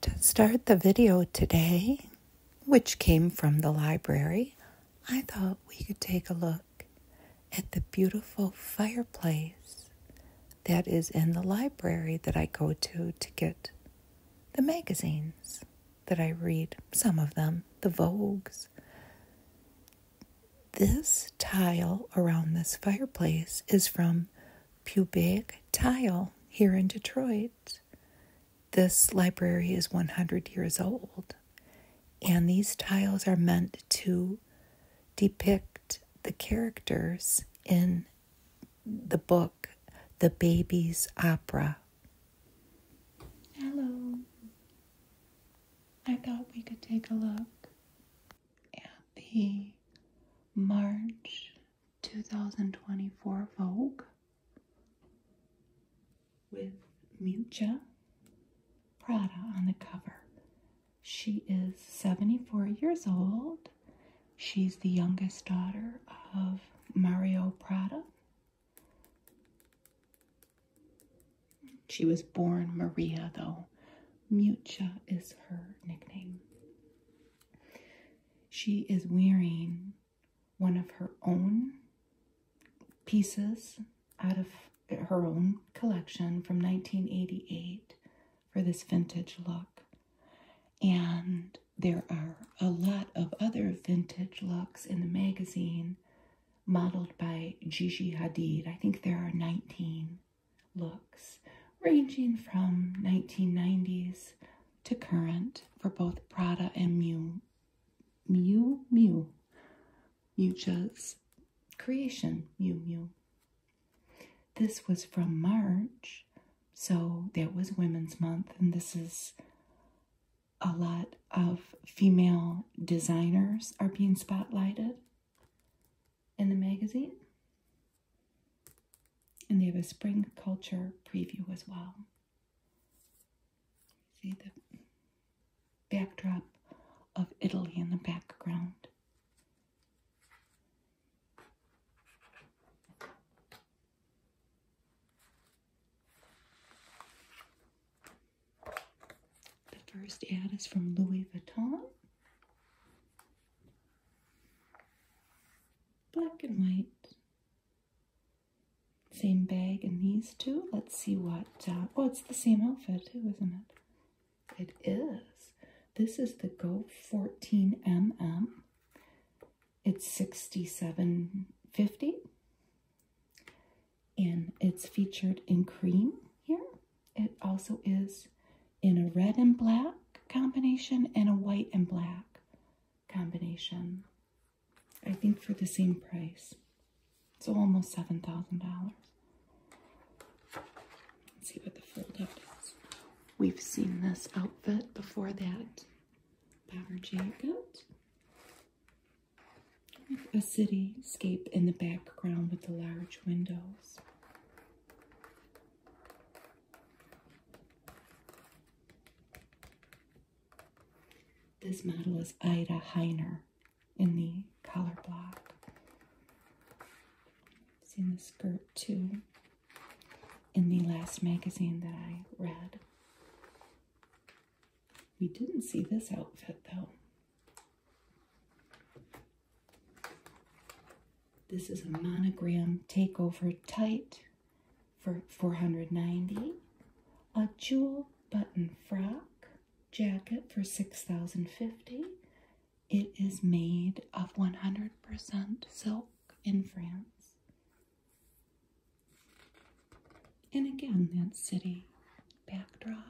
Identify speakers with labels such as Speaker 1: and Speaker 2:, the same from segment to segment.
Speaker 1: To start the video today, which came from the library, I thought we could take a look at the beautiful fireplace that is in the library that I go to to get the magazines that I read, some of them, the Vogues. This tile around this fireplace is from pubic tile here in Detroit. This library is 100 years old, and these tiles are meant to depict the characters in the book, The Baby's Opera. Hello. I thought we could take a look at the March 2024 Vogue with Mucha Prada on the cover. She is 74 years old. She's the youngest daughter of Mario Prada. She was born Maria, though. Mucha is her nickname she is wearing one of her own pieces out of her own collection from 1988 for this vintage look. And there are a lot of other vintage looks in the magazine modeled by Gigi Hadid. I think there are 19 looks, ranging from 1990s to current for both Prada and Mew. Mew Mew. Mucha's creation, Mew Mew. This was from March, so that was Women's Month, and this is a lot of female designers are being spotlighted in the magazine. And they have a spring culture preview as well. See the backdrop of Italy in the background. The first ad is from Louis Vuitton black and white. Same bag and these two. Let's see what. Uh, oh, it's the same outfit too, isn't it? It is. This is the Go 14mm. It's 67.50, and it's featured in cream here. It also is in a red and black combination and a white and black combination. I think for the same price. It's almost $7,000. Let's see what the fold up is. We've seen this outfit before that bomber jacket. a cityscape in the background with the large windows. This model is Ida Heiner in the color block. Seen the skirt too, in the last magazine that I read. We didn't see this outfit though. This is a monogram takeover tight for 490 a jewel button frock jacket for 6050 it is made of 100% silk in France. And again, that city backdrop.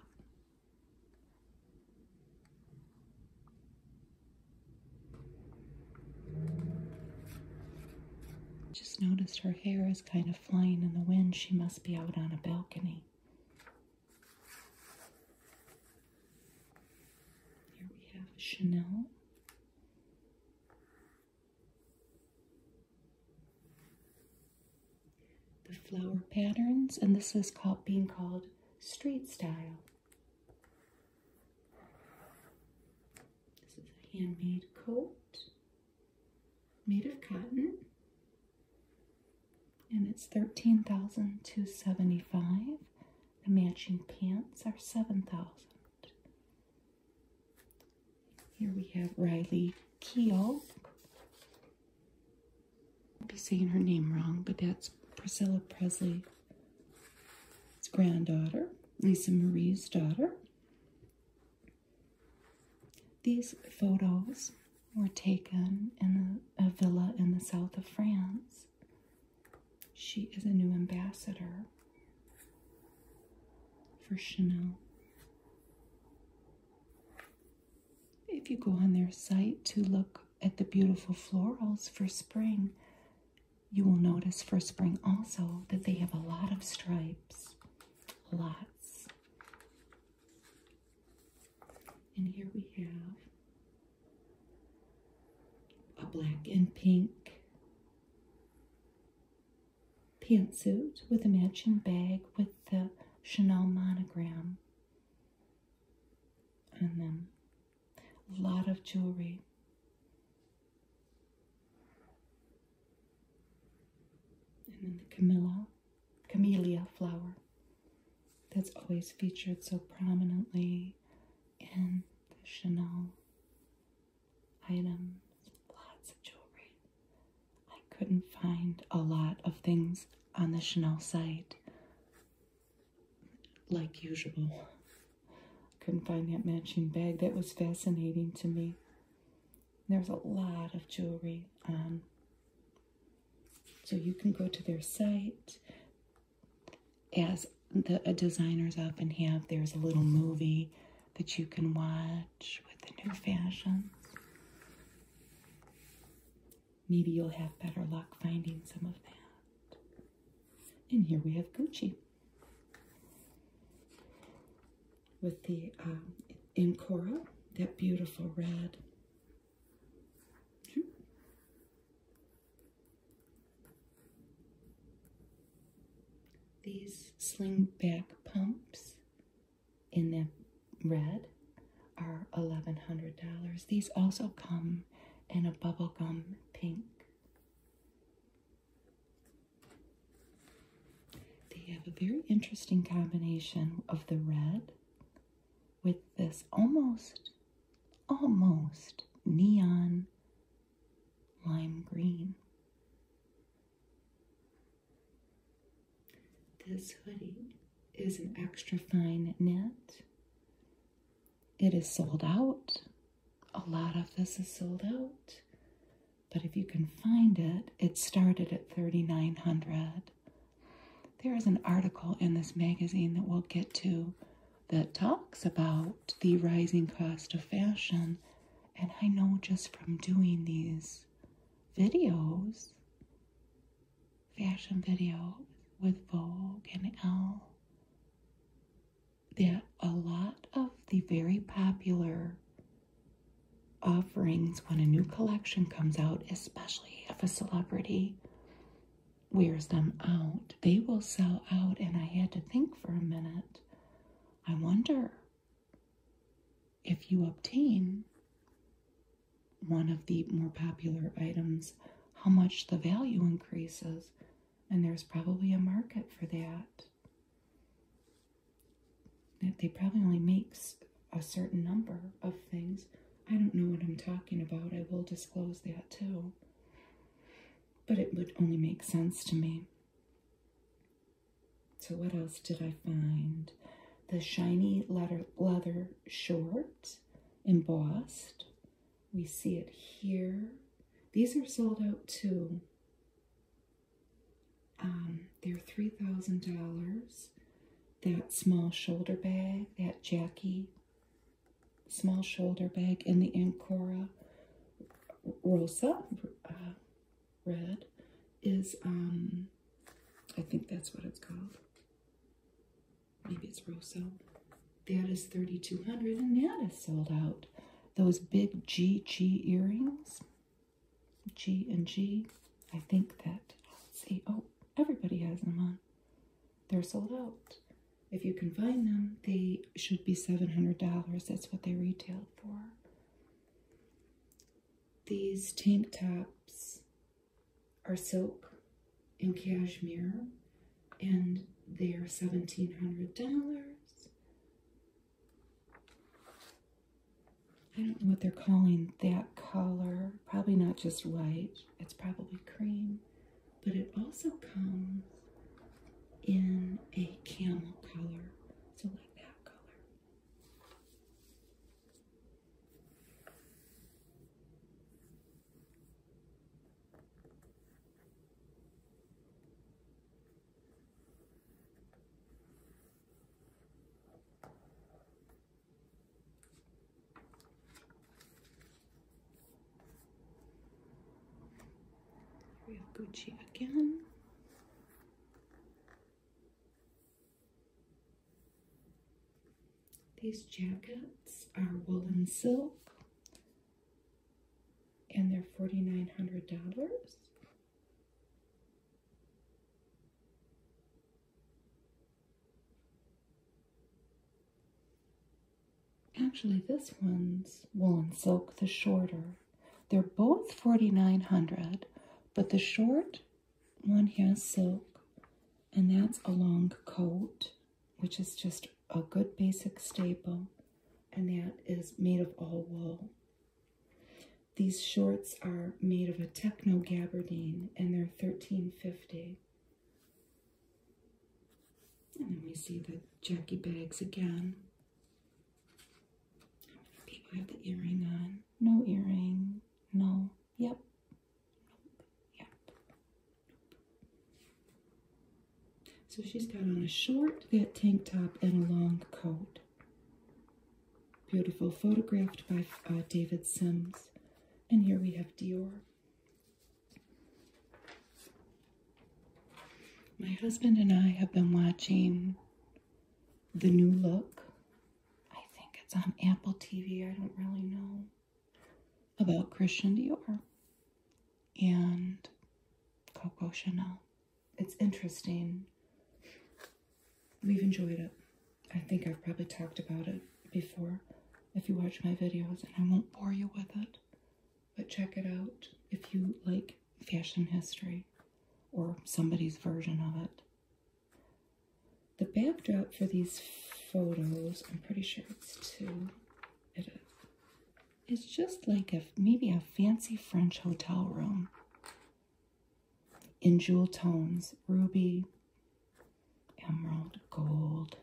Speaker 1: Just noticed her hair is kind of flying in the wind. She must be out on a balcony. Here we have Chanel. The flower patterns, and this is called being called street style. This is a handmade coat made of cotton. And it's 13275 The matching pants are 7000 Here we have Riley Keel. I'll be saying her name wrong, but that's Priscilla Presley his granddaughter, Lisa Marie's daughter. These photos were taken in a villa in the south of France. She is a new ambassador for Chanel. If you go on their site to look at the beautiful florals for spring, you will notice for spring also that they have a lot of stripes. Lots. And here we have a black and pink pantsuit with a matching bag with the Chanel monogram on them a lot of jewelry. And then the Camilla, camellia flower that's always featured so prominently in the Chanel items. Lots of jewelry. I couldn't find a lot of things on the Chanel site like usual. Couldn't find that matching bag. That was fascinating to me. There's a lot of jewelry on. So you can go to their site. As the uh, designers often have, there's a little movie that you can watch with the new fashions. Maybe you'll have better luck finding some of that. And here we have Gucci with the um, that beautiful red. Hmm. These sling back pumps in the red are $1,100. These also come in a bubblegum pink. They have a very interesting combination of the red with this almost, almost neon lime green. This hoodie is an extra fine knit it is sold out. A lot of this is sold out. But if you can find it, it started at 3900. There is an article in this magazine that we'll get to that talks about the rising cost of fashion. And I know just from doing these videos, fashion videos with Vogue and Elle, that a lot of the very popular offerings when a new collection comes out, especially if a celebrity wears them out, they will sell out. And I had to think for a minute. I wonder if you obtain one of the more popular items, how much the value increases and there's probably a market for that. That they probably only makes a certain number of things. I don't know what I'm talking about. I will disclose that too. But it would only make sense to me. So what else did I find? The shiny leather, leather short, embossed. We see it here. These are sold out too. Um, they're $3,000. That small shoulder bag, that Jackie small shoulder bag in the Ancora Rosa uh, red is, um, I think that's what it's called. Maybe it's Rosa. That is 3200 and that is sold out. Those big GG earrings. G and G. I think that, see, oh, everybody has them on. They're sold out. If you can find them, they should be $700. That's what they retailed for. These tank tops are silk and cashmere and they are $1,700. I don't know what they're calling that color. Probably not just white. It's probably cream. But it also comes in a camel color. So like that color. Real Gucci again. These jackets are wool and silk and they're $4,900. Actually, this one's woolen silk, the shorter. They're both $4,900, but the short one has silk, and that's a long coat, which is just a good basic staple, and that is made of all wool. These shorts are made of a techno gabardine, and they're thirteen fifty. And then we see the Jackie bags again. people have the earring on? No earring. No. Yep. Yep. So she's got on a short fit tank top and a long coat. Beautiful, photographed by uh, David Sims. And here we have Dior. My husband and I have been watching The New Look. I think it's on Apple TV, I don't really know. About Christian Dior and Coco Chanel. It's interesting. We've enjoyed it. I think I've probably talked about it before if you watch my videos, and I won't bore you with it. But check it out if you like fashion history or somebody's version of it. The backdrop for these photos, I'm pretty sure it's two. It's just like a maybe a fancy French hotel room in jewel tones, ruby, emerald, gold.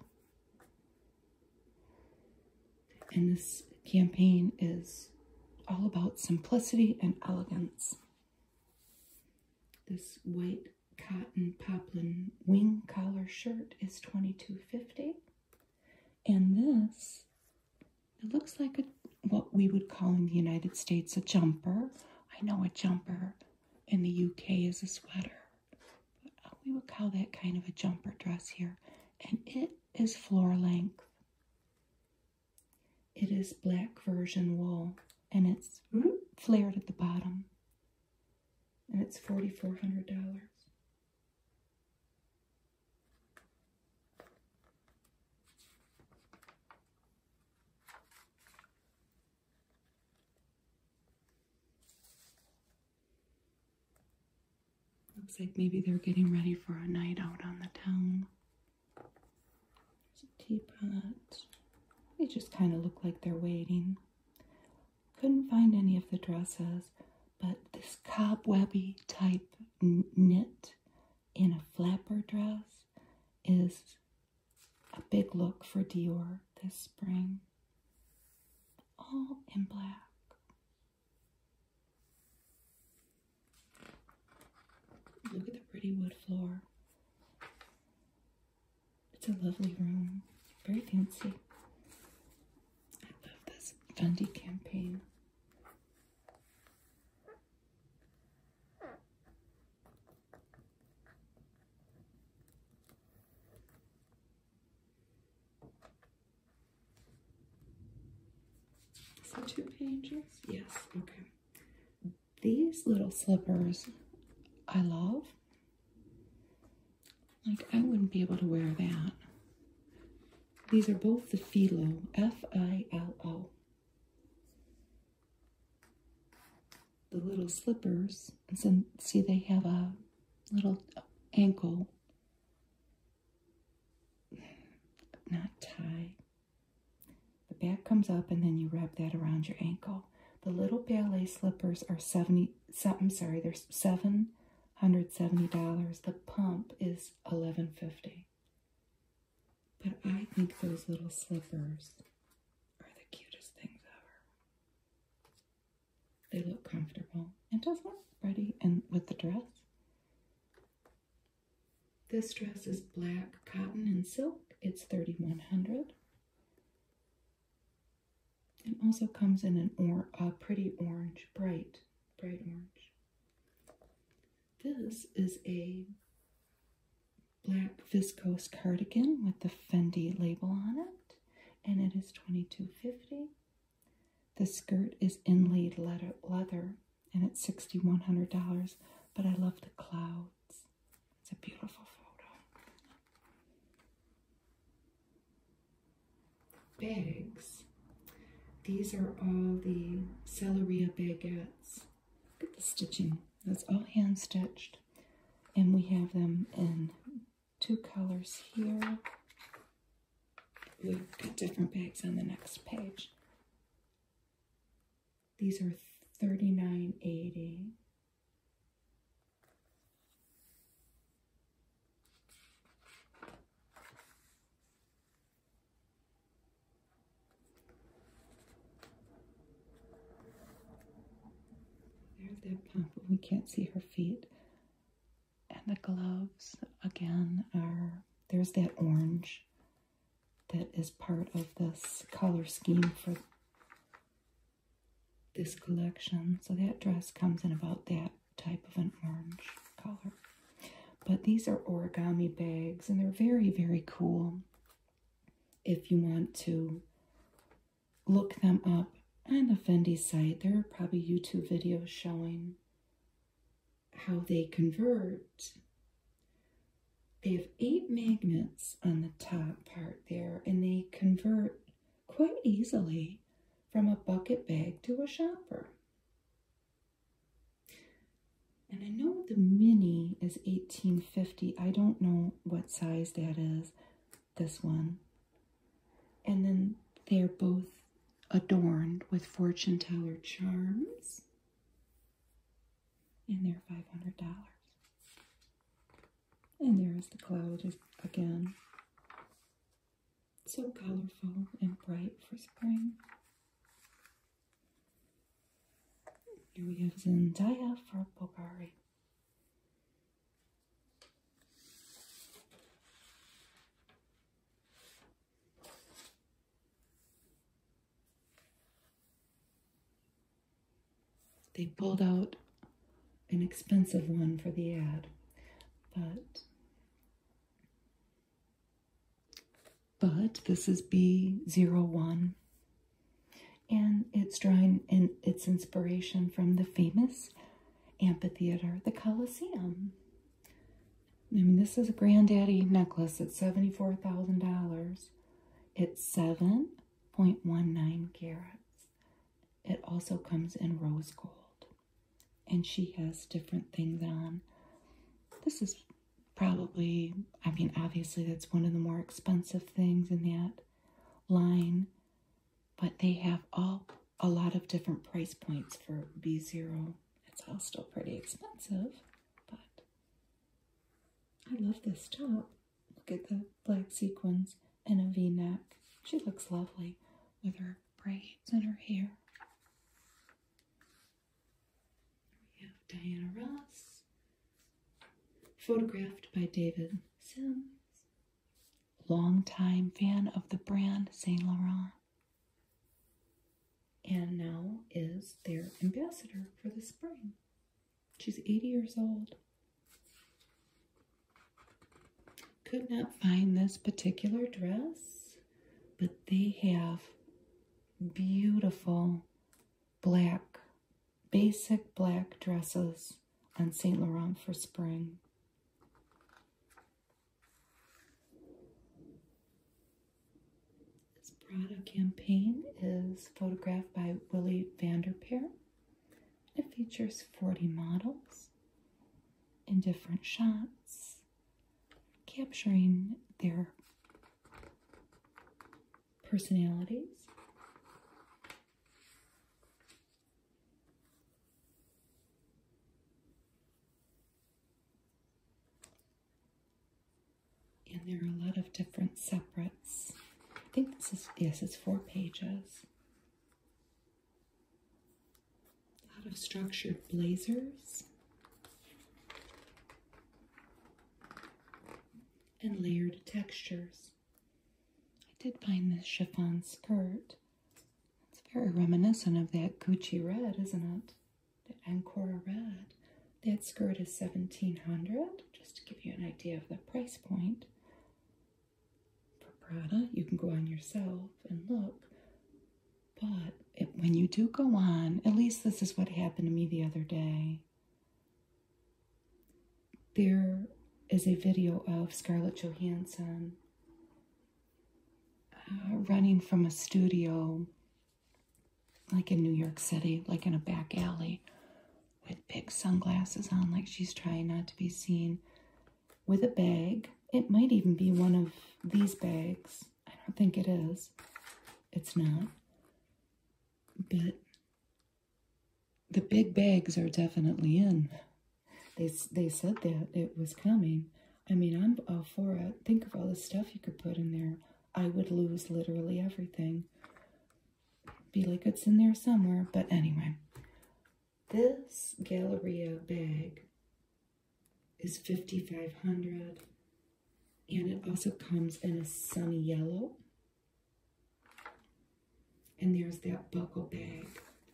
Speaker 1: And this campaign is all about simplicity and elegance. This white cotton poplin wing collar shirt is twenty two fifty, And this it looks like a, what we would call in the United States a jumper. I know a jumper in the UK is a sweater, but uh, we would call that kind of a jumper dress here. And it is floor length. It is black virgin wool and it's flared at the bottom. And it's $4,400. Looks like maybe they're getting ready for a night out on the town. There's a teapot. They just kind of look like they're waiting. Couldn't find any of the dresses but this cobwebby type knit in a flapper dress is a big look for Dior this spring. All in black. Look at the pretty wood floor. It's a lovely room, very fancy. I love this fundy campaign. Is two pages? Yes, okay. These little slippers I love. Like, I wouldn't be able to wear that. These are both the Philo, F-I-L-O. The little slippers, and see they have a little ankle, not tie. The back comes up and then you wrap that around your ankle. The little ballet slippers are 70, I'm sorry, they're $770. The pump is 11.50. But I think those little slippers are the cutest things ever. They look comfortable and does look pretty and with the dress. This dress is black cotton and silk. It's 3100 It also comes in an or a pretty orange, bright, bright orange. This is a black viscose cardigan with the Fendi label on it, and its twenty-two fifty. is The skirt is inlaid leather, and it's $6,100, but I love the clouds. It's a beautiful photo bags. These are all the Celeria baguettes. Look at the stitching. That's all hand stitched. And we have them in two colors here. We've got different bags on the next page. These are thirty-nine eighty. There's that pump, but we can't see her feet. And the gloves, again, are there's that orange that is part of this color scheme for this collection. So that dress comes in about that type of an orange color. But these are origami bags and they're very, very cool if you want to look them up on the Fendi site. There are probably YouTube videos showing how they convert. They have eight magnets on the top part there and they convert quite easily from a bucket bag to a shopper. And I know the mini is 1850. I don't know what size that is, this one. And then they're both adorned with fortune teller charms. And they're $500. And there is the cloud again. So colorful and bright for spring. Here we have Zendaya for Bulgari. They pulled out an expensive one for the ad, but but this is B01 and it's drawing in its inspiration from the famous amphitheater, the Colosseum. I mean, this is a granddaddy necklace. at $74,000. It's 7.19 carats. It also comes in rose gold and she has different things on. This is probably, I mean, obviously, that's one of the more expensive things in that line, but they have all a lot of different price points for B0. It's all still pretty expensive, but I love this top. Look at the black sequins and a v-neck. She looks lovely with her braids and her hair. We have Diana Ross, photographed by David Sims, longtime fan of the brand Saint Laurent, and now is their ambassador for the spring. She's 80 years old. Could not find this particular dress but they have beautiful black, basic black dresses on St. Laurent for spring. This Prada campaign is photographed by Willy Vanderpeer. It features 40 models in different shots capturing their personalities. And there are a lot of different separates. I think this is, yes, it's four pages a lot of structured blazers and layered textures. I did find this chiffon skirt. It's very reminiscent of that Gucci red, isn't it? That Ancora red. That skirt is 1700 just to give you an idea of the price point. For Prada, you can go on yourself and look. But when you do go on, at least this is what happened to me the other day. There is a video of Scarlett Johansson uh, running from a studio, like in New York City, like in a back alley, with big sunglasses on, like she's trying not to be seen, with a bag. It might even be one of these bags I don't think it is. It's not. But the big bags are definitely in. They, they said that it was coming. I mean, I'm all for it. Think of all the stuff you could put in there. I would lose literally everything. Be like it's in there somewhere. But anyway, this Galleria bag is 5500 and it also comes in a sunny yellow. And there's that buckle bag.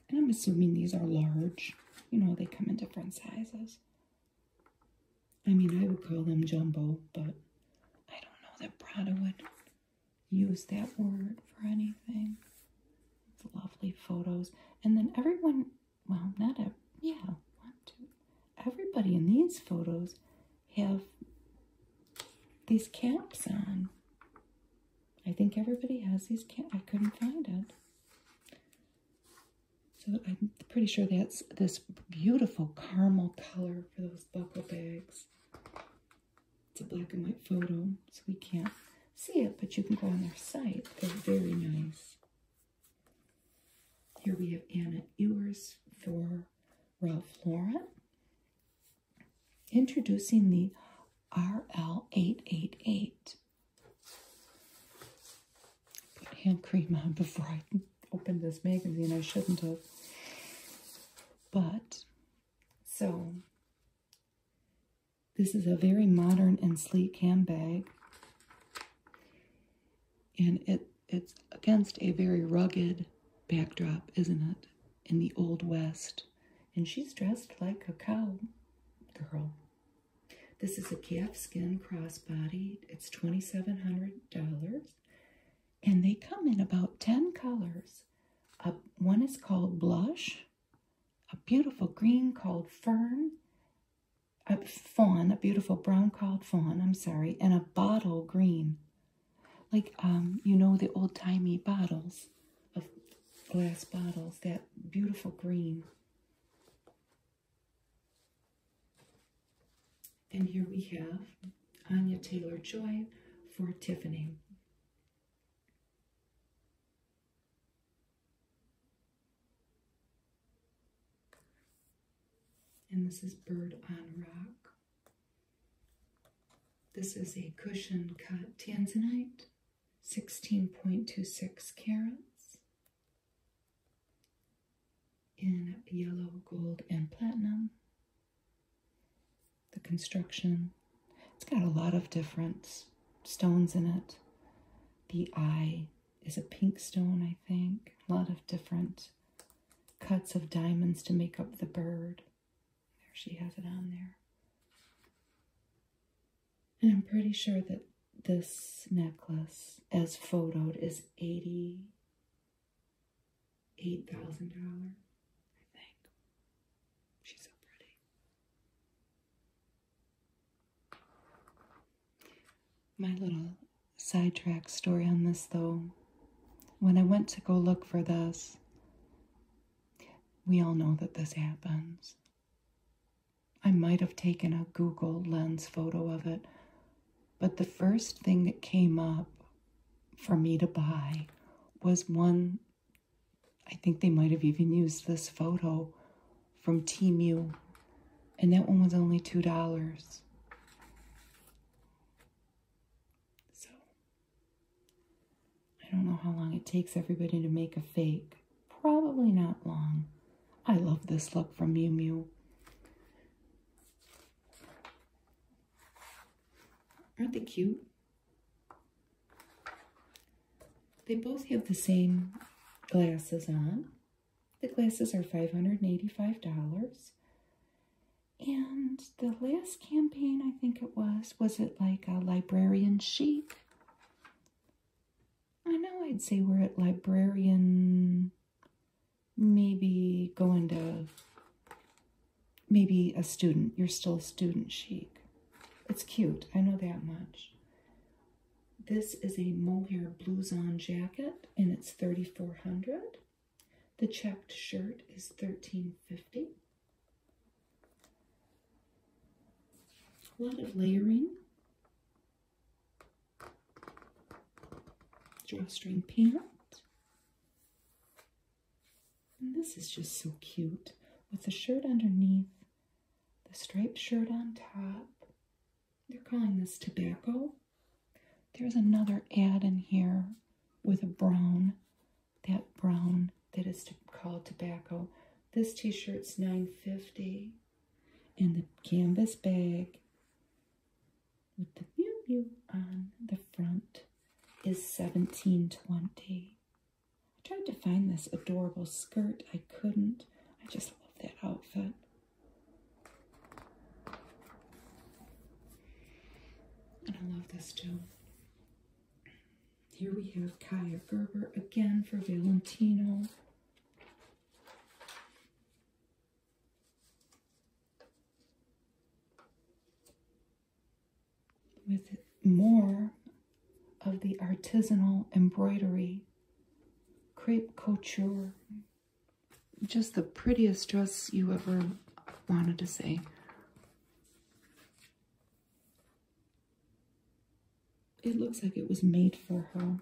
Speaker 1: And I'm assuming these are large. You know, they come in different sizes. I mean, I would call them jumbo, but I don't know that Prada would use that word for anything. lovely photos. And then everyone well, not a, yeah, one, two. Everybody in these photos have these caps on. I think everybody has these caps. I couldn't find it. So I'm pretty sure that's this beautiful caramel color for those buckle bags. It's a black and white photo, so we can't see it, but you can go on their site. They're very nice. Here we have Anna Ewers for Ralph Lauren. Introducing the RL888. Put hand cream on before I open this magazine. I shouldn't have. But, so, this is a very modern and sleek handbag. And it it's against a very rugged backdrop, isn't it? In the old west. And she's dressed like a cow girl. This is a calfskin crossbody. It's $2,700. And they come in about 10 colors. Uh, one is called Blush, a beautiful green called Fern, a fawn, a beautiful brown called fawn, I'm sorry, and a bottle green. Like, um, you know, the old-timey bottles of glass bottles, that beautiful green. And here we have Anya Taylor-Joy for Tiffany. And this is Bird on Rock. This is a cushion cut tanzanite, 16.26 carats in yellow, gold, and platinum. The construction, it's got a lot of different stones in it. The eye, is a pink stone, I think. A lot of different cuts of diamonds to make up the bird. There she has it on there. And I'm pretty sure that this necklace, as photoed, is $88,000, I think. She's so pretty. My little sidetrack story on this, though, when I went to go look for this, we all know that this happens. I might have taken a Google lens photo of it, but the first thing that came up for me to buy was one. I think they might have even used this photo from Temu, and that one was only $2. So, I don't know how long it takes everybody to make a fake. Probably not long. I love this look from Mew Mew. Aren't they cute? They both have the same glasses on. The glasses are $585. And the last campaign, I think it was, was it like a librarian chic? I know I'd say we're at librarian, maybe going to, maybe a student. You're still a student chic. It's cute, I know that much. This is a mohair blouson jacket and it's 3400 The checked shirt is 1350 A lot of layering. Drawstring pant. this is just so cute with the shirt underneath, the striped shirt on top. They're calling this tobacco. There's another ad in here with a brown, that brown that is called tobacco. This t-shirt's dollars And the canvas bag with the pew pew on the front is 17.20. I tried to find this adorable skirt. I couldn't. I just love that outfit. And I love this too. Here we have Kaya Gerber again for Valentino. With more of the artisanal embroidery, crepe couture, just the prettiest dress you ever wanted to see. It looks like it was made for her.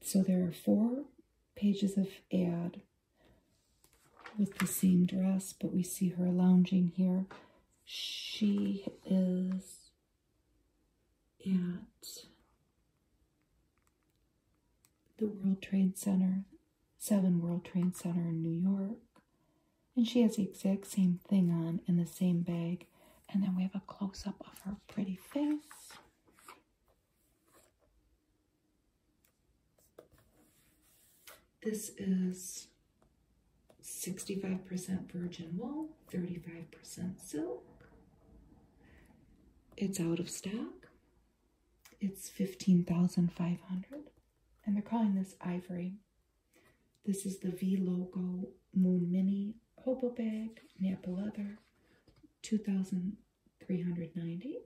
Speaker 1: So there are four pages of ad with the same dress, but we see her lounging here. She is at the World Trade Center, Seven World Trade Center in New York. And she has the exact same thing on in the same bag. And then we have a close up of her pretty face. This is 65% virgin wool, 35% silk. It's out of stock. It's 15,500 and they're calling this ivory. This is the V logo Moon Mini Hobo Bag, Napa Leather, 2,390.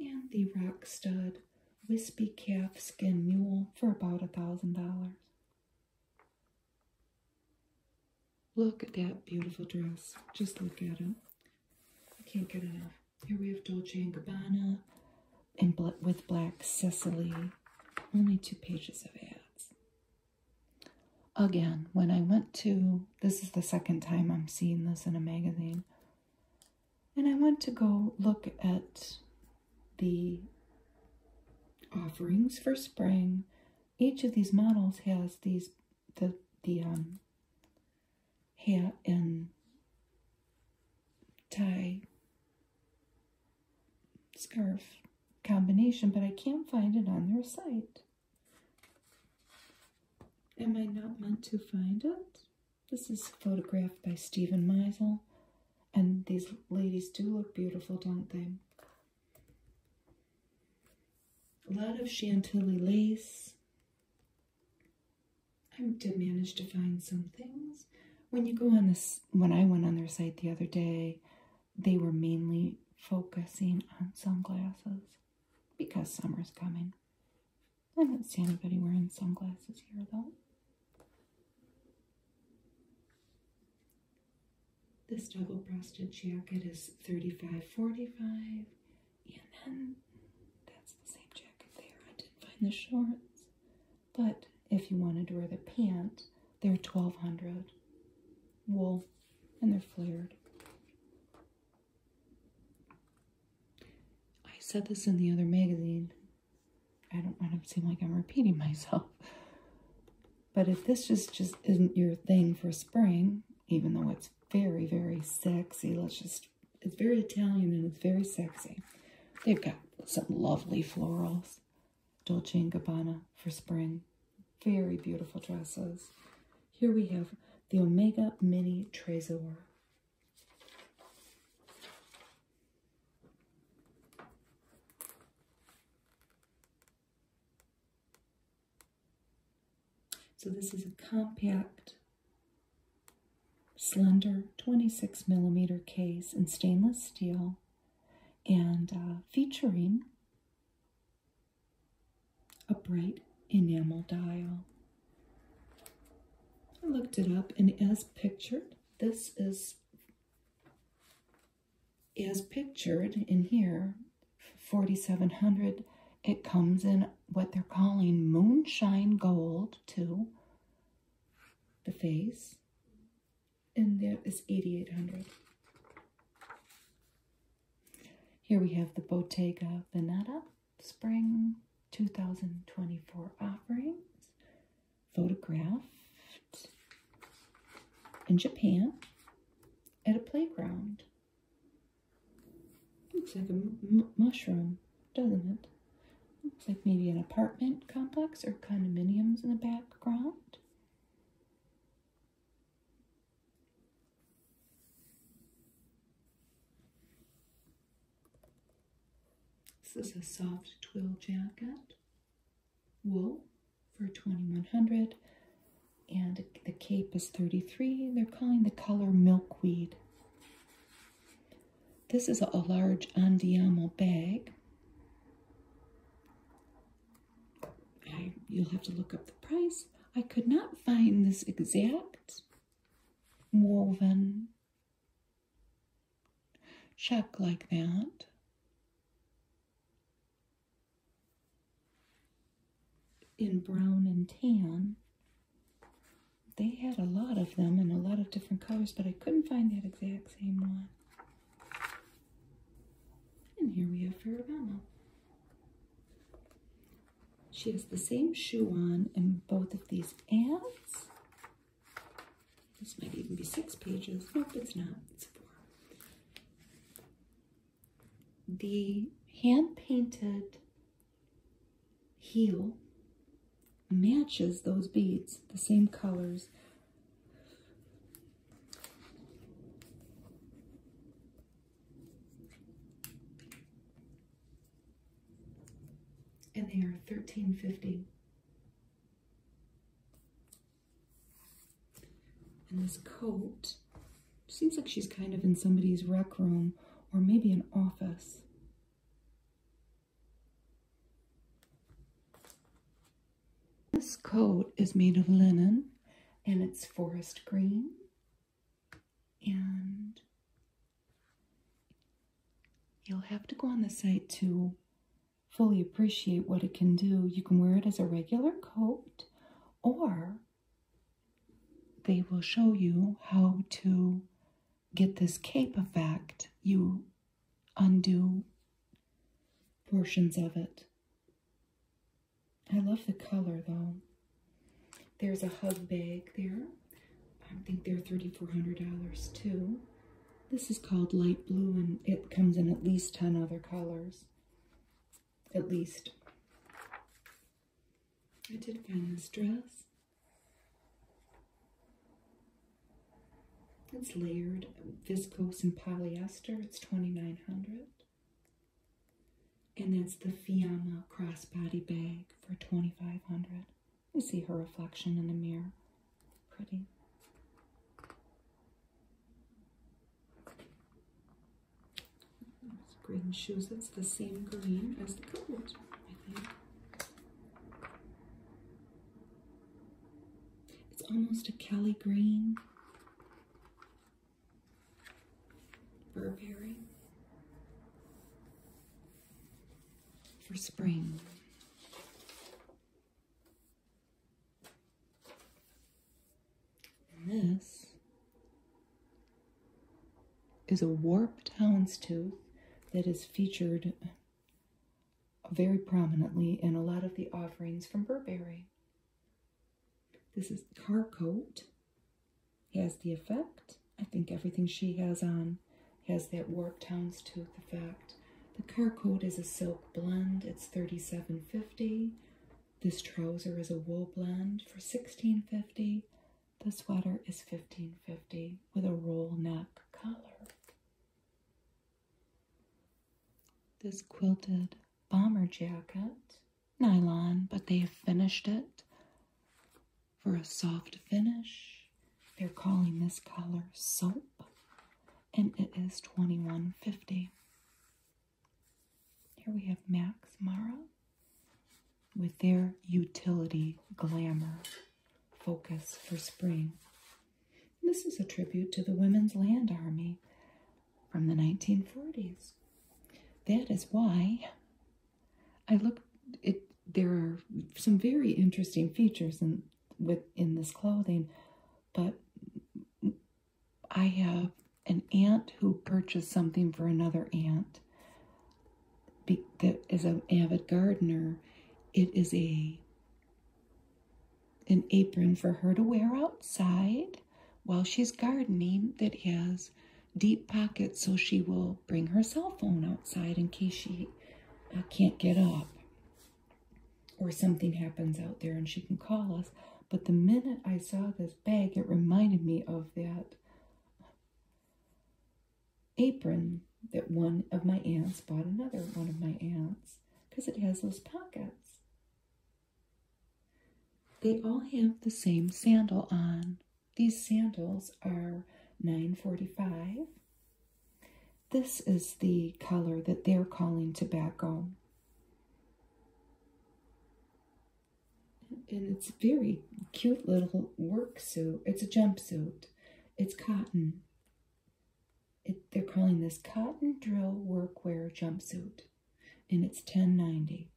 Speaker 1: And the Rock Stud Wispy Calf Skin Mule for about a $1,000. Look at that beautiful dress. Just look at it. I can't get enough. Here we have Dolce & Gabbana and with Black Cecily. Only two pages of ads. Again, when I went to, this is the second time I'm seeing this in a magazine, and I went to go look at the offerings for spring each of these models has these the the um hat and tie scarf combination, but I can't find it on their site. Am I not meant to find it? This is photographed by Stephen Meisel, and these ladies do look beautiful, don't they? A lot of Chantilly lace. I did manage to find some things. When you go on this, when I went on their site the other day, they were mainly focusing on sunglasses because summer is coming. I don't see anybody wearing sunglasses here though. This double breasted jacket is 35 45 and then that's the same jacket there. I didn't find the shorts, but if you wanted to wear the pant, they're $1,200 wool and they're flared. I said this in the other magazine. I don't want to seem like I'm repeating myself. But if this just, just isn't your thing for spring, even though it's very, very sexy, let's just, it's very Italian and it's very sexy. They've got some lovely florals. Dolce & Gabbana for spring. Very beautiful dresses. Here we have the Omega Mini Trezor. So this is a compact, slender 26 millimeter case in stainless steel and uh, featuring a bright enamel dial. I looked it up and as pictured, this is is pictured in here, 4700 it comes in what they're calling moonshine gold to the face and there is 8800 here we have the bottega veneta spring 2024 offerings photographed in japan at a playground. Looks like a mushroom, doesn't it? Looks like maybe an apartment complex or condominiums in the background. Is This a soft twill jacket wool for 2100 and the cape is 33 they're calling the color milkweed this is a large andiamo bag I, you'll have to look up the price i could not find this exact woven check like that in brown and tan. They had a lot of them in a lot of different colors, but I couldn't find that exact same one. And here we have Ferragamo. She has the same shoe on in both of these ants. This might even be six pages. Nope, it's not. It's four the hand-painted heel matches those beads, the same colors. And they are 1350. And this coat seems like she's kind of in somebody's rec room or maybe an office. This coat is made of linen and it's forest green and you'll have to go on the site to fully appreciate what it can do, you can wear it as a regular coat, or they will show you how to get this cape effect. You undo portions of it. I love the color though. There's a hug bag there. I think they're $3,400 too. This is called light blue and it comes in at least 10 other colors at least. I did find this dress. It's layered viscose and polyester. It's 2900 And that's the Fiamma crossbody bag for 2500 You see her reflection in the mirror. Pretty. Green shoes, It's the same green as the gold, I think. It's almost a Kelly green. Burberry. For spring. This is a warp town's tooth that is featured very prominently in a lot of the offerings from Burberry. This is car coat. Has the effect. I think everything she has on has that warp town's tooth effect. The car coat is a silk blend. It's 37.50. This trouser is a wool blend for sixteen fifty. The sweater is fifteen fifty with a roll neck collar. This quilted bomber jacket, nylon, but they have finished it for a soft finish. They're calling this color soap and its twenty one fifty. Here we have Max Mara with their utility glamour focus for spring. This is a tribute to the Women's Land Army from the 1940s. That is why I look. it there are some very interesting features in within this clothing, but I have an aunt who purchased something for another aunt that is an avid gardener. It is a an apron for her to wear outside while she's gardening that has deep pockets so she will bring her cell phone outside in case she uh, can't get up or something happens out there and she can call us. But the minute I saw this bag, it reminded me of that apron that one of my aunts bought another one of my aunts because it has those pockets. They all have the same sandal on. These sandals are 945. This is the color that they're calling tobacco. And it's very cute little work suit. It's a jumpsuit. It's cotton. they're calling this cotton drill workwear jumpsuit. And it's 1090.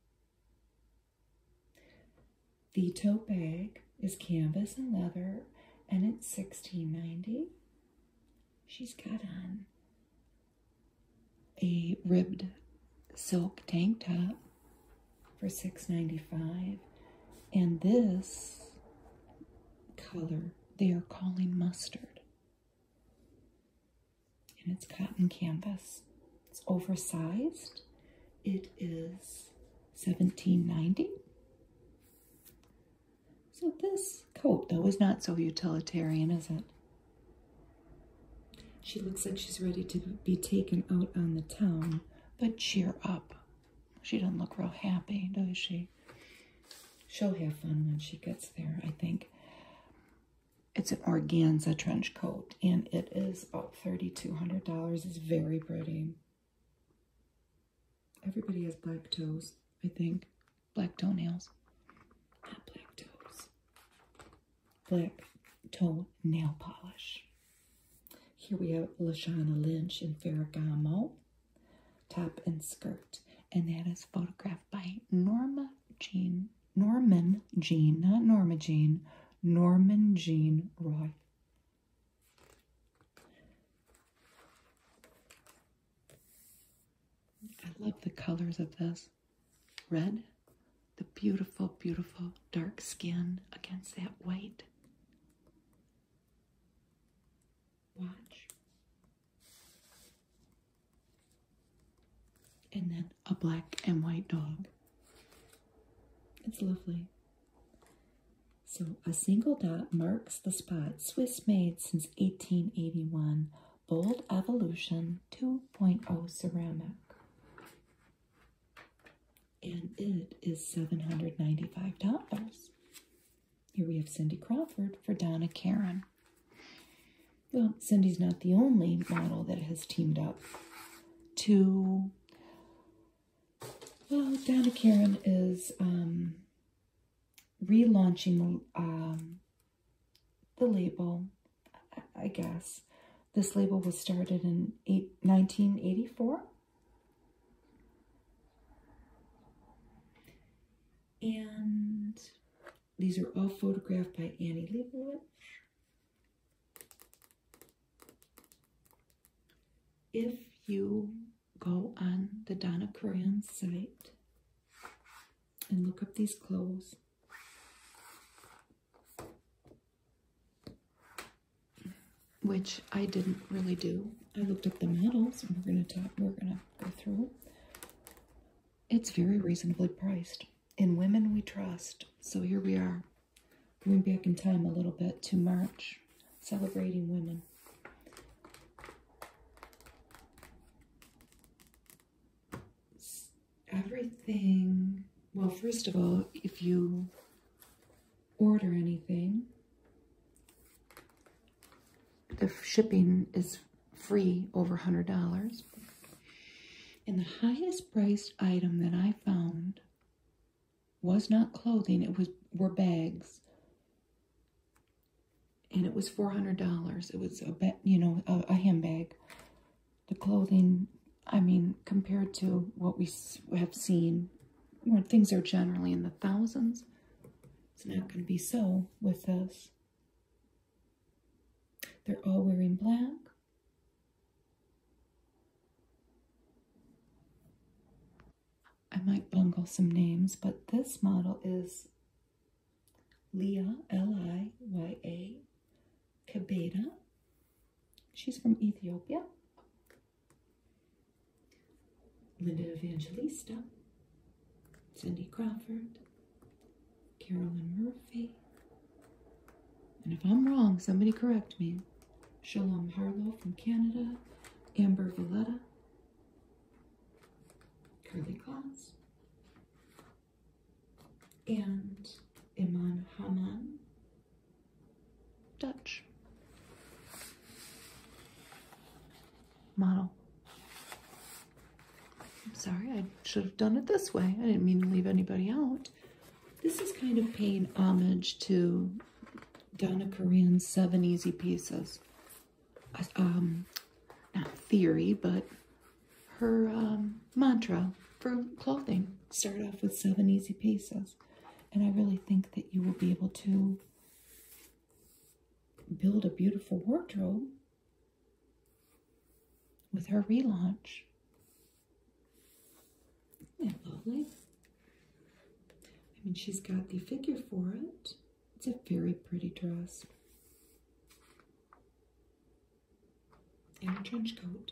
Speaker 1: The tote bag is canvas and leather and it's 1690. She's got on a ribbed silk tank top for $6.95. And this color they are calling mustard. And it's cotton canvas. It's oversized. It is $17.90. So this coat, that was not so utilitarian, is it? She looks like she's ready to be taken out on the town, but cheer up. She doesn't look real happy, does she? She'll have fun when she gets there, I think. It's an organza trench coat, and it is about $3,200. It's very pretty. Everybody has black toes, I think black toenails. black toes. Black toe nail polish. Here we have Lashana Lynch in Ferragamo, top and skirt. And that is photographed by Norma Jean, Norman Jean, not Norma Jean, Norman Jean Roy. I love the colors of this. Red, the beautiful, beautiful dark skin against that white. Watch. And then a black and white dog. It's lovely. So a single dot marks the spot Swiss made since 1881. Bold evolution um, 2.0 ceramic. And it is $795. Here we have Cindy Crawford for Donna Karen. Well, Cindy's not the only model that has teamed up to, well, Donna Karen is um, relaunching um, the label, I guess. This label was started in eight, 1984. And these are all photographed by Annie Leibovitz. If you go on the Donna Curran site and look up these clothes, which I didn't really do. I looked at the models, we're gonna talk. We're gonna go through. It's very reasonably priced. In women we trust. So here we are, going back in time a little bit to March, celebrating women everything, well, first of all, if you order anything, the shipping is free over $100. And the highest priced item that I found was not clothing, it was were bags. And it was $400. It was a, you know, a, handbag the clothing, I mean, compared to what we have seen, where things are generally in the thousands, it's not going to be so with us. They're all wearing black. I might bungle some names, but this model is Leah, L I Y A, Kabeda. She's from Ethiopia. Linda Evangelista, Cindy Crawford, Carolyn Murphy. And if I'm wrong, somebody correct me. Shalom Harlow from Canada, Amber Valletta, Curly Claus, and Iman Haman, Dutch. Model. I'm sorry, I should have done it this way. I didn't mean to leave anybody out. This is kind of paying homage to Donna Korean's Seven Easy Pieces. Uh, um, not theory, but her um, mantra for clothing. Start off with seven easy pieces. And I really think that you will be able to build a beautiful wardrobe with her relaunch. is that lovely? I mean, she's got the figure for it. It's a very pretty dress in a trench coat.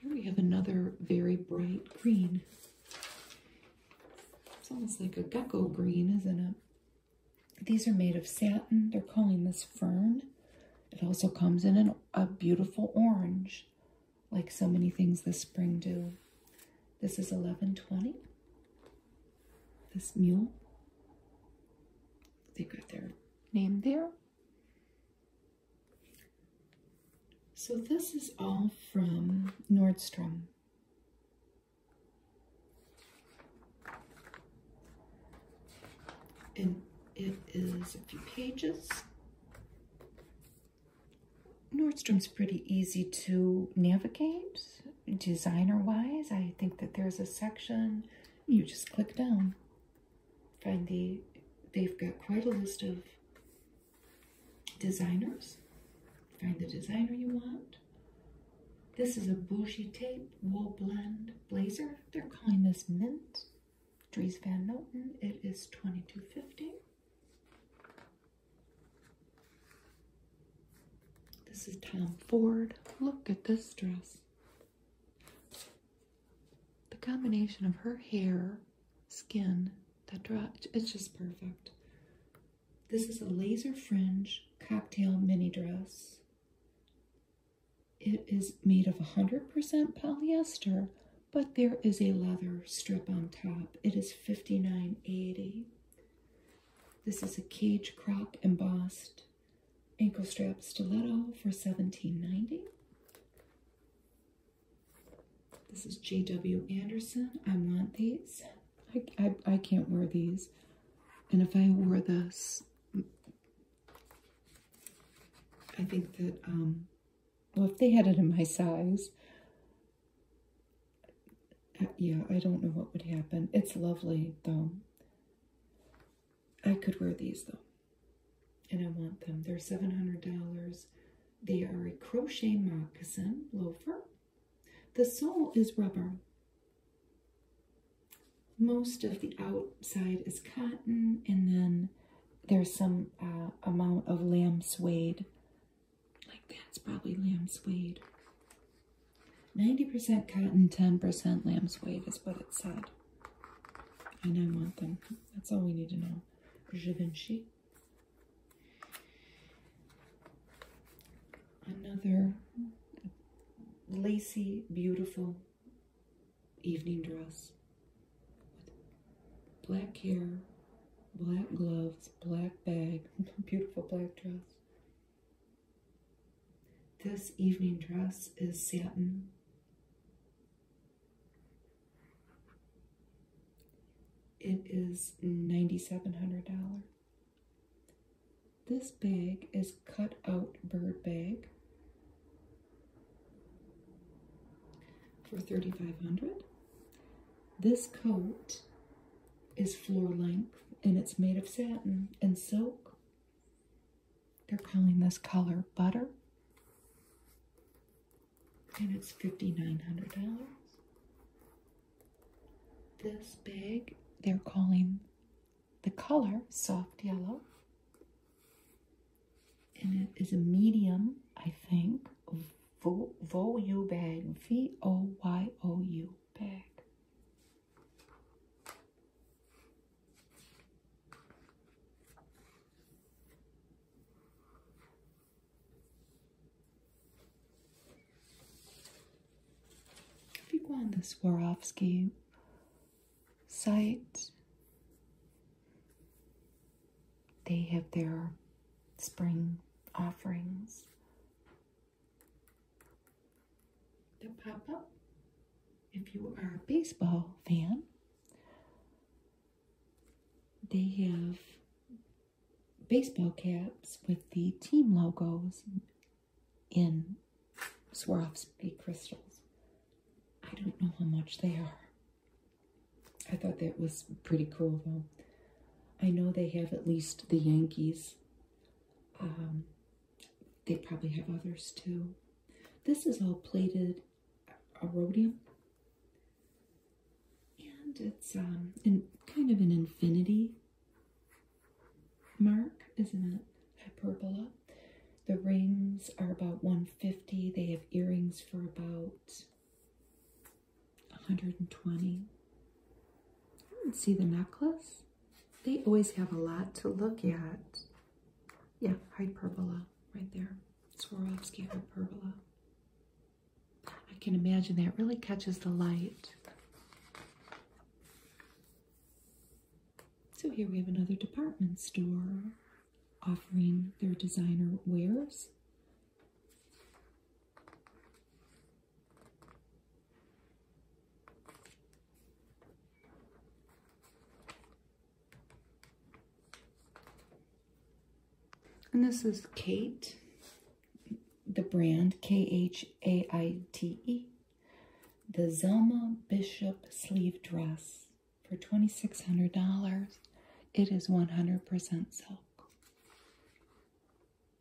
Speaker 1: Here we have another very bright green. It's almost like a gecko green, isn't it? These are made of satin. They're calling this fern. It also comes in a beautiful orange, like so many things this spring do. This is 1120 this mule. They've got their name there. So this is all from Nordstrom. And it is a few pages. Nordstrom's pretty easy to navigate designer wise i think that there's a section you just click down find the they've got quite a list of designers find the designer you want this is a bougie tape wool blend blazer they're calling this mint Dries Van Noten. its twenty-two fifty. This is Tom Ford. Look at this dress. The combination of her hair, skin, that dress, it's just perfect. This is a laser fringe cocktail mini dress. It is made of 100% polyester, but there is a leather strip on top. its fifty-nine eighty. This is a cage crop embossed ankle strap stiletto for 1790. This is J.W. Anderson. I want these. I, I, can't wear these. And if I wore this, I think that, um, well, if they had it in my size, uh, yeah, I don't know what would happen. It's lovely though. I could wear these though, and I want them. They're $700. They are a crochet moccasin loafer. The sole is rubber. Most of the outside is cotton, and then there's some uh, amount of lamb suede like that's probably lamb suede. 90% cotton, 10% lamb suede is what it said. And I want them. That's all we need to know. Givenchy. Another lacy, beautiful evening dress black hair, black gloves, black bag, beautiful black dress, this evening dress is satin. It is $9,700. This bag is cut out bird bag for $3,500. This coat is floor length and it's made of satin and silk. They're calling this color butter. And it's $5,900. This bag, they're calling the color soft yellow. And it is a medium, I think, Vo Voyou bag. V-O-Y-O-U bag. If you go on the Swarovski site, they have their spring offerings the pop up if you are a baseball fan. They have baseball caps with the team logos in Swarovski crystals. I don't know how much they are. I thought that was pretty cool though. I know they have at least the Yankees um, they probably have others too. This is all plated rhodium. And it's um, in kind of an infinity mark, isn't it? Hyperbola. The rings are about 150. They have earrings for about 120. I do see the necklace. They always have a lot to look at. Yeah, hyperbola right there. Swarovski hyperbola. I can imagine that really catches the light. So here we have another department store offering their designer wares. And this is Kate, the brand K-H-A-I-T-E, the Zelma Bishop sleeve dress for $2,600. It is 100% silk.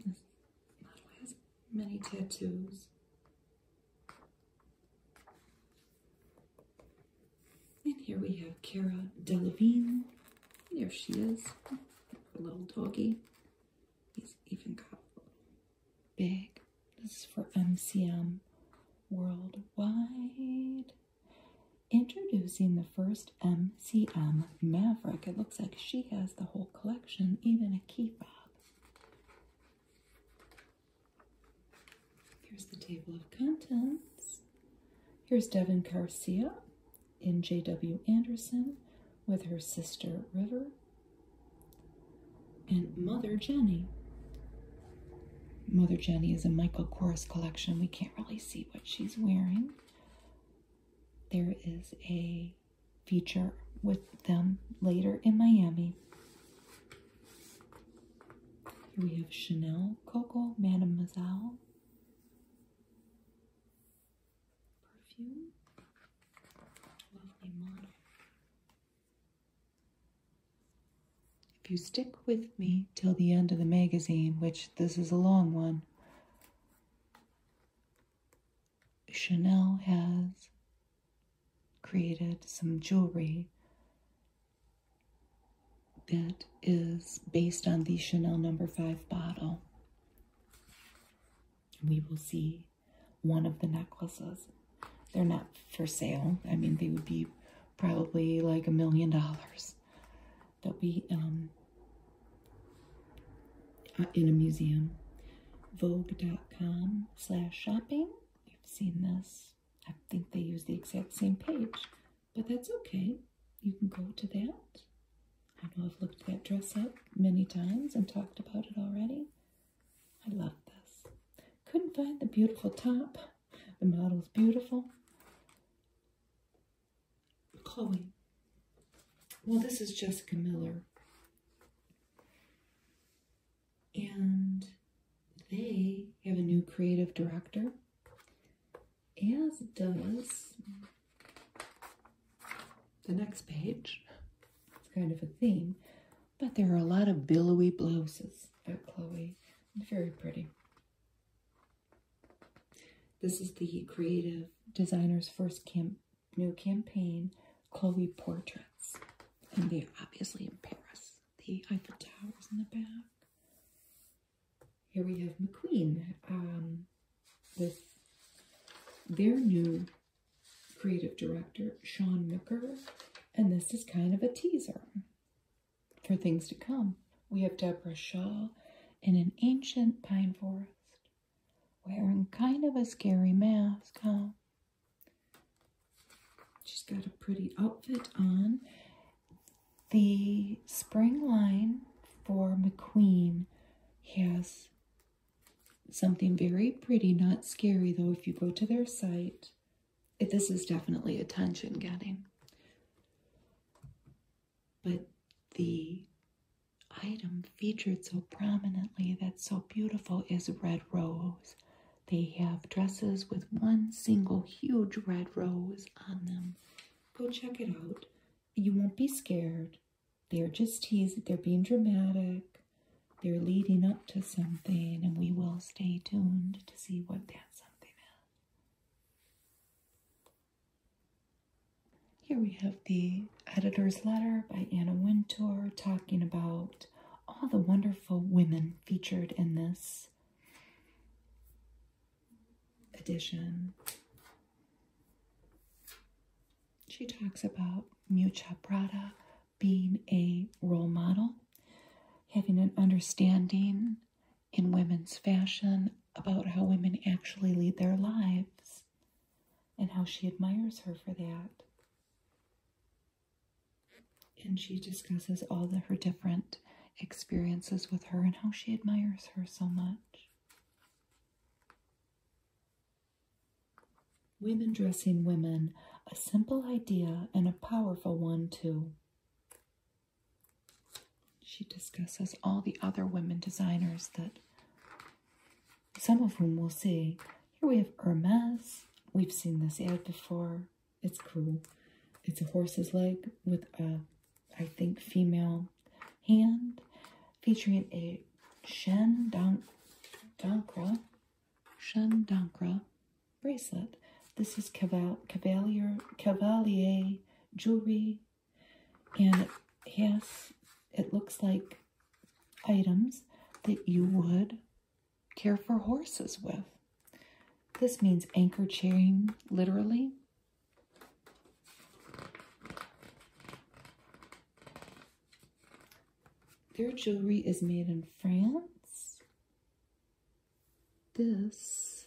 Speaker 1: This model has many tattoos. And here we have Kara Delevingne. There she is, a little doggy. He's even got a bag. This is for MCM Worldwide. Introducing the first MCM Maverick. It looks like she has the whole collection, even a key fob. Here's the table of contents. Here's Devin Garcia in J.W. Anderson with her sister River and Mother Jenny. Mother Jenny is a Michael Kors collection. We can't really see what she's wearing. There is a feature with them later in Miami. Here we have Chanel, Coco, Mademoiselle perfume. Lovely model. If you stick with me till the end of the magazine, which this is a long one, Chanel has created some jewelry that is based on the Chanel number 5 bottle. We will see one of the necklaces. They're not for sale. I mean, they would be probably like a million dollars. They'll be in a museum. Vogue.com slash shopping. you have seen this. I think they use the exact same page, but that's okay. You can go to that. I know I've looked that dress up many times and talked about it already. I love this. Couldn't find the beautiful top. The model is beautiful. Chloe. Well, this is Jessica Miller. And they have a new creative director, as does the next page. It's kind of a theme, but there are a lot of billowy blouses at Chloe. Very pretty. This is the creative designer's first camp new campaign, Chloe Portraits. And they're obviously in Paris. The Eiffel Tower's in the back. Here we have McQueen. Um, with their new creative director, Sean Nooker. And this is kind of a teaser for things to come. We have Deborah Shaw in an ancient pine forest wearing kind of a scary mask, huh? She's got a pretty outfit on. The spring line for McQueen has something very pretty, not scary though, if you go to their site. this is definitely attention getting. But the item featured so prominently that's so beautiful is red rose. They have dresses with one single huge red rose on them. Go check it out. You won't be scared. They're just teasing, they're being dramatic. They're leading up to something, and we will stay tuned to see what that something is. Here we have the editor's letter by Anna Wintour talking about all the wonderful women featured in this edition. She talks about Mucha Prada being a role model, having an understanding in women's fashion about how women actually lead their lives, and how she admires her for that. And she discusses all of her different experiences with her and how she admires her so much. Women dressing women, a simple idea and a powerful one, too. She discusses all the other women designers that some of whom will say, Here we have Hermes. We've seen this ad before. It's cool. It's a horse's leg with a, I think, female hand featuring a Shendankra, Shendankra bracelet. This is Caval Cavalier, Cavalier jewelry and yes, it looks like items that you would care for horses with. This means anchor chain, literally. Their jewelry is made in France. This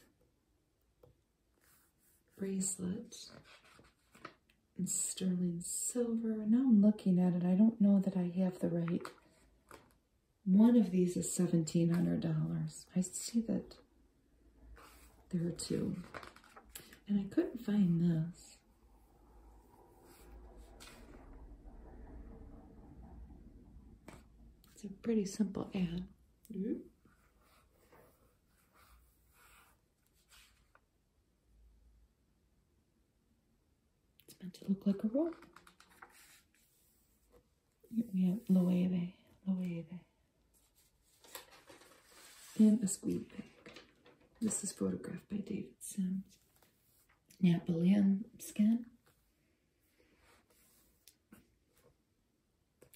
Speaker 1: bracelet sterling silver. Now I'm looking at it. I don't know that I have the right. One of these is $1,700. I see that there are two. And I couldn't find this. It's a pretty simple ad. Mm-hmm. It's meant to look like a roll. Here we have Loewe, Loewe. And a squeeze bag. This is photographed by David Sims. Napoleon skin.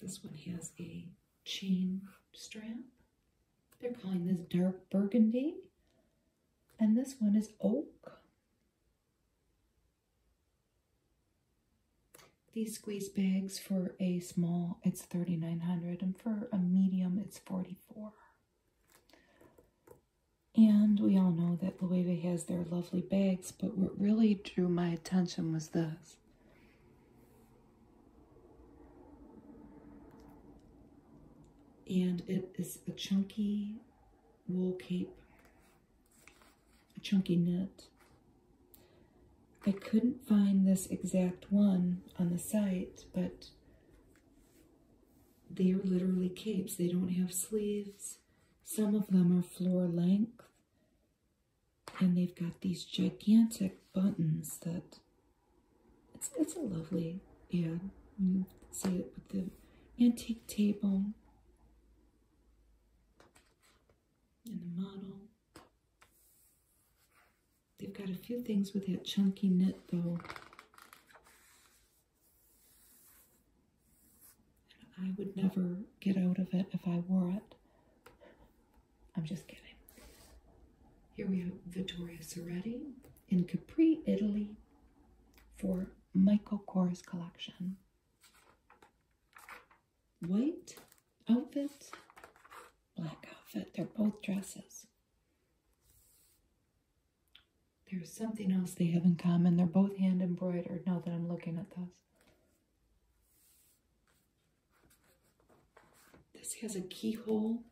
Speaker 1: This one has a chain strap. They're calling this dark burgundy. And this one is oak. These squeeze bags for a small, it's 3900 and for a medium, it's 44 And we all know that Loewe has their lovely bags, but what really drew my attention was this and it is a chunky wool cape, a chunky knit. I couldn't find this exact one on the site, but they are literally capes. They don't have sleeves. Some of them are floor length, and they've got these gigantic buttons that it's it's a lovely ad. You see it with the antique table and the model. They've got a few things with that chunky knit though. I would never get out of it if I wore it. I'm just kidding. Here we have Vittoria Soretti in Capri, Italy, for Michael Kors collection. White outfit, black outfit. They're both dresses. There's something else they have in common. They're both hand embroidered now that I'm looking at those. This has a keyhole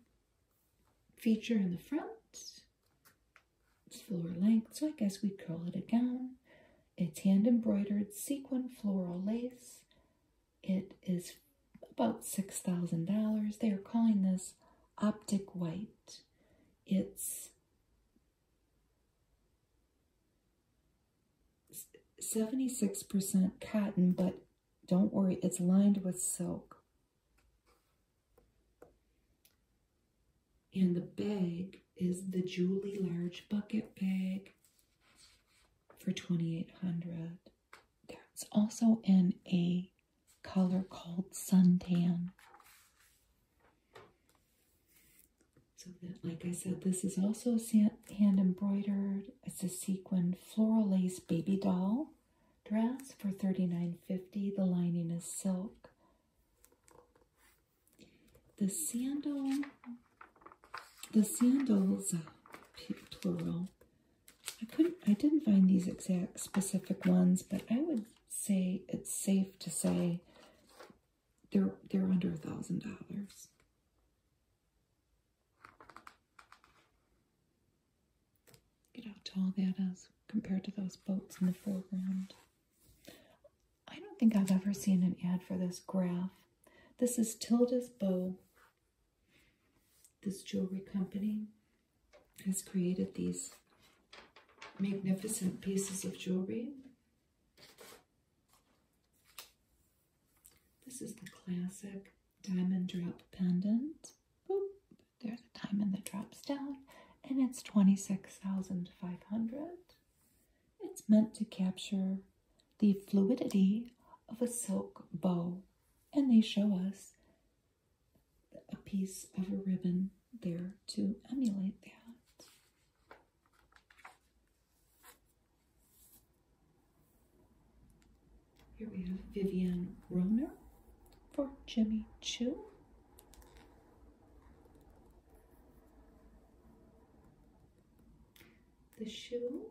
Speaker 1: feature in the front. It's floor length, so I guess we'd call it a gown. It's hand embroidered sequin floral lace. It is about $6,000. They are calling this optic white. It's 76% cotton, but don't worry, it's lined with silk. And the bag is the Julie Large Bucket Bag for 2800 It's also in a color called Suntan. So like I said, this is also hand embroidered. It's a sequin floral lace baby doll dress for $39.50. The lining is silk. The sandal, the sandals, uh, plural. I couldn't, I didn't find these exact specific ones, but I would say it's safe to say they're they're under a thousand dollars. Look at how tall that is compared to those boats in the foreground. I don't think I've ever seen an ad for this graph. This is Tilda's Bow. This jewelry company has created these magnificent pieces of jewelry. This is the classic diamond drop pendant. There's a diamond that drops down, and it's 26,500. It's meant to capture the fluidity of a silk bow, and they show us a piece of a ribbon there to emulate that. Here we have Vivian Rohner for Jimmy Choo. The shoe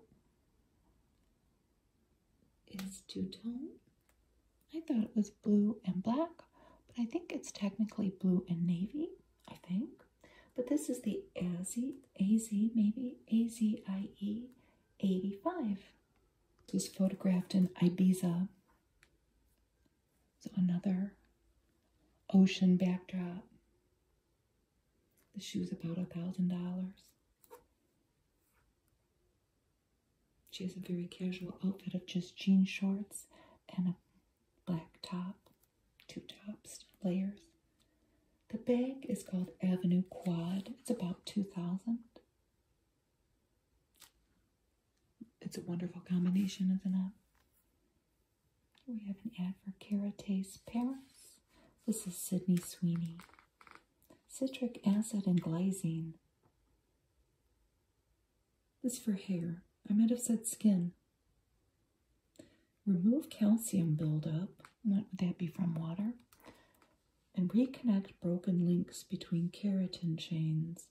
Speaker 1: is two-tone. I thought it was blue and black, but I think it's technically blue and navy, I think. But this is the AZ, AZ maybe, AZIE 85. It was photographed in Ibiza so another ocean backdrop. The shoe's about a thousand dollars. She has a very casual outfit of just jean shorts and a black top, two tops, layers. The bag is called Avenue Quad. It's about two thousand. It's a wonderful combination, isn't it? We have an ad for Caratace Paris. This is Sydney Sweeney. Citric acid and glycine. This for hair. I might have said skin. Remove calcium buildup. What would that be from water? and reconnect broken links between keratin chains.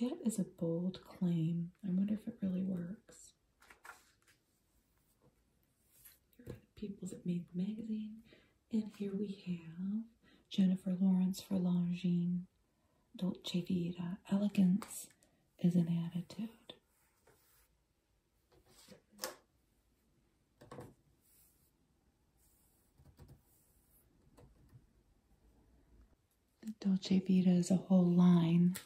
Speaker 1: That is a bold claim. I wonder if it really works. Here are the people that made the magazine. And here we have Jennifer Lawrence for Longines, Dolce Vita. Elegance is an attitude. The Dolce Vita is a whole line.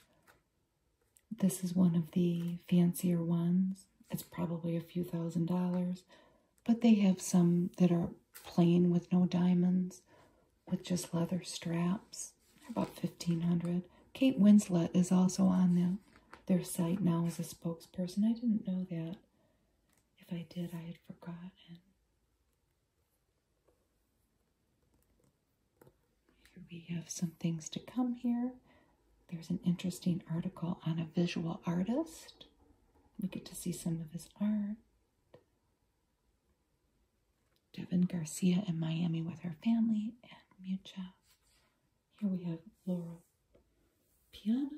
Speaker 1: This is one of the fancier ones. It's probably a few thousand dollars, but they have some that are plain with no diamonds, with just leather straps. about 1500 Kate Winslet is also on them their site now as a spokesperson. I didn't know that. If I did, I had forgotten. Here we have some things to come here. There's an interesting article on a visual artist. We get to see some of his art. Devin Garcia in Miami with her family and Mucha. Here we have Laura Piana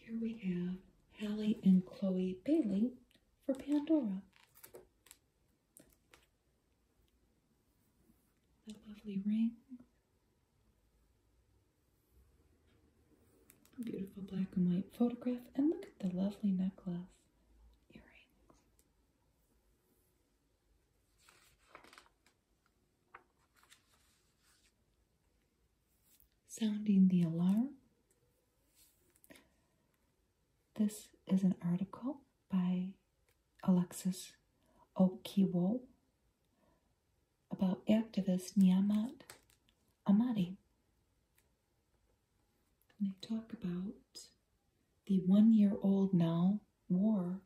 Speaker 1: here we have Hallie and Chloe Bailey for Pandora. The lovely ring beautiful black and white photograph. And look at the lovely necklace, Sounding the alarm. This is an article by Alexis Okiwo about activist Niamat Amati. they talk about the one year old now war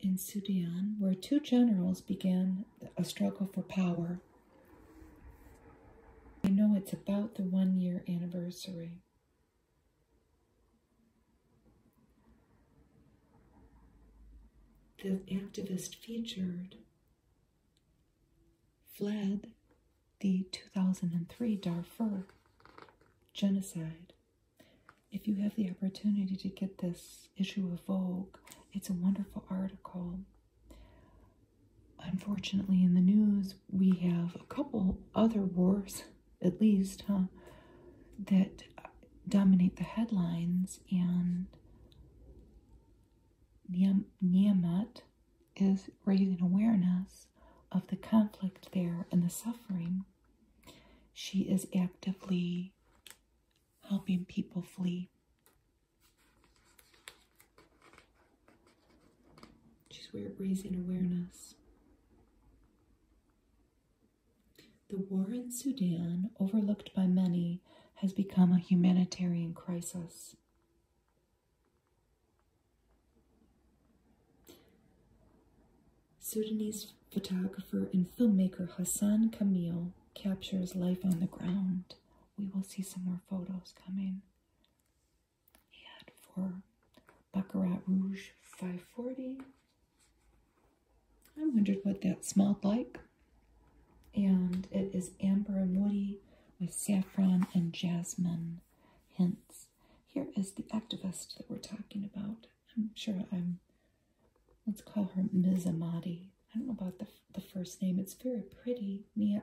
Speaker 1: in Sudan, where two generals began a struggle for power. I know it's about the one year anniversary. The activist featured fled the 2003 Darfur genocide. If you have the opportunity to get this issue of Vogue, it's a wonderful article. Unfortunately, in the news, we have a couple other wars, at least, huh, that dominate the headlines, and Niamat is raising awareness of the conflict there and the suffering. She is actively helping people flee. She's raising awareness. The war in Sudan, overlooked by many, has become a humanitarian crisis. Sudanese photographer and filmmaker Hassan Kamil captures life on the ground. We will see some more photos coming. He had for Baccarat Rouge 540. I wondered what that smelled like. And it is amber and woody with saffron and jasmine hints. Here is the activist that we're talking about. I'm sure I'm, let's call her Ms. Amati. I don't know about the, the first name. It's very pretty. Nia,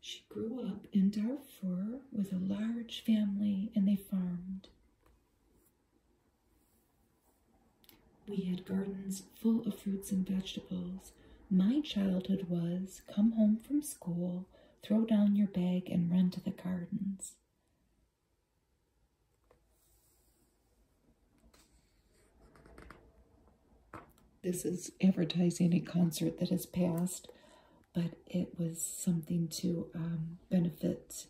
Speaker 1: She grew up in Darfur with a large family and they farmed. We had gardens full of fruits and vegetables. My childhood was come home from school, throw down your bag, and run to the gardens. This is advertising a concert that has passed, but it was something to um, benefit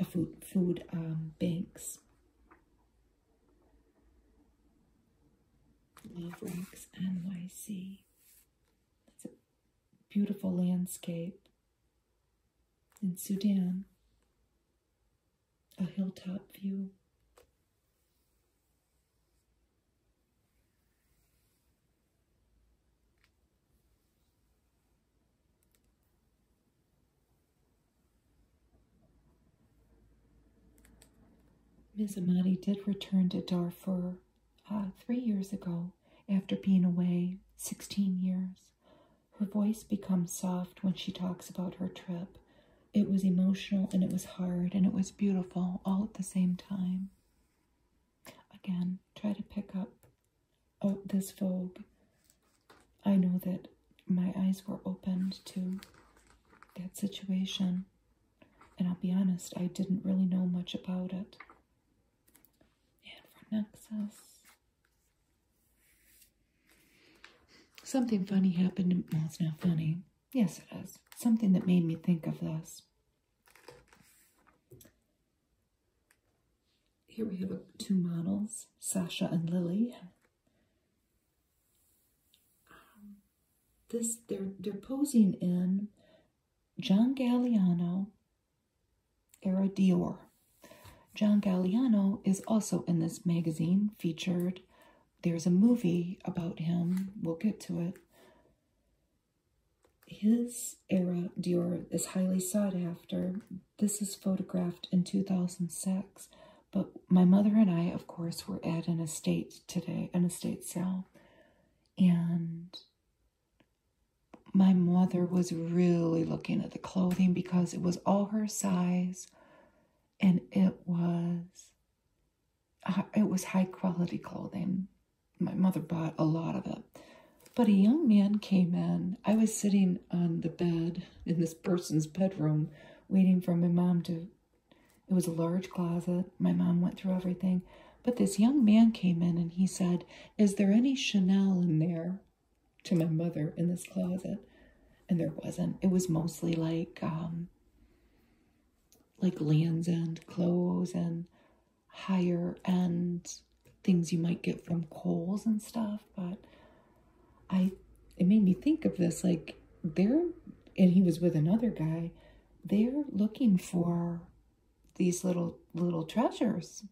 Speaker 1: uh, food, food um, banks. Love Rocks NYC. That's a beautiful landscape in Sudan. A hilltop view. Ms. Amani did return to Darfur uh, three years ago after being away 16 years. Her voice becomes soft when she talks about her trip. It was emotional and it was hard and it was beautiful all at the same time. Again, try to pick up oh, this Vogue, I know that my eyes were opened to that situation. And I'll be honest, I didn't really know much about it. And for Nexus, something funny happened. Well, it's not funny. Yes, it is. Something that made me think of this. Here we have two models, Sasha and Lily. Um, this they're they're posing in John Galliano era Dior. John Galliano is also in this magazine featured. There's a movie about him. We'll get to it. His era Dior is highly sought after this is photographed in 2006, but my mother and I, of course, were at an estate today, an estate sale, and my mother was really looking at the clothing because it was all her size and it was it was high quality clothing my mother bought a lot of it but a young man came in. I was sitting on the bed in this person's bedroom waiting for my mom to. It was a large closet. My mom went through everything. But this young man came in and he said, Is there any Chanel in there? To my mother in this closet. And there wasn't. It was mostly like, um, like Land's End clothes and higher end things you might get from Kohl's and stuff, but I it made me think of this like they're and he was with another guy, they're looking for these little little treasures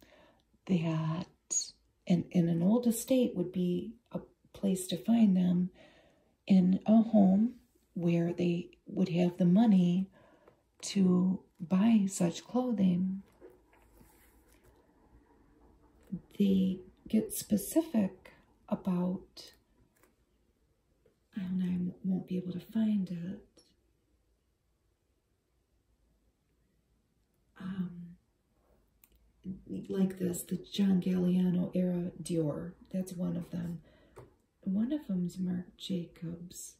Speaker 1: that and in an old estate would be a place to find them in a home where they would have the money to buy such clothing they get specific about, I don't know, I won't be able to find it. Um, like this, the John Galliano era Dior, that's one of them. One of them's Marc Jacobs.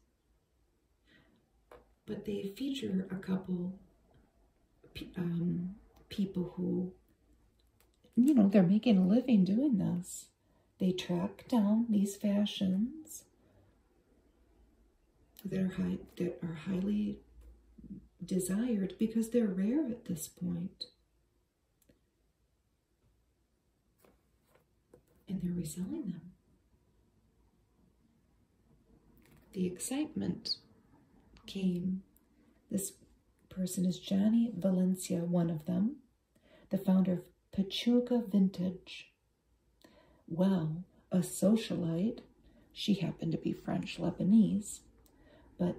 Speaker 1: But they feature a couple um, people who, you know, they're making a living doing this. They track down these fashions that are high, that are highly desired because they're rare at this And they're reselling them. The excitement came. This person is Johnny Valencia, one of them, the founder of Pachuca Vintage. Well, a socialite. She happened to be French Lebanese, but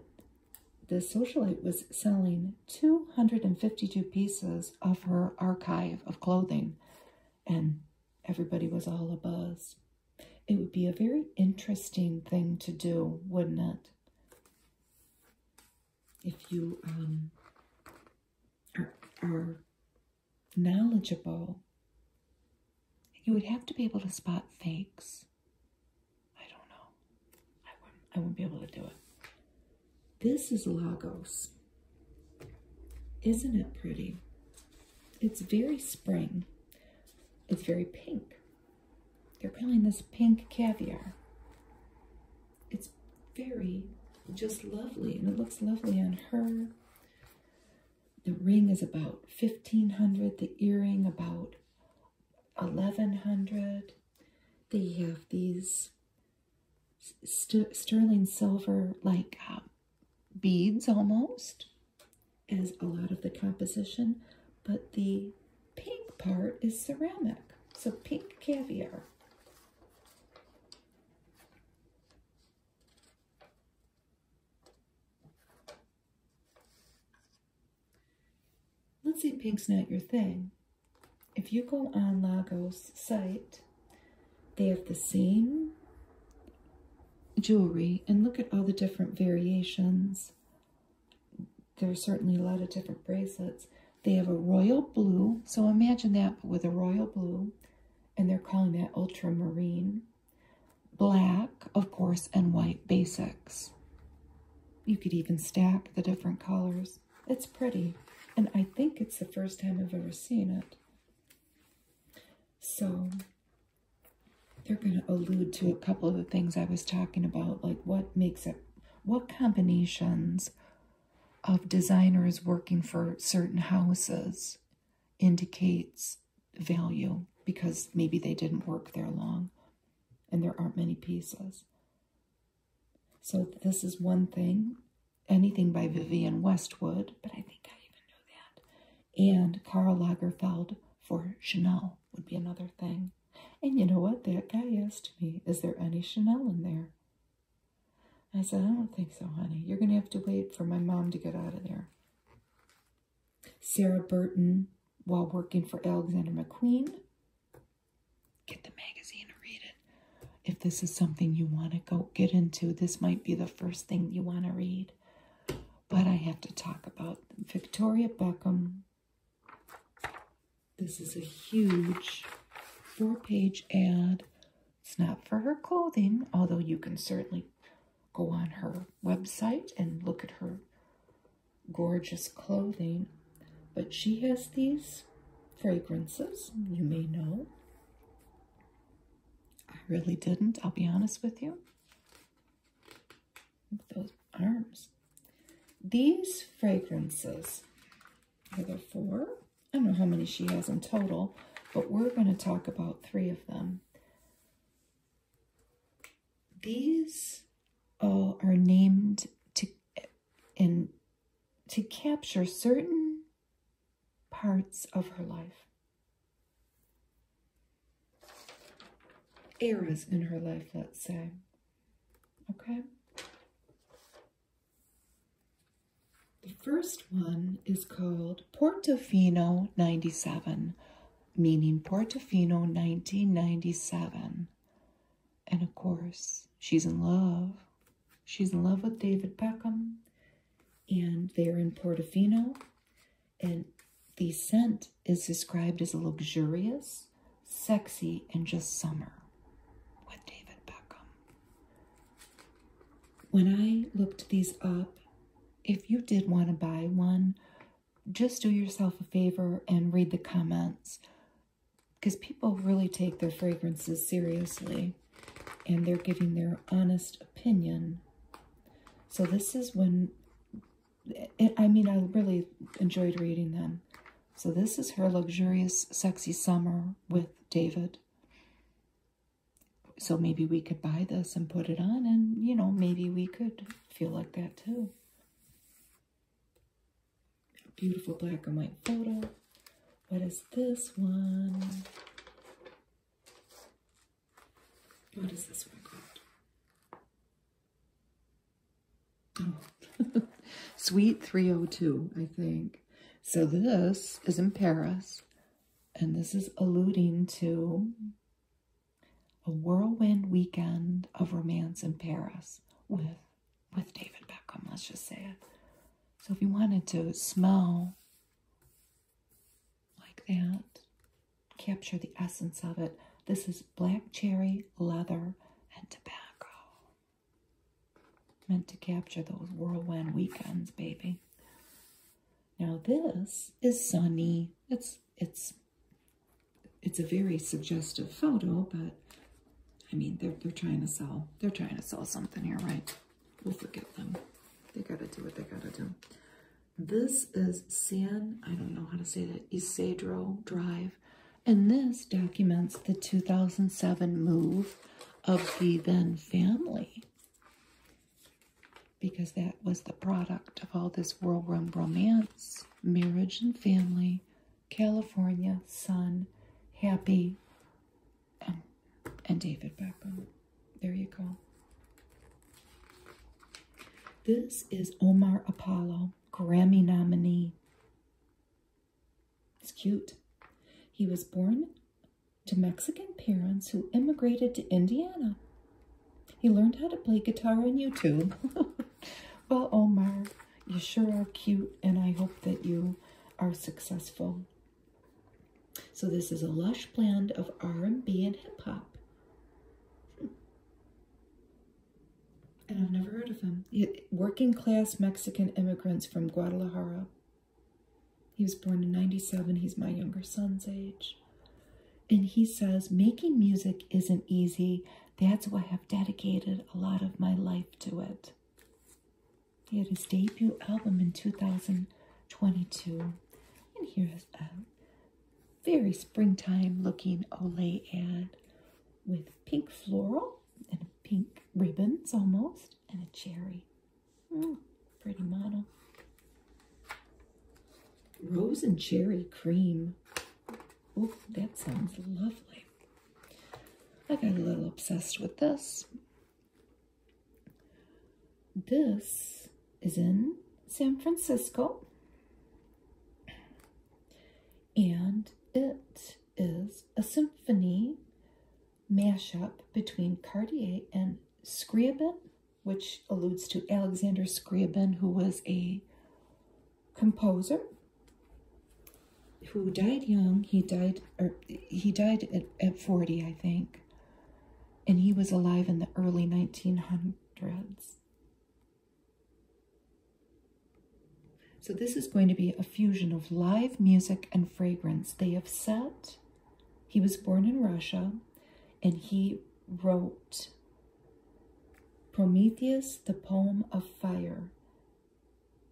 Speaker 1: the socialite was selling 252 pieces of her archive of clothing, and everybody was all abuzz. It would be a very interesting thing to do, wouldn't it? If you um, are, knowledgeable, you would have to be able to spot fakes. I don't know. I wouldn't, I wouldn't be able to do it. This is Lagos. Isn't it pretty? It's very spring. It's very pink. They're calling this pink caviar. It's very just lovely, and it looks lovely on her. The ring is about 1500 the earring about 1100 They have these sterling silver like uh, beads almost is a lot of the composition, but the pink part is ceramic. So pink caviar. Let's see, pink's not your thing. If you go on Lagos site, they have the same jewelry and look at all the different variations. There are certainly a lot of different bracelets. They have a royal blue, so imagine that, with a royal blue, and they're calling that ultramarine. Black, of course, and white basics. You could even stack the different colors. It's pretty, and I think it's the first time I've ever seen it. So they're going to allude to a couple of the things I was talking about, like what makes it, what combinations of designers working for certain houses indicates value because maybe they didn't work there long and there aren't many pieces. So this is one thing, anything by Vivian Westwood, but I think I even know that and Karl Lagerfeld for Chanel would be another thing. And you know what? That guy asked me, Is there any Chanel in there? I said, I don't think so, honey. You're going to have to wait for my mom to get out of there. Sarah Burton, while working for Alexander McQueen, get the magazine and read it. If this is something you want to go get into, this might be the first thing you want to read. But I have to talk about Victoria Beckham. This is a huge four-page ad. It's not for her clothing, although you can certainly go on her website and look at her gorgeous clothing. But she has these fragrances, you may know. I really didn't, I'll be honest with you those arms. These fragrances are there for. I don't know how many she has in total, but we're going to talk about three of them. These all uh, are named to and to capture certain parts of her life eras in her life, let's say. Okay? The first one is called Portofino 97, meaning Portofino 1997. And of course, she's in love. She's in love with David Beckham, and they're in Portofino, and the scent is described as luxurious, sexy, and just summer with David Beckham. When I looked these up, if you did want to buy one, just do yourself a favor and read the comments because people really take their fragrances seriously and they're giving their honest opinion so this is when, I mean, I really enjoyed reading them. So this is her luxurious, sexy summer with David. So maybe we could buy this and put it on and, you know, maybe we could feel like that too. Beautiful black and white photo. What is this one? What is this one called? Oh. Sweet 302, I think. So this is in Paris, and this is alluding to a whirlwind weekend of romance in Paris with with David Beckham, let's just say it. So if you wanted to smell like that. Capture the essence of it. This is black cherry, leather, and tobacco. Meant to capture those whirlwind weekends, baby. Now this is sunny. It's it's it's a very suggestive photo, but I mean they're they're trying to sell they're trying to sell something here, right? We'll forgive them. They gotta do what they gotta do. This is San, I don't know how to say that, Isidro Drive. And this documents the 2007 move of the then family because that was the product of all this whirlwind romance, marriage and family, California, sun, happy, and, and David Beckham. There you go. This is Omar Apollo, Grammy nominee. He's cute. He was born to Mexican parents who immigrated to Indiana. He learned how to play guitar on YouTube. well, Omar, you sure are cute, and I hope that you are successful. So this is a lush blend of R&B and hip-hop. And I've never heard of him. working class Mexican immigrants from Guadalajara. He was born in 97. He's my younger son's age. And he says, making music isn't easy. That's why I've dedicated a lot of my life to it. He had his debut album in 2022. And here's a uh, very springtime looking Olay ad with pink floral and pink ribbons almost and a cherry. Mm, pretty model. Rose and cherry cream. Oh, that sounds lovely. I got a little obsessed with this. This is in San Francisco. And it is a symphony mashup between Cartier and Scriabin, which alludes to Alexander Scriabin, who was a composer who died young. He died, or he died at, at 40, I think. And he was alive in the early 1900s, dreads. So this is going to be a fusion of live music and fragrance. They have set, he was born in Russia, and he wrote Prometheus, the Poem of Fire.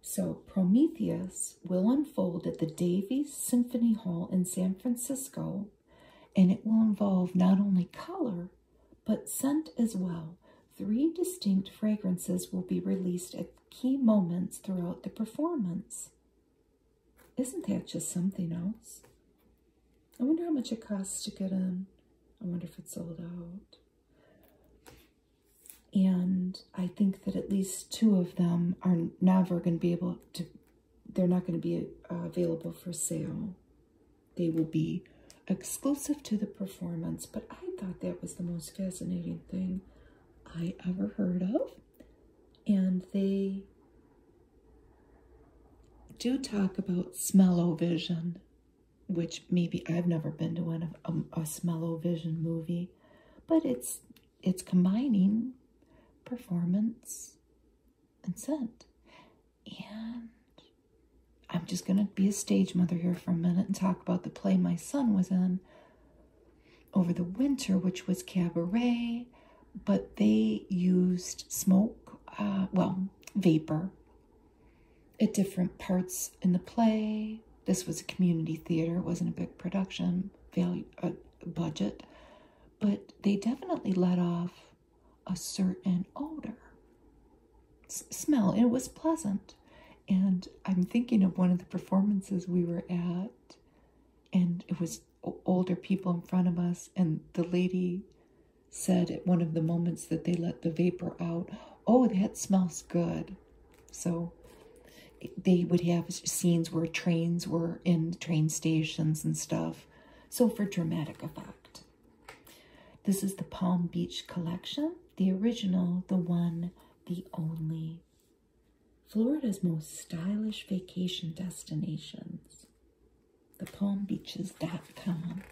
Speaker 1: So Prometheus will unfold at the Davies Symphony Hall in San Francisco and it will involve not only color but scent as well. Three distinct fragrances will be released at key moments throughout the performance. Isn't that just something else? I wonder how much it costs to get in. I wonder if it's sold out. And I think that at least two of them are never going to be able to they're not going to be uh, available for sale. They will be exclusive to the performance, but I thought that was the most fascinating thing I ever heard of. And they do talk about smell-o-vision, which maybe I've never been to one of um, a, a smell-o-vision movie, but it's it's combining performance and sent, And I'm just going to be a stage mother here for a minute and talk about the play my son was in over the winter, which was cabaret, but they used smoke, uh, well, vapor at different parts in the play. This was a community theater, it wasn't a big production value uh, budget, but they definitely let off a certain odor. smell. It was pleasant. And I'm thinking of one of the performances we were at, and it was older people in front of us, and the lady said at one of the moments that they let the vapor out, Oh, that smells good. So they would have scenes where trains were in train stations and stuff. So for dramatic effect. This is the Palm Beach collection, the original, the one, the only. Florida's most stylish vacation destinations. ThePalmBeaches.com.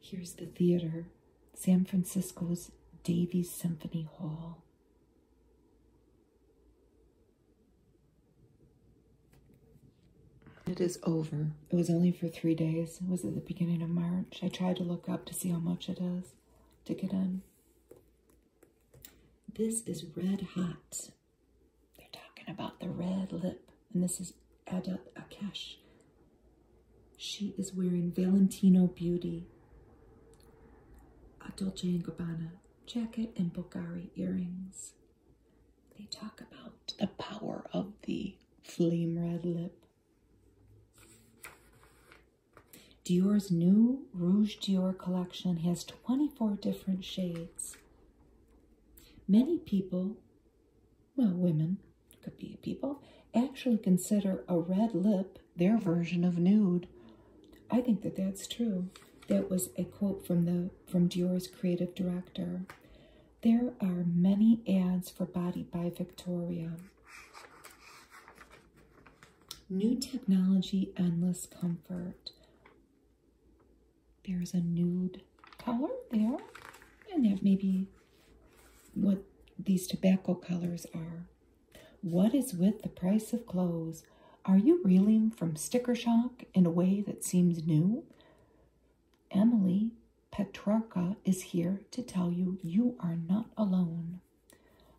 Speaker 1: Here's the theater, San Francisco's Davies Symphony Hall. It is over. It was only for three days. It was at the beginning of March. I tried to look up to see how much it is to get in. This is red hot. They're talking about the red lip. And this is Ada Akesh. She is wearing Valentino Beauty. A Dolce & Gabbana jacket and Bulgari earrings. They talk about the power of the flame red lip. Dior's new Rouge Dior collection has 24 different shades. Many people, well, women, could be people, actually consider a red lip their version of nude. I think that that's true. That was a quote from the from Dior's creative director. There are many ads for Body by Victoria. New technology, endless comfort. There's a nude color there, and that maybe what these tobacco colors are. What is with the price of clothes? Are you reeling from sticker shock in a way that seems new? Emily Petrarca is here to tell you you are not alone.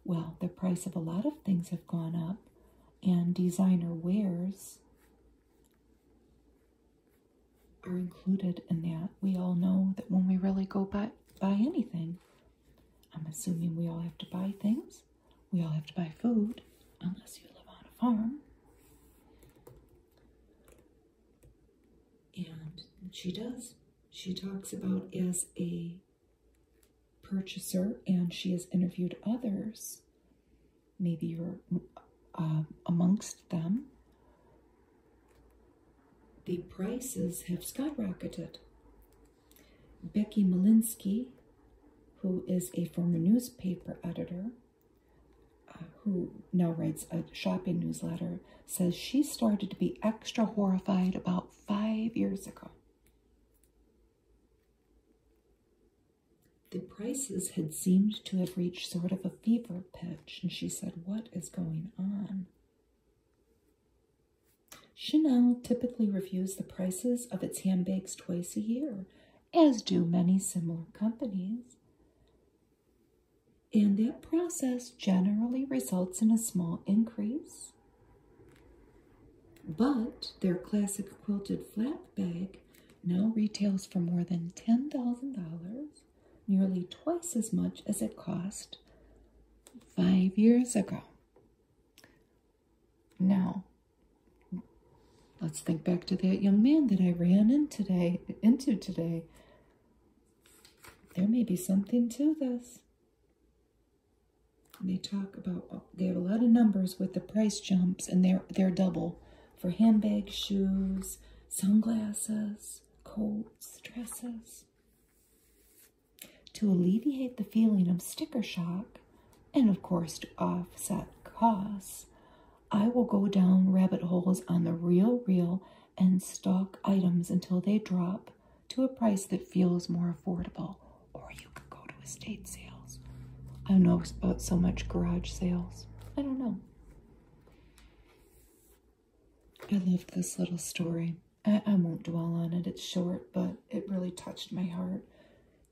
Speaker 1: Well, the price of a lot of things have gone up, and designer wares are included in that. We all know that when we really go buy, buy anything, I'm assuming we all have to buy things. We all have to buy food, unless you live on a farm. And she does. She talks about as a purchaser, and she has interviewed others. Maybe you're uh, amongst them. The prices have skyrocketed. Becky Malinsky who is a former newspaper editor uh, who now writes a shopping newsletter, says she started to be extra horrified about five years ago. The prices had seemed to have reached sort of a fever pitch, and she said, What is going on? Chanel typically reviews the prices of its handbags twice a year, as do many similar companies. And that process generally results in a small increase. But their classic quilted flap bag now retails for more than $10,000, nearly twice as much as it cost five years ago. Now, let's think back to that young man that I ran into today. There may be something to this. they talk about, they have a lot of numbers with the price jumps and they're, they're double for handbags, shoes, sunglasses, coats, dresses. To alleviate the feeling of sticker shock, and of course, to offset costs, I will go down rabbit holes on the real, real, and stock items until they drop to a price that feels more affordable. Or you could go to estate sales. I don't know about so much garage sales. I don't know. I loved this little story. I, I won't dwell on it. It's short, but it really touched my heart.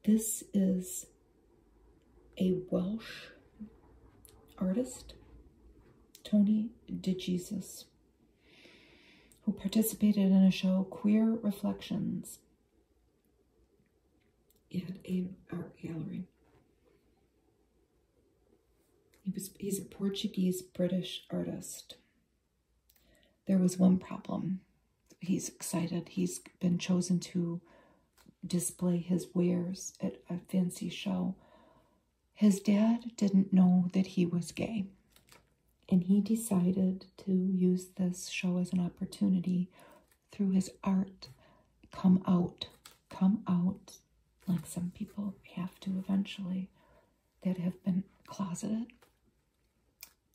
Speaker 1: This is a Welsh artist, Tony DeJesus, who participated in a show, Queer Reflections, at an art gallery. He was, he's a Portuguese-British artist. There was one problem he's excited. He's been chosen to display his wares at a fancy show. His dad didn't know that he was gay, and he decided to use this show as an opportunity through his art. Come out, come out, like some people have to eventually that have been closeted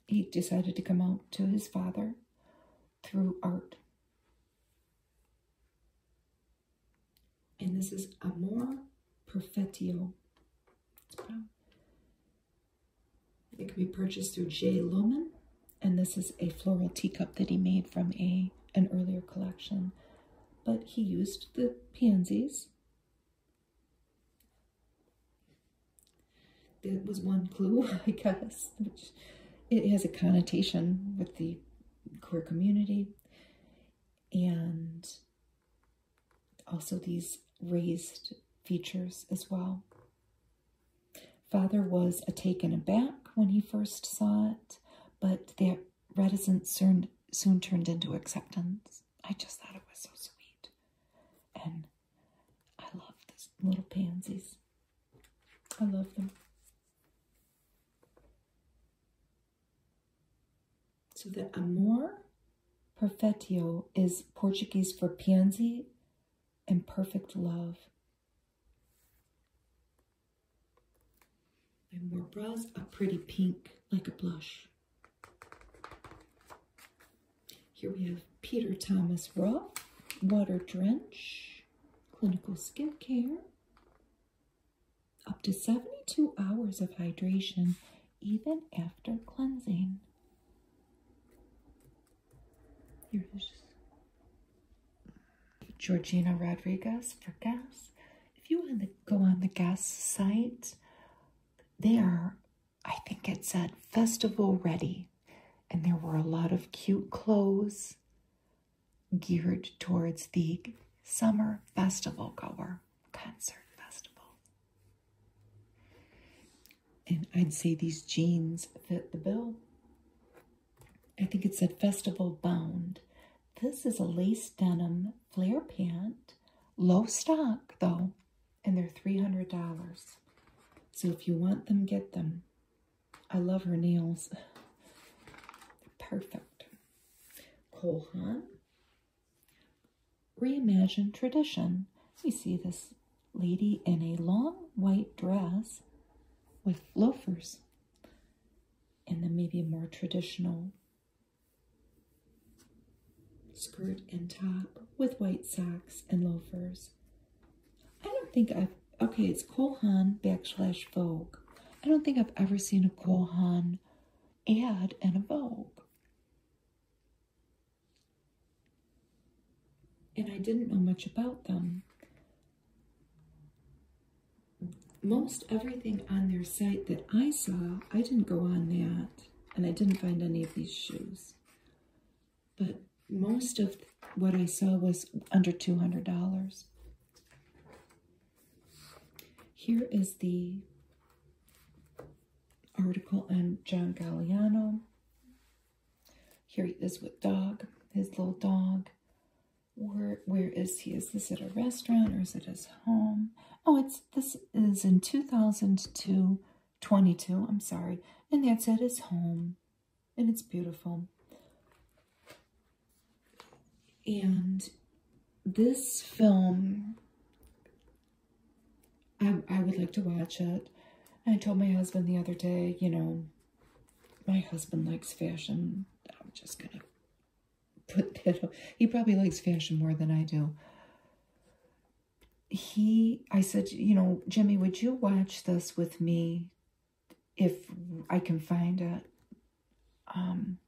Speaker 1: he decided to come out to his father through art. And this is Amor Perfettio. It can be purchased through J. Lumen. And this is a floral teacup that he made from a an earlier collection. But he used the pansies that was one clue, I guess, which it has a connotation with the queer community and also these raised features as well. Father was a taken aback when he first saw it, but that reticence soon, soon turned into acceptance. I just thought it was so sweet. And I love these little pansies. I love them. So the amor perfeito is Portuguese for pianzi and perfect love. My more bras, are pretty pink, like a blush. Here we have Peter Thomas Roth, Water Drench, Clinical Skin Care. Up to 72 hours of hydration even after cleansing. Here's Georgina Rodriguez for gas. If you want to go on the gas site, they are, I think it said, festival ready and there were a lot of cute clothes geared towards the summer festival goer, concert festival. And I'd say these jeans fit the bill. I think it said festival bound. This is a lace denim flare pant, low stock though, and they're $300. So if you want them, get them. I love her nails. perfect. Cole Hunt. Reimagine tradition. We see this lady in a long white dress with loafers and then maybe a more traditional skirt and top with white socks and loafers I don't think I've, okay, it's Kohan backslash Vogue. I don't think I've ever seen a Kohan ad in a Vogue. And I didn't know much about them. Most everything on their site that I saw, I didn't go on that. And I didn't find any of these shoes but most of what I saw was under $200. Here is the article on John Galliano. Here he is with dog, his little dog. Where, where is he? Is this at a restaurant or is it his home? Oh, it's this is in 2002, 22, I'm sorry. And that's at his home and it's beautiful. And this film, I, I would like to watch it. I told my husband the other day, you know, my husband likes fashion. I'm just going to put that He probably likes fashion more than I do. He, I said, you know, Jimmy, would you watch this with me if I can find it. Um,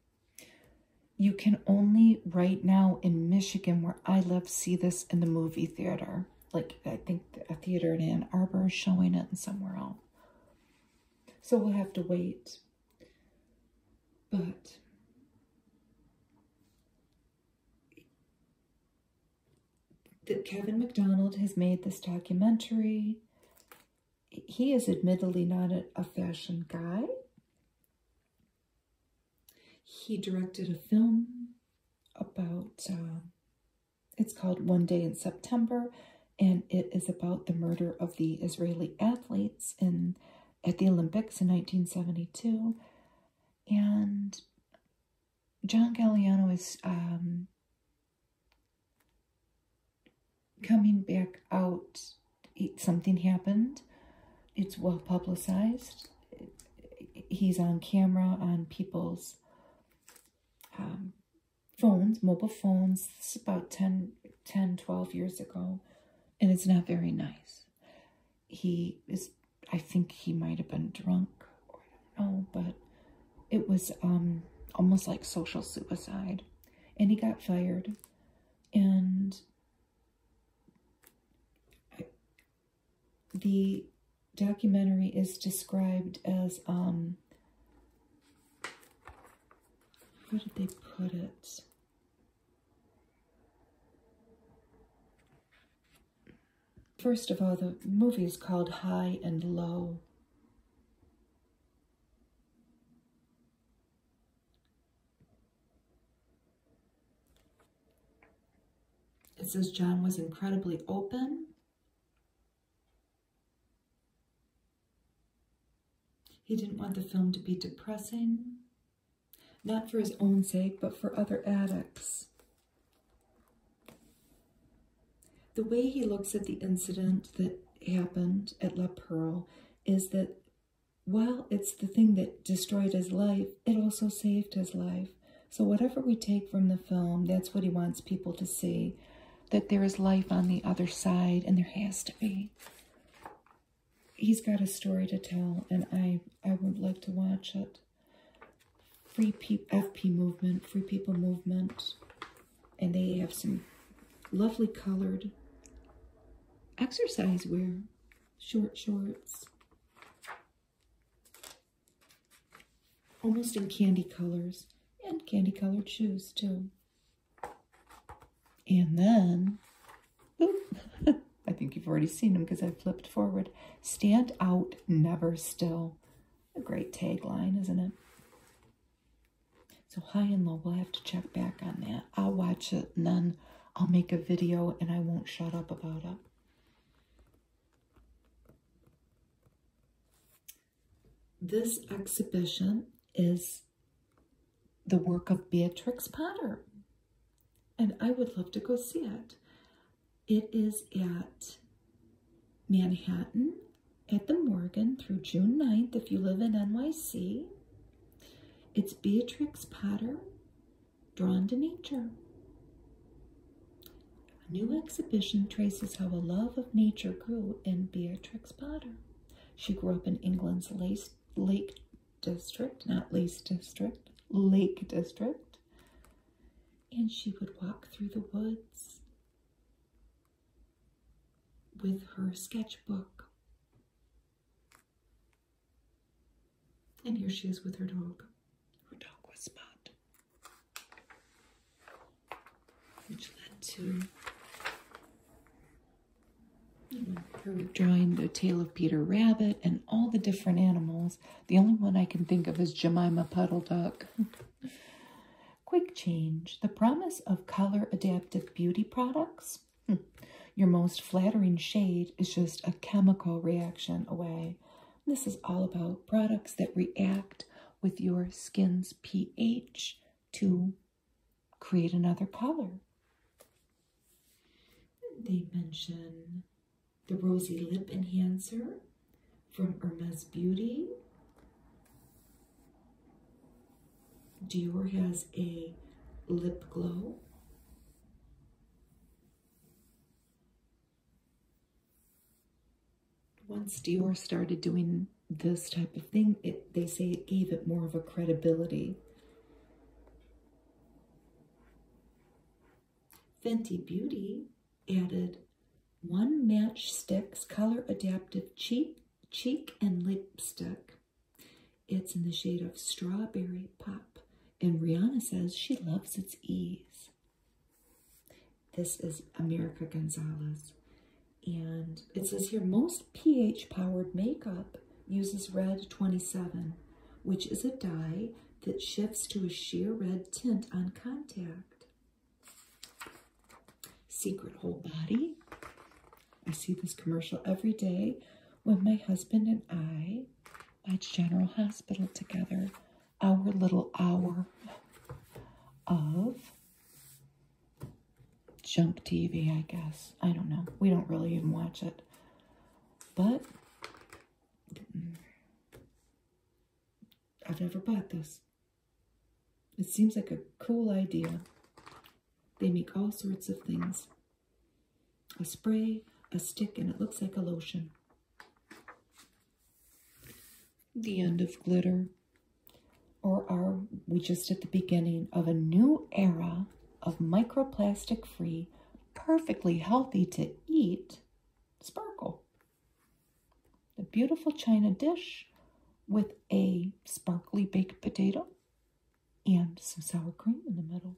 Speaker 1: you can only right now in Michigan, where I live, see this in the movie theater. Like I think a theater in Ann Arbor is showing it and somewhere else. So we'll have to wait. But that Kevin McDonald has made this documentary. He is admittedly not a, fashion guy. He directed a film about, uh, it's called One Day in September, and it is about the murder of the Israeli athletes in at the Olympics in 1972. And John Galliano is um, coming back out, it, something happened. It's well publicized. He's on camera on people's um, phones, mobile phones. This is about 10, 10, 12 years ago, and it's not very nice. He is, I think he might have been drunk. I don't know, but it was um, almost like social suicide. And he got fired. And the documentary is described as, um, how did they put it? First of all, the movie is called High and Low. It says John was incredibly open. He didn't want the film to be depressing, not for his own sake, but for other addicts. The way he looks at the incident that happened at La Perle is that while it's the thing that destroyed his life, it also saved his life. So whatever we take from the film, that's what he wants people to see, that there is life on the other side, and there has to be. He's got a story to tell, and I, I would like to watch it. Free P FP movement, Free People movement, and they have some lovely colored exercise wear, short shorts, almost in candy colors, and candy colored shoes too. And then, I think you've already seen them because I flipped forward. Stand out, never still. A great tagline, isn't it? So high and low, we'll have to check back on that. I'll watch it and then I'll make a video and I won't shut up about it. This exhibition is the work of Beatrix Potter. And I would love to go see it. It is at Manhattan at the Morgan through June 9th if you live in NYC. It's Beatrix Potter, Drawn to Nature. A new exhibition traces how a love of nature grew in Beatrix Potter. She grew up in England's Lake District, not Lake District, Lake District. And she would walk through the woods with her sketchbook. And here she is with her dog. Her dog was Spot, which led to drawing the tale of Peter Rabbit and all the different animals. The only one I can think of is Jemima Puddle Duck. Quick change, the promise of color adaptive beauty products. Hmm. Your most flattering shade is just a chemical reaction away. This is all about products that react with your skin's pH to create another color. They mention the rosy lip enhancer, from Hermes Beauty. Dior has a lip glow. Once Dior started doing this type of thing, it, they say it gave it more of a credibility. Fenty Beauty added one match sticks color adaptive cheek, cheek and lipstick. It's in the shade of strawberry pop. And Rihanna says she loves its ease. This is America Gonzalez. And it says here, most pH powered makeup uses red 27, which is a dye that shifts to a sheer red tint on contact. Secret Whole Body. I see this commercial every day when my husband and I watch General Hospital together. Our little hour of junk TV, I guess. I don't know. We don't really even watch it. But mm, I've never bought this. It seems like a cool idea. They make all sorts of things a spray, a stick, and it looks like a lotion. The end of glitter. Or are we just at the beginning of a new era of microplastic free, perfectly healthy to eat sparkle? A beautiful china dish with a sparkly baked potato and some sour cream in the middle.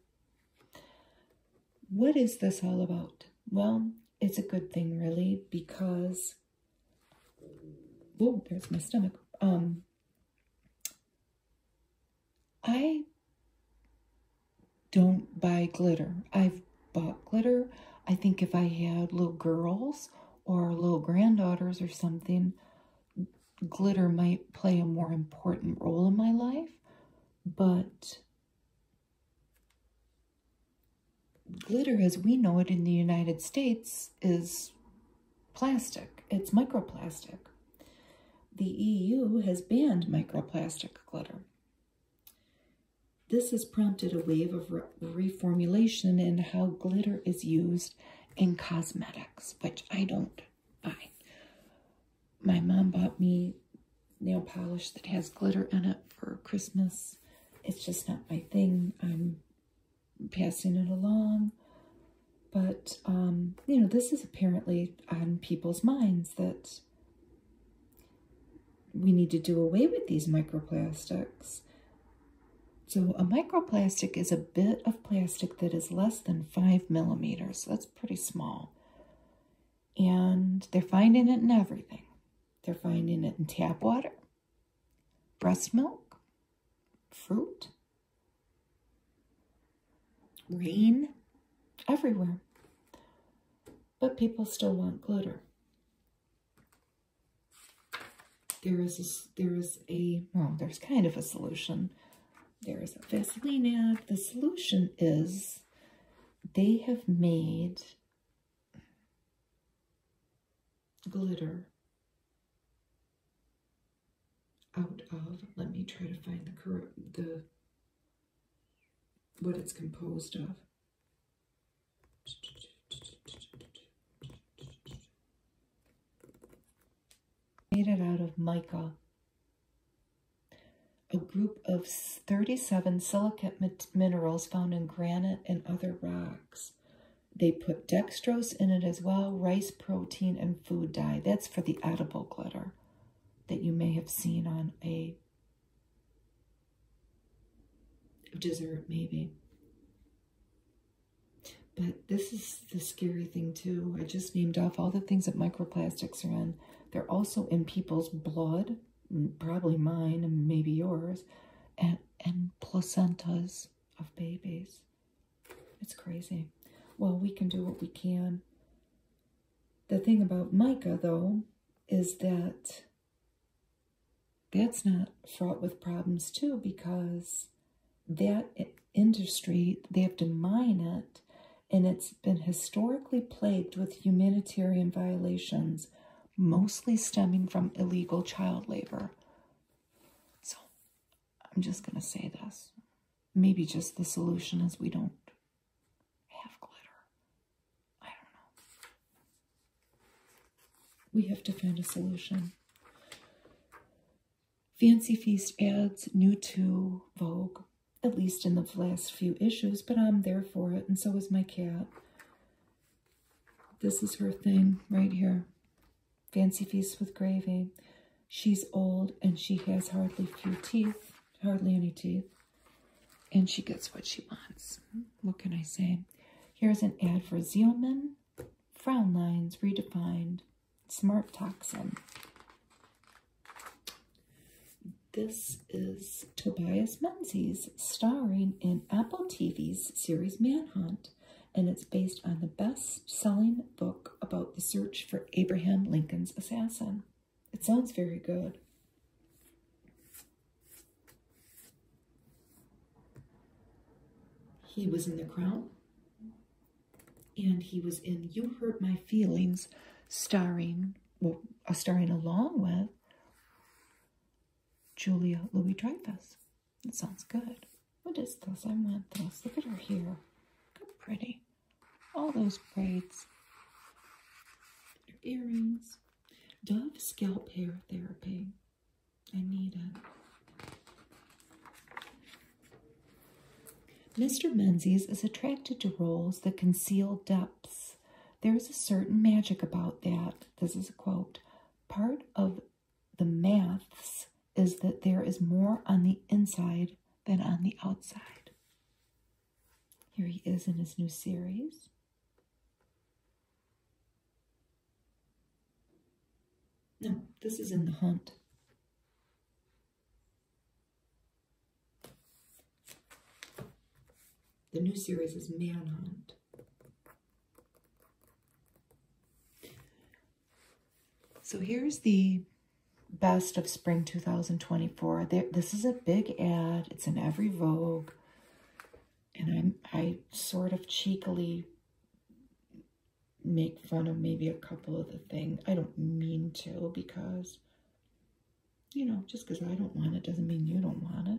Speaker 1: What is this all about? Well, it's a good thing really because, whoa, there's my stomach. Um, I don't buy glitter. I've but glitter. I think if I had little girls or little granddaughters or something, glitter might play a more important role in my life, but glitter as we know it in the United States is plastic. It's microplastic. The EU has banned microplastic glitter. This has prompted a wave of reformulation in how glitter is used in cosmetics, which I don't buy. My mom bought me nail polish that has glitter in it for Christmas. It's just not my thing. I'm passing it along. But, um, you know, this is apparently on people's minds that we need to do away with these microplastics. So a microplastic is a bit of plastic that is less than five millimeters. That's pretty small. And they're finding it in everything. They're finding it in tap water, breast milk, fruit, rain, everywhere. But people still want glitter. There is a, there is a, well, there's kind of a solution. There is a Vaseline The solution is they have made glitter out of, let me try to find the correct, the, what it's composed of. Made it out of mica, a group of 37 silicate minerals found in granite and other rocks. They put dextrose in it as well, rice protein, and food dye. That's for the edible glitter that you may have seen on a dessert maybe but this is the scary thing too i just named off all the things that microplastics are in they're also in people's blood probably mine and maybe yours and and placentas of babies it's crazy well we can do what we can the thing about mica though is that that's not fraught with problems too because that industry, they have to mine it, and it's been historically plagued with humanitarian violations, mostly stemming from illegal child labor. So I'm just going to say this. Maybe just the solution is we don't have glitter. I don't know. We have to find a solution. Fancy Feast adds new to Vogue, at least in the last few issues, but I'm there for it, and so is my cat. This is her thing right here. Fancy Feast with gravy. She's old and she has hardly few teeth, hardly any teeth, and she gets what she wants what can I say? Here's an ad for Zeoman, Frown Lines Redefined, Smart Toxin. This is Tobias Menzies starring in Apple TV's series Manhunt, and it's based on the best-selling book about the search for Abraham Lincoln's assassin. It sounds very good. He was in the crown, and he was in You Hurt My Feelings, starring, well, uh, starring along with Julia Louis Dreyfus. That sounds good. What is this? I want this. Look at her hair. How pretty. All those braids. Her earrings. Dove Scalp Hair Therapy. I need it. Mr. Menzies is attracted to roles that conceal depths. There is a certain magic about that. This is a quote. Part of the maths is that there is more on the inside than on the outside. Here he is in his new series. No, this is in the hunt. The new series is Manhunt. So here's the best of spring 2024. this is a big ad. It's in every Vogue. And i I sort of cheekily make fun of maybe a couple of the things. I don't mean to because, you know, just because I don't want it doesn't mean you don't want it.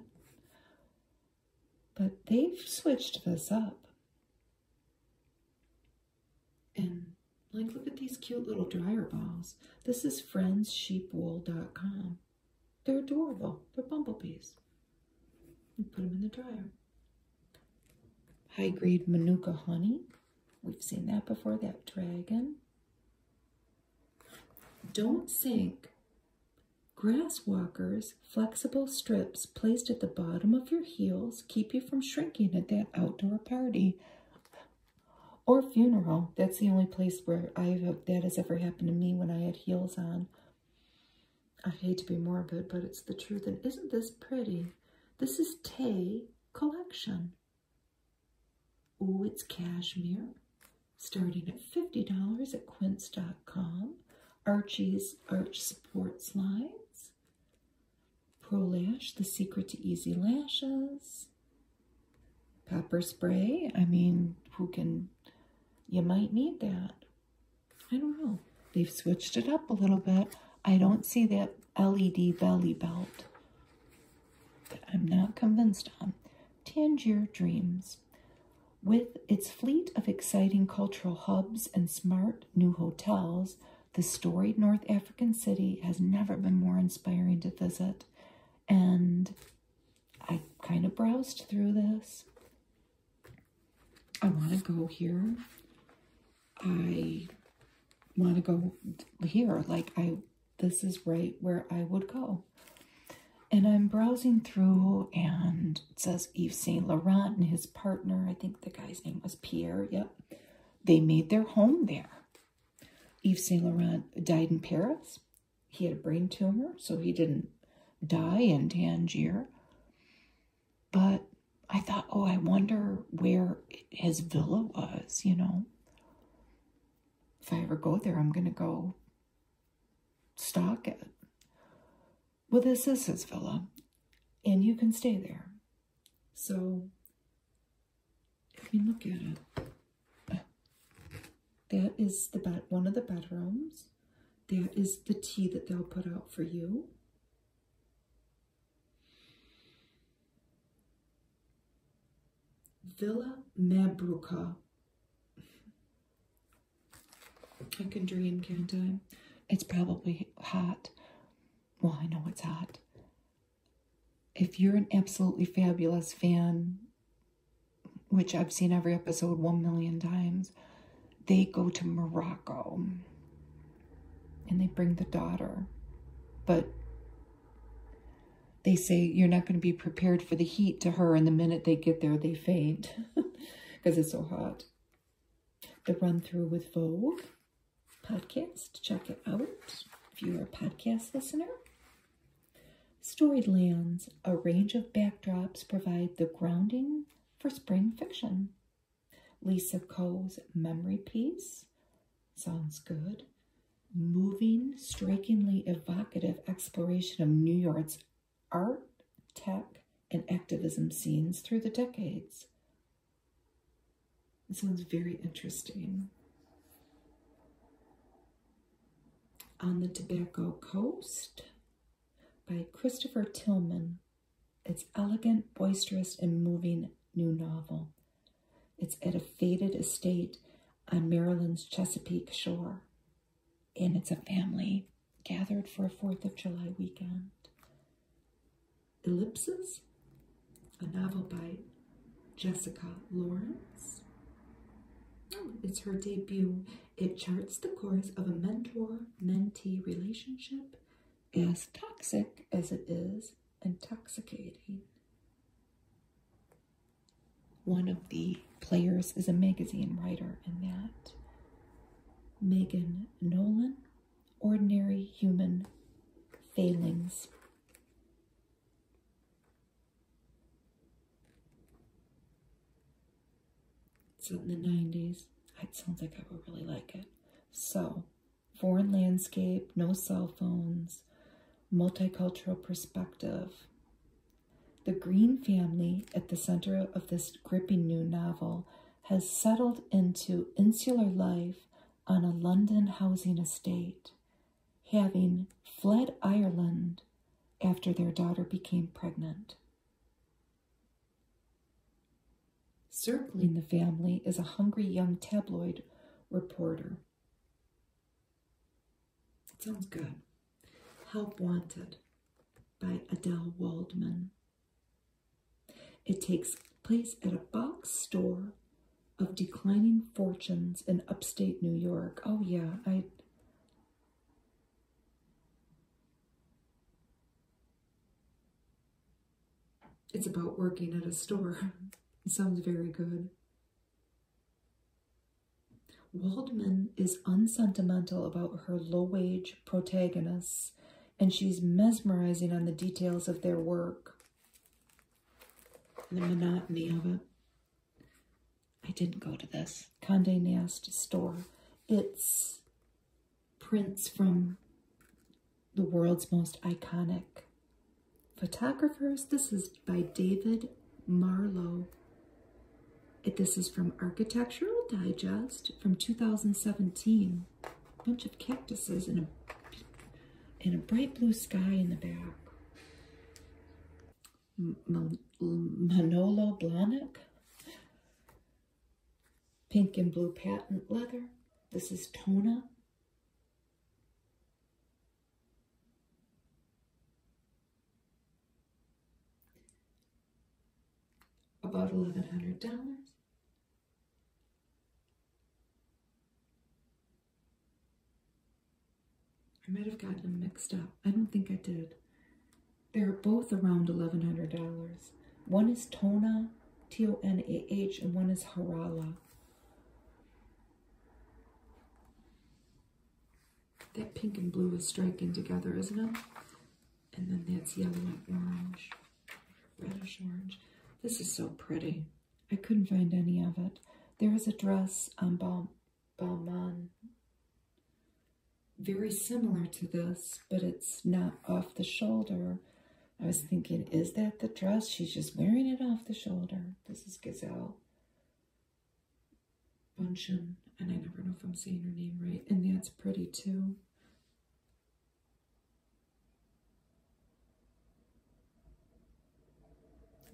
Speaker 1: But they've switched this up. And like, look at these cute little dryer balls. This is friendsheepwool.com. They're adorable. They're bumblebees. You put them in the dryer. High grade Manuka honey. We've seen that before, that dragon. Don't sink. Grasswalkers flexible strips placed at the bottom of your heels keep you from shrinking at that outdoor party or funeral. That's the only place where I that has ever happened to me when I had heels on I hate to be morbid, but it's the truth. And isn't this pretty? This is Tay Collection. Oh, it's cashmere. Starting at $50 at quince.com. Archie's Arch Supports Lines. Pro Lash, The Secret to Easy Lashes. Pepper Spray. I mean, who can... You might need that. I don't know. They've switched it up a little bit. I don't see that LED belly belt that I'm not convinced on. Tangier Dreams. With its fleet of exciting cultural hubs and smart new hotels, the storied North African city has never been more inspiring to visit. And I kind of browsed through this. I want to go here. I want to go here. Like, I, this is right where I would go. And I'm browsing through, and it says Yves Saint Laurent and his partner, I think the guy's name was Pierre, yep. They made their home there. Yves Saint Laurent died in Paris. He had a brain tumor, so he didn't die in Tangier. But I thought, oh, I wonder where his villa was, you know. If I ever go there, I'm going to go Stock it. Well, this is his villa, and you can stay there. So, if you look at it, that is the bed, one of the bedrooms. That is the tea that they'll put out for you. Villa Mabruka. I can dream, can't I? It's probably hot. Well, I know it's hot. If you're an absolutely fabulous fan, which I've seen every episode one million times, they go to Morocco and they bring the daughter. But they say you're not going to be prepared for the heat to her, and the minute they get there, they faint because it's so hot. The run through with Vogue podcast, check it out if you are a podcast listener. Storied lands, a range of backdrops provide the grounding for spring fiction. Lisa Coe's memory piece sounds good. Moving, strikingly evocative exploration of New York's art, tech, and activism scenes through the decades. This one's very interesting. On the Tobacco Coast, by Christopher Tilman, its elegant, boisterous, and moving new novel. It's at a faded estate on Maryland's Chesapeake shore, and it's a family gathered for a Fourth of July weekend. Ellipses, a novel by Jessica Lawrence. it's her debut it charts the course of a mentor mentee relationship mm. as toxic as it is intoxicating. One of the players is a magazine writer and that. Megan Nolan, Ordinary Human Failings. It's in the 90s. It sounds like I would really like it. So, foreign landscape, no cell phones, multicultural perspective. The Green family at the center of this gripping new novel has settled into insular life on a London housing estate, having fled Ireland after their daughter became pregnant. Circling the family is a hungry young tabloid reporter. It sounds good. Help Wanted by Adele Waldman. It takes place at a box store of declining fortunes in upstate New York. Oh yeah, I it's about working at a store. sounds very good. Waldman is unsentimental about her low-wage protagonists, and she's mesmerizing on the details of their work the monotony of it. I didn't go to this Kande Nast store. It's prints from the world's most iconic photographers. This is by David Marlowe. This is from Architectural Digest from 2017. A bunch of cactuses and a, and a bright blue sky in the back. M Manolo Blahnik. Pink and blue patent leather. This is Tona. About $1,100. I might have gotten them mixed up. I don't think I did. They're both around $1,100. One is Tona, T-O-N-A-H, and one is Harala. That pink and blue is striking together, isn't it? And then that's yellow and orange, reddish orange. This is so pretty. I couldn't find any of it. There is a dress on um, Balmain very similar to this, but it's not off the shoulder. I was thinking, is that the dress? She's just wearing it off the shoulder. This is Gazelle Bunchen, and I never know if I'm saying her name right. And that's pretty too.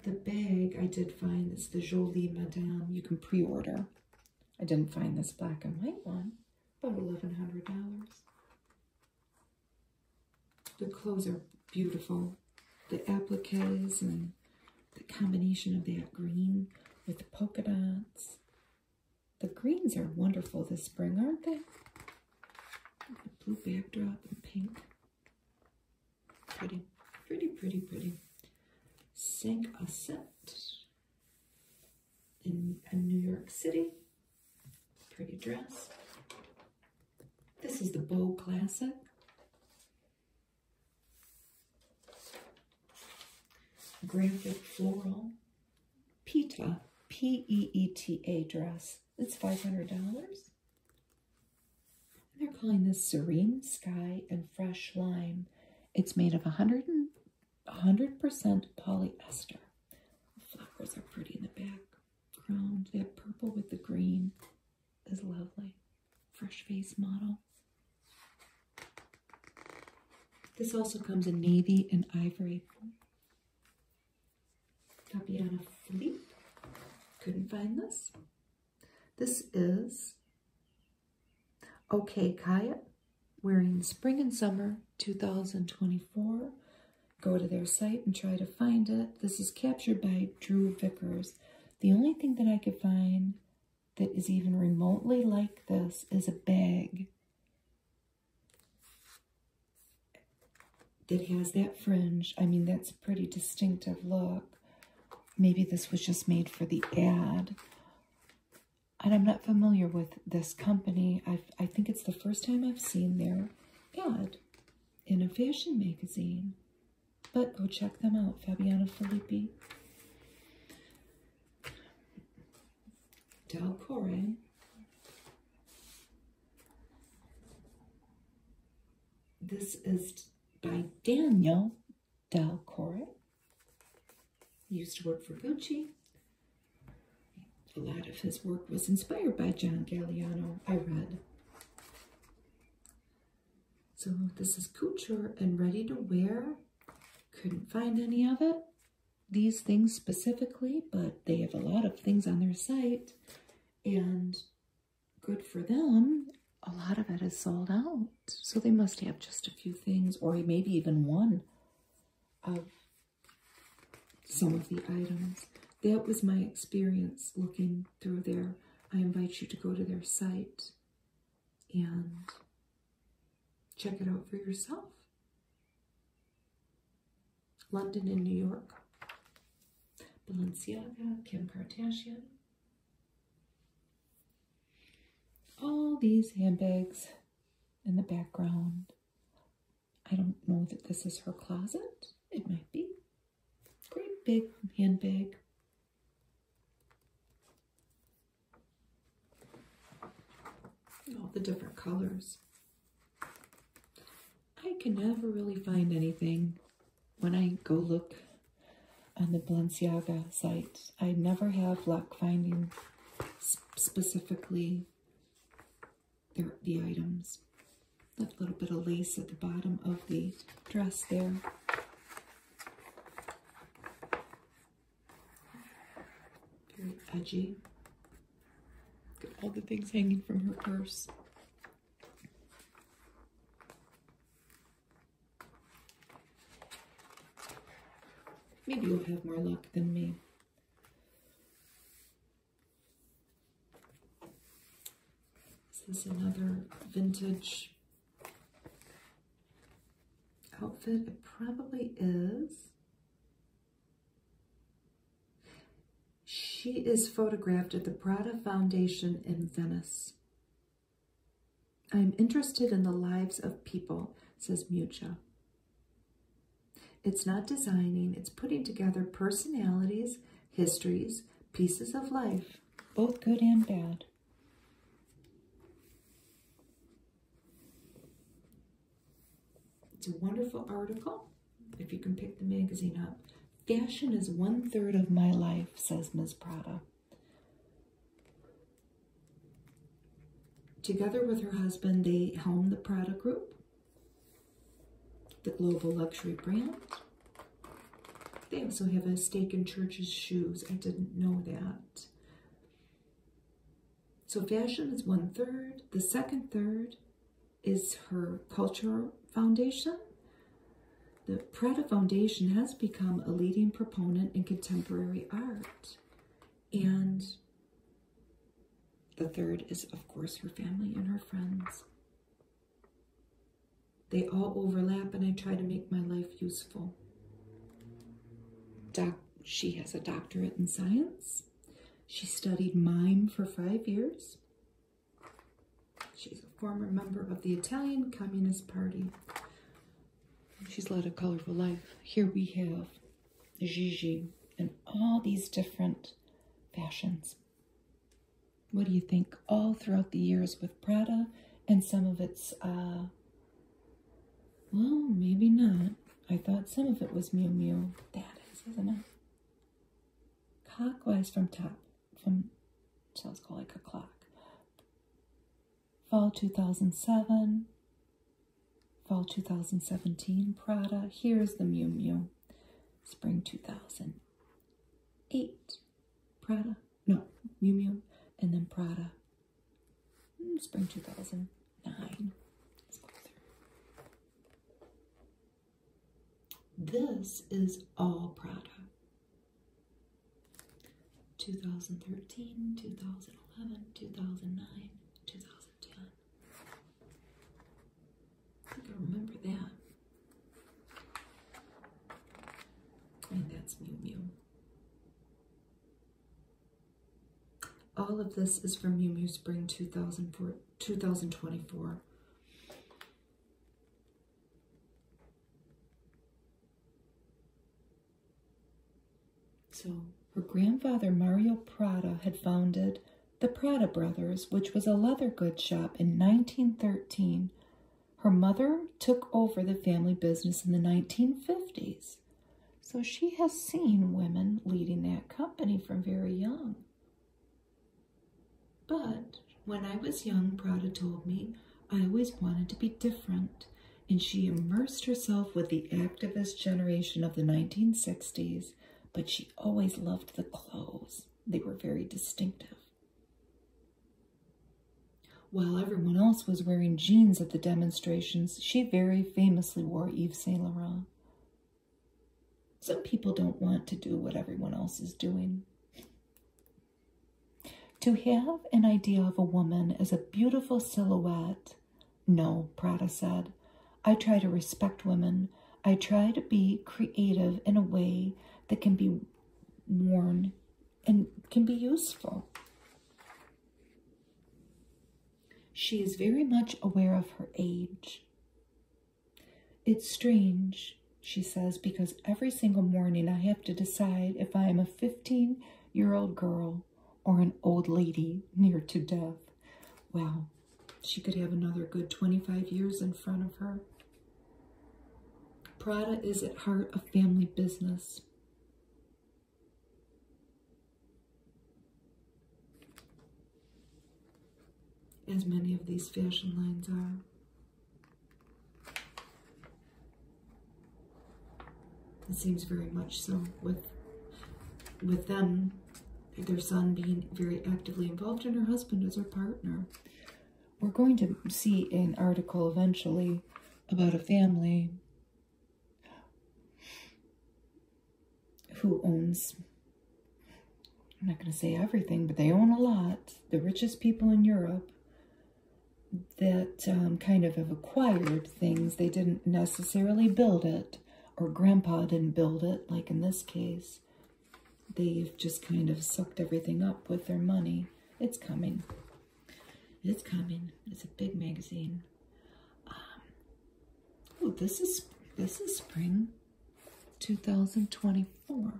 Speaker 1: The bag I did find is the Jolie Madame. You can pre-order. I didn't find this black and white one, about $1,100. The clothes are beautiful. The appliques and the combination of that green with the polka dots. The greens are wonderful this spring, aren't they? The blue backdrop and pink. Pretty, pretty, pretty, pretty. Sink a set in, New York City. Pretty dress. This is the Bow Classic. Graphic floral. Peta P-E-E-T-A dress. It's $500. they're calling this Serene Sky and Fresh Lime. It's made of 100 100% polyester. flowers are pretty in the back. they That purple with the green is lovely. Fresh face model. This also comes in navy and ivory. Fabiana Philippe. Couldn't find this. This is Okay, Kaya, we're in spring and summer 2024. Go to their site and try to find it. This is captured by Drew Vickers. The only thing that I could find that is even remotely like this is a bag that has that fringe. I mean, that's a pretty distinctive look. Maybe this was just made for the ad and I'm not familiar with this company. i I think it's the first time I've seen their ad in a fashion magazine. But go check them out, Fabiana Filippi. Del Corey. This is by Daniel Del Corey. He used to work for Gucci. A lot of his work was inspired by John Galliano, I read. So this is couture and ready to wear. Couldn't find any of it. These things specifically, but they have a lot of things on their site. And good for them, a lot of it is sold out. So they must have just a few things or maybe even one of some of the items. That was my experience looking through there. I invite you to go to their site and check it out for yourself. London and New York. Balenciaga, Kim Kardashian. All these handbags in the background. I don't know that this is her closet. It might be. Great big handbag. All the different colors. I can never really find anything when I go look on the Balenciaga site. I never have luck finding specifically the items. That little bit of lace at the bottom of the dress there. Very edgy. Look at all the things hanging from her purse. Maybe you'll have more luck than me. This is another vintage outfit. It probably is. She is photographed at the Prada Foundation in Venice. I am interested in the lives of people, says Mucha. It's not designing, it's putting together personalities, histories, pieces of life, both good and bad. It's a wonderful article, if you can pick the magazine up. Fashion is one third of my life, says Ms. Prada. Together with her husband, they helm the Prada Group, the global luxury brand. They also have a stake in Church's Shoes. I didn't know that. So fashion is one third. The second third is her culture foundation. The Prada Foundation has become a leading proponent in contemporary art. And the third is, of course, her family and her friends. They all overlap, and I try to make my life useful. Doc, she has a doctorate in science. She studied mime for five years. She's a former member of the Italian Communist Party. She's led a colorful life. Here we have Gigi in all these different fashions. What do you think? All throughout the years with Prada and some of its, uh, well, maybe not. I thought some of it was Miu Miu. That is, isn't it? Clockwise from top, from, sounds called like a clock. Fall 2007, Fall 2017 Prada. Here's the Miu Miu. Spring 2008 Prada. No, Miu Miu. And then Prada. Hmm, spring 2009. This is all Prada. 2013, 2011, 2009, 2010. I think remember that. And that's Mew Mew. All of this is from Mew Mew Spring 2004, 2024. So, her grandfather Mario Prada had founded the Prada Brothers, which was a leather goods shop in 1913. Her mother took over the family business in the 1950s. So she has seen women leading that company from very young. But when I was young, Prada told me, I always wanted to be different, and she immersed herself with the activist generation of the 1960s, but she always loved the clothes. They were very distinctive. While everyone else was wearing jeans at the demonstrations, she very famously wore Eve Saint Laurent. Some people don't want to do what everyone else is doing. To have an idea of a woman as a beautiful silhouette no, Prada said. I try to respect women. I try to be creative in a way that can be worn and can be useful. She is very much aware of her age. It's strange, she says, because every single morning I have to decide if I am a 15-year-old girl or an old lady near to death. Well, she could have another good 25 years in front of her. Prada is at heart a family business. As many of these fashion lines are. It seems very much so with with them, their son being very actively involved and her husband as her partner. We're going to see an article eventually about a family who owns, I'm not going to say everything, but they own a lot, the richest people in Europe that um, kind of have acquired things. They didn't necessarily build it, or grandpa didn't build it, like in this case. They've just kind of sucked everything up with their money. It's coming. It's coming. It's a big magazine. oh, this is this is spring 2024.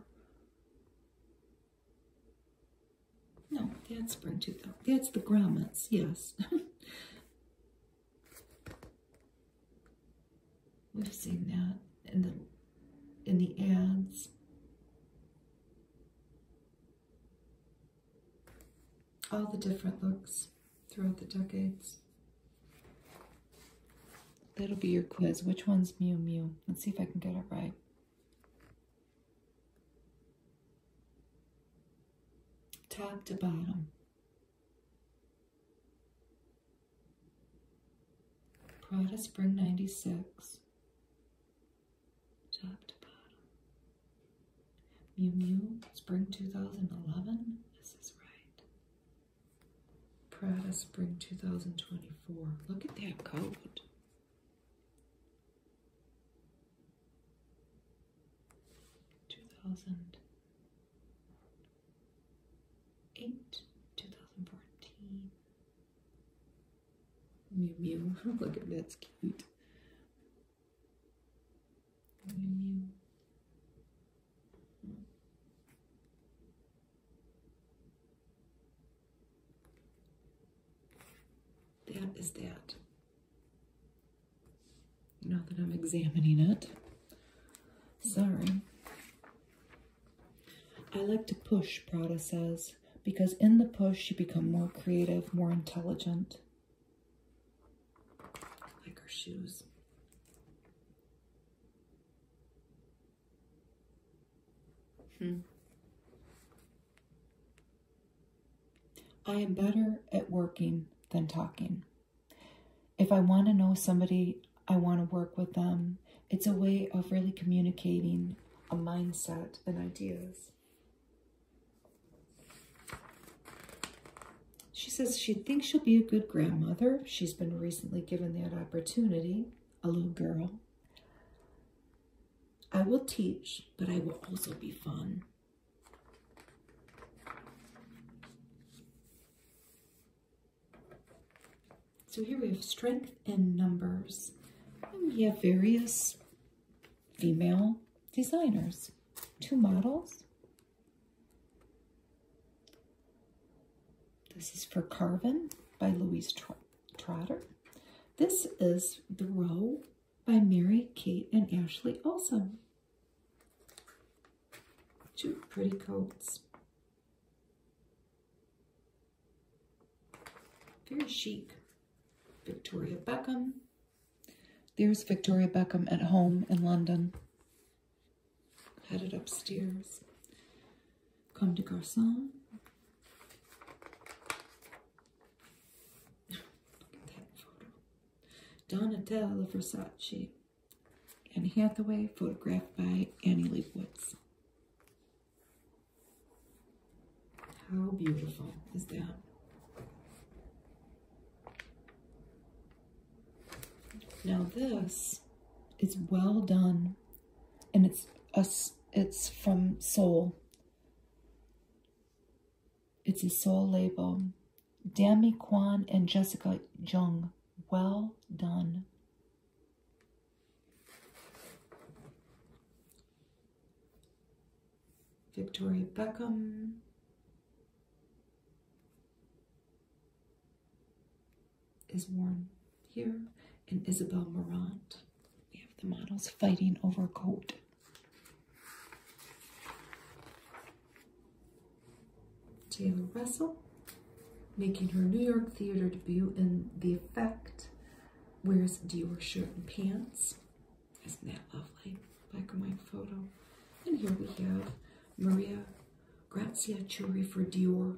Speaker 1: No, that's spring 2000. That's the grommets, yes. We've seen that in the in the ads. All the different looks throughout the decades. That'll be your quiz. Which one's Mew Mew? Let's see if I can get it right. Top to bottom. Prada Spring 96, top to bottom. Mew Mew Spring 2011, this is right. Prada Spring 2024, look at that coat. 2008, 2014. Mew Mew. Look at that's cute. Mew thats That is that. Now that I'm examining it. Sorry. I like to push, Prada says, because in the push you become more creative, more intelligent. like her shoes. Hmm. I am better at working than talking. If I want to know somebody, I want to work with them. It's a way of really communicating a mindset and ideas. She says she thinks she'll be a good grandmother. She's been recently given that opportunity, a little girl. I will teach, but I will also be fun. So here we have strength in numbers. And we have various female designers. Two models. This is for Carvin by Louise Trotter. This is The Row by Mary, Kate, and Ashley Olson two pretty coats. Very chic. Victoria Beckham. There's Victoria Beckham at home in London. Headed upstairs. Comme des garçons. Donatella Versace. Anne Hathaway, photographed by Annie Leibovitz. How beautiful is that? Now this is well done, and it's us. It's from Seoul. It's a soul label. Dammy Kwan and Jessica Jung. Well done. Victoria Beckham. Is worn here. And Isabel Morant. We have the models fighting over a coat. Taylor Russell, making her New York theater debut in The Effect, wears Dior shirt and pants. Isn't that lovely? Black and white photo. And here we have Maria Grazia Churi for Dior.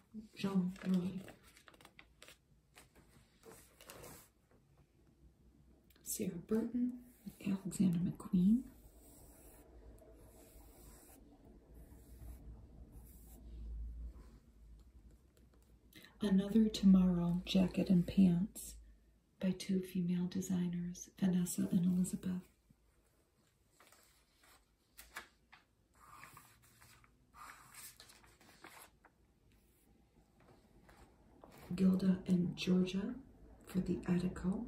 Speaker 1: John Roy. Sarah Burton, Alexander McQueen. Another Tomorrow Jacket and Pants by two female designers, Vanessa and Elizabeth. Gilda and Georgia for the Attico.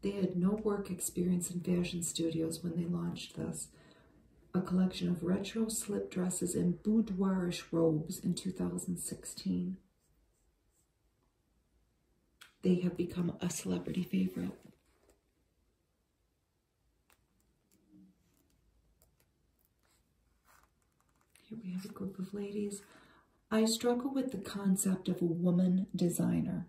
Speaker 1: They had no work experience in fashion studios when they launched this, a collection of retro slip dresses and boudoirish robes in 2016. They have become a celebrity favorite. Here we have a group of ladies. I struggle with the concept of a woman designer,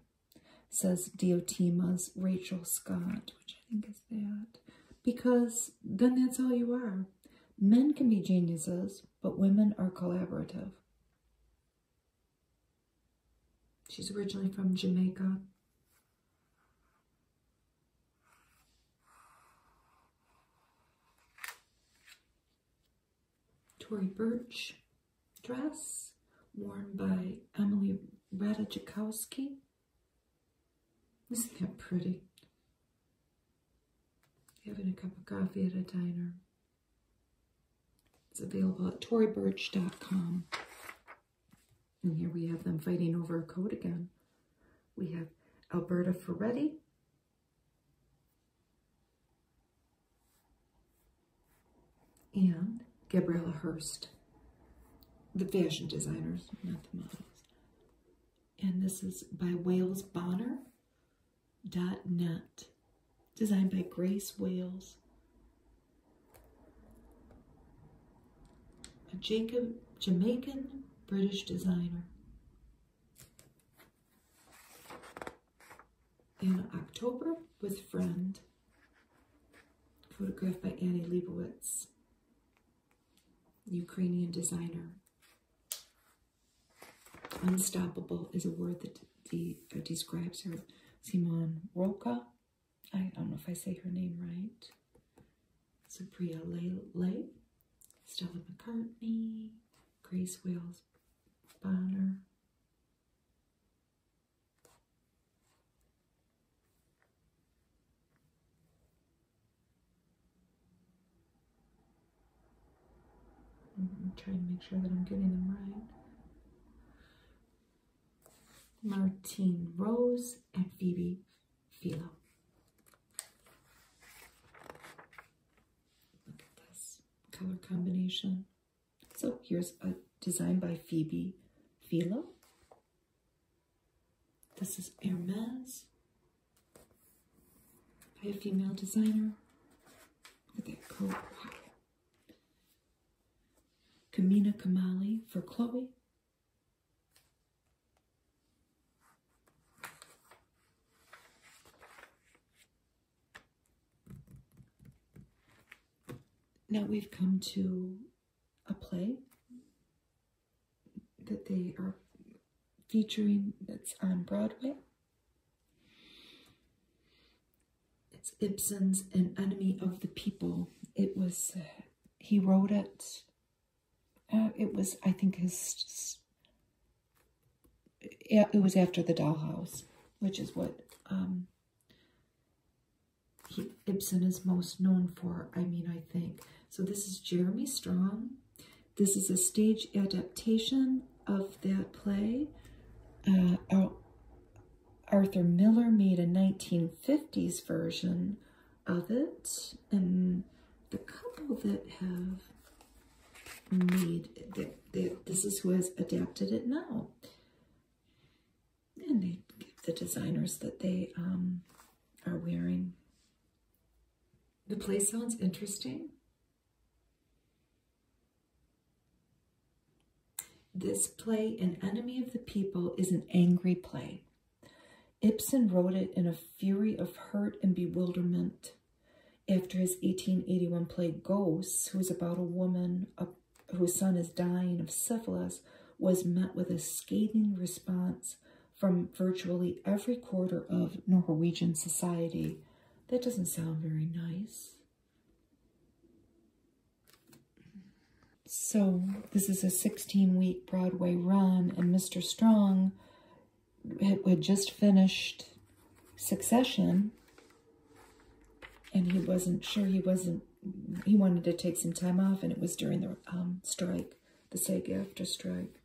Speaker 1: says Diotima's Rachel Scott, which I think is that, because then that's all you are. Men can be geniuses, but women are collaborative. She's originally from Jamaica. Tory Birch dress worn by Emily Ratajkowski. Isn't that pretty? Having a cup of coffee at a diner. It's available at torybirch.com. And here we have them fighting over a coat again. We have Alberta Ferretti. And Gabriella Hurst, the fashion designers, not the models. And this is by Wales Bonner. Dot Net designed by Grace Wales. A Jacob, Jamaican British designer. In October with Friend, photographed by Annie Leibovitz, Ukrainian designer. Unstoppable is a word that de describes her. Simon Roca, I don't know if I say her name right. Sabria Lay, Stella McCartney, Grace Wales Bonner. I'm mm-hmm, trying to make sure that I'm getting them right. Martine Rose, and Phoebe Philo. Look at this color combination. So here's a design by Phoebe Philo. This is Hermes by a female designer. Look at that coat. Kamina Kamali for Chloe. Now we've come to a play that they are featuring that's on Broadway it's Ibsen's An Enemy of the People. It was, uh, he wrote it, uh, it was, I think his, yeah, it was after The Doll House*, which is what um, Ibsen is most known for, I mean, I think. So this is Jeremy Strong. This is a stage adaptation of that play. oh, Arthur Miller made a 1950s version of it, and the couple that have made that, this is who has adapted it now, and they give the designers that they um, are wearing. The play sounds interesting. This play, An Enemy of the People, is an angry play. Ibsen wrote it in a fury of hurt and bewilderment. After his 1881 play Ghosts, who is about a woman whose son is dying of syphilis, was met with a scathing response from virtually every quarter of Norwegian society. That doesn't sound very nice. So this is a 16-week Broadway run, and Mr. Strong had just finished Succession, and he wasn't sure he wasn't he wanted to take some time off, and it was during the um, strike, the SAG after strike.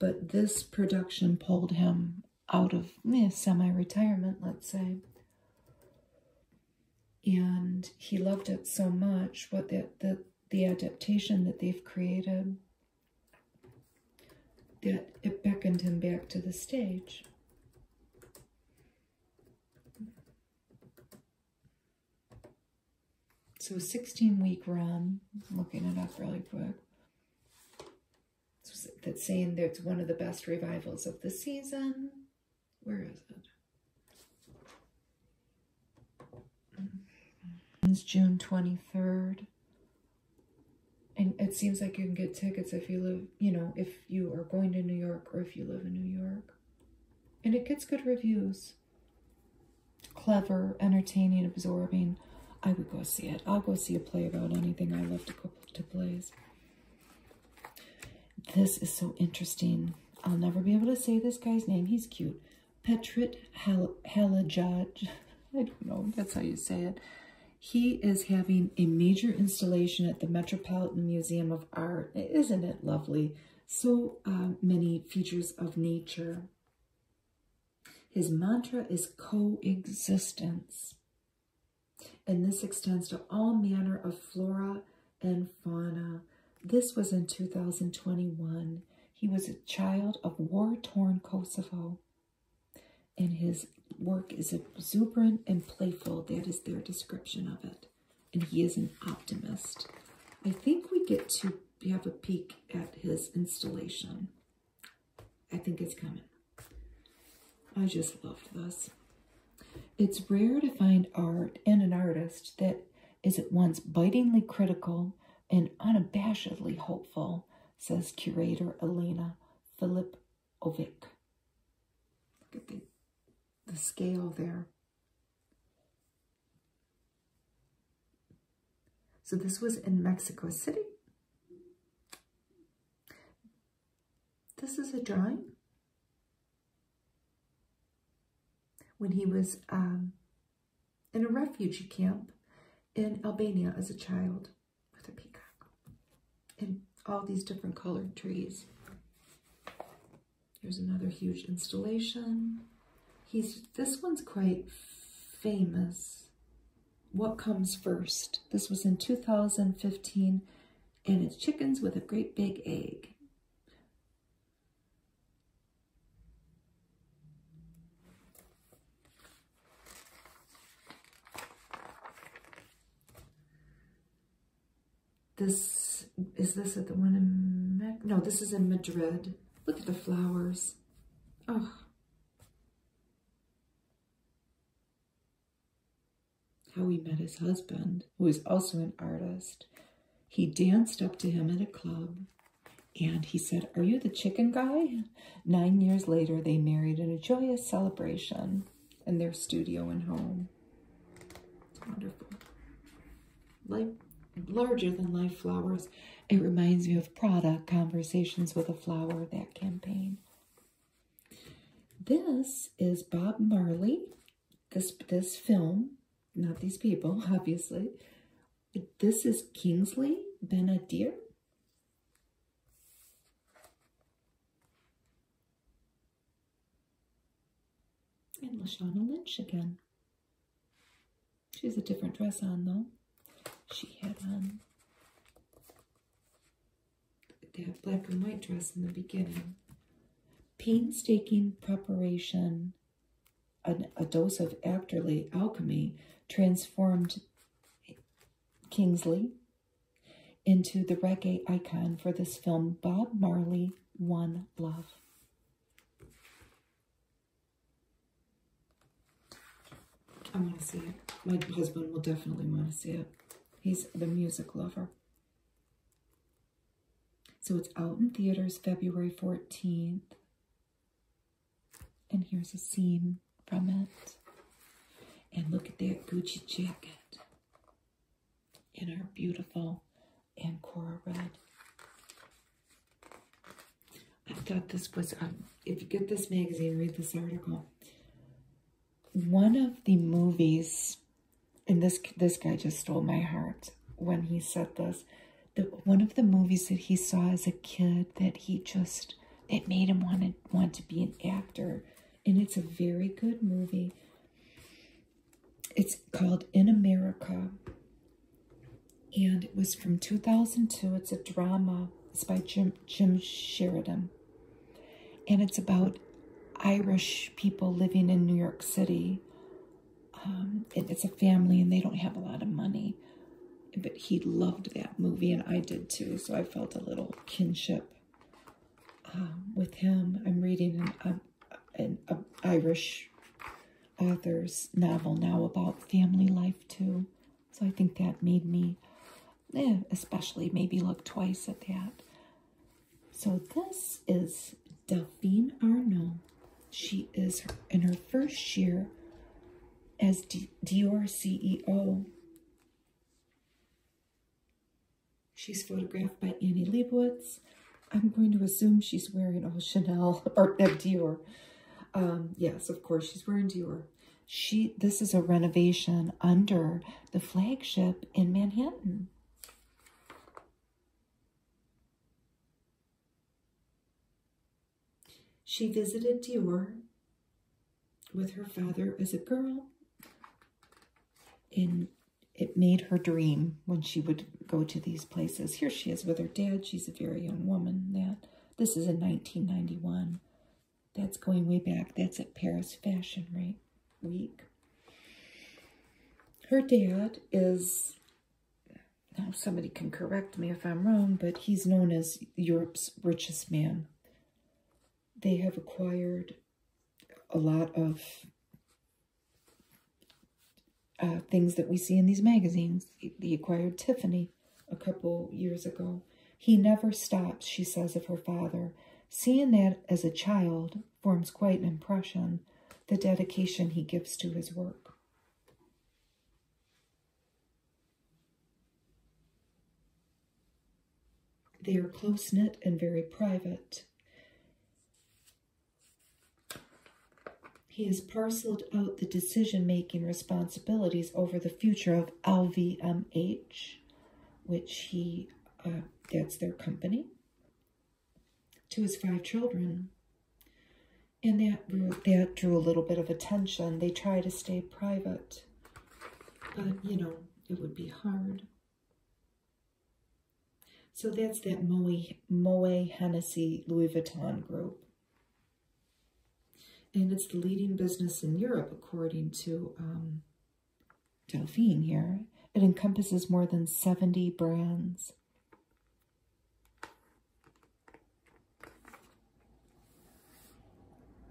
Speaker 1: But this production pulled him out of eh, semi-retirement, let's say and he loved it so much what the, the, the adaptation that they've created that it beckoned him back to the stage. So a 16 week run, looking it up really quick. That's saying that it's one of the best revivals of the season. Where is it? Mm-hmm. It's June 23rd. And it seems like you can get tickets if you live, you know, if you are going to New York or if you live in New York. And it gets good reviews. Clever, entertaining, absorbing. I would go see it. I'll go see a play about anything. I love to go to plays. This is so interesting. I'll never be able to say this guy's name. He's cute. Petrit Hel I don't know. That's how you say it. He is having a major installation at the Metropolitan Museum of Art. Isn't it lovely? So uh, many features of nature. His mantra is coexistence and this extends to all manner of flora and fauna. This was in 2021. He was a child of war-torn Kosovo, and his work is exuberant and playful. That is their description of it, and he is an optimist. I think we get to have a peek at his installation. I think it's coming. I just loved this. It's rare to find art and an artist that is at once bitingly critical and unabashedly hopeful, says curator Elena Filipovic. Look at the, the scale there. So this was in Mexico City. This is a drawing when he was um, in a refugee camp in Albania as a child with a peacock and all these different colored trees. Here's another huge installation. He's This one's quite famous. What Comes First. This was in 2015 and it's chickens with a great big egg. This, is this at the one in, no, this is in Madrid. Look at the flowers. Oh how he met his husband, who was also an artist. He danced up to him at a club and he said, Are you the chicken guy? Nine years later, they married in a joyous celebration in their studio and home. It's wonderful. Like larger than life flowers. It reminds me of Prada, Conversations with a Flower, that campaign. This is Bob Marley this this film, not these people, obviously. This is Kingsley Benadir. And Lashana Lynch again. She has a different dress on though. She had on um, that black and white dress in the beginning painstaking preparation, a, dose of actorly alchemy, transformed Kingsley into the reggae icon for this film, Bob Marley, One Love. I want to see it. My husband will definitely want to see it. He's the music lover. So it's out in theaters February 14th. And here's a scene from it. And look at that Gucci jacket in our beautiful Ancora red. I thought this was, um, if you get this magazine, read this article. One of the movies and this this guy just stole my heart when he said this. The one of the movies that he saw as a kid that he just it made him want to want to be an actor, and it's a very good movie. It's called In America, and it was from 2002. It's a drama. It's by Jim Jim Sheridan, and it's about Irish people living in New York City. Um, it's a family and they don't have a lot of money. But he loved that movie and I did too, so I felt a little kinship um, with him. I'm reading an, Irish author's novel now about family life too. So I think that made me eh, especially maybe look twice at that. So this is Delphine Arnault. She is in her first year as D Dior CEO. She's photographed by Annie Leibovitz. I'm going to assume she's wearing all Chanel or uh, Dior. Um, yes, of course, she's wearing Dior. She, this is a renovation under the flagship in Manhattan. She visited Dior with her father as a girl, and it made her dream when she would go to these places. Here she is with her dad. She's a very young woman. That This is in 1991. That's going way back. That's at Paris Fashion, right? week. Her dad is, now somebody can correct me if I'm wrong, but he's known as Europe's richest man. They have acquired a lot of uh, things that we see in these magazines. He acquired Tiffany a couple years ago. He never stops, she says of her father. Seeing that as a child, forms quite an impression, the dedication he gives to his work. They are close-knit and very private. He has parceled out the decision-making responsibilities over the future of LVMH, which he, uh, that's their company to his five children. And that drew, that drew a little bit of attention. They try to stay private, but, you know, it would be hard. So that's that Moe, Moe Hennessy Louis Vuitton group. And it's the leading business in Europe, according to um, Delphine here. It encompasses more than 70 brands.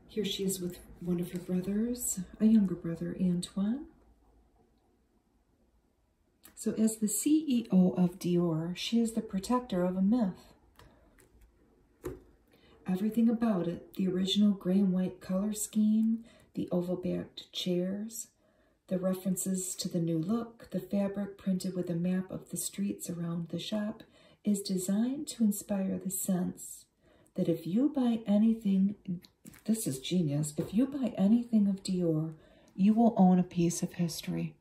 Speaker 1: Here she is with one of her brothers, a younger brother, Antoine. So as the CEO of Dior, she is the protector of a myth. Everything about it, the original gray and white color scheme, the oval-backed chairs, the references to the new look, the fabric printed with a map of the streets around the shop, is designed to inspire the sense that if you buy anything, this is genius, if you buy anything of Dior, you will own a piece of history.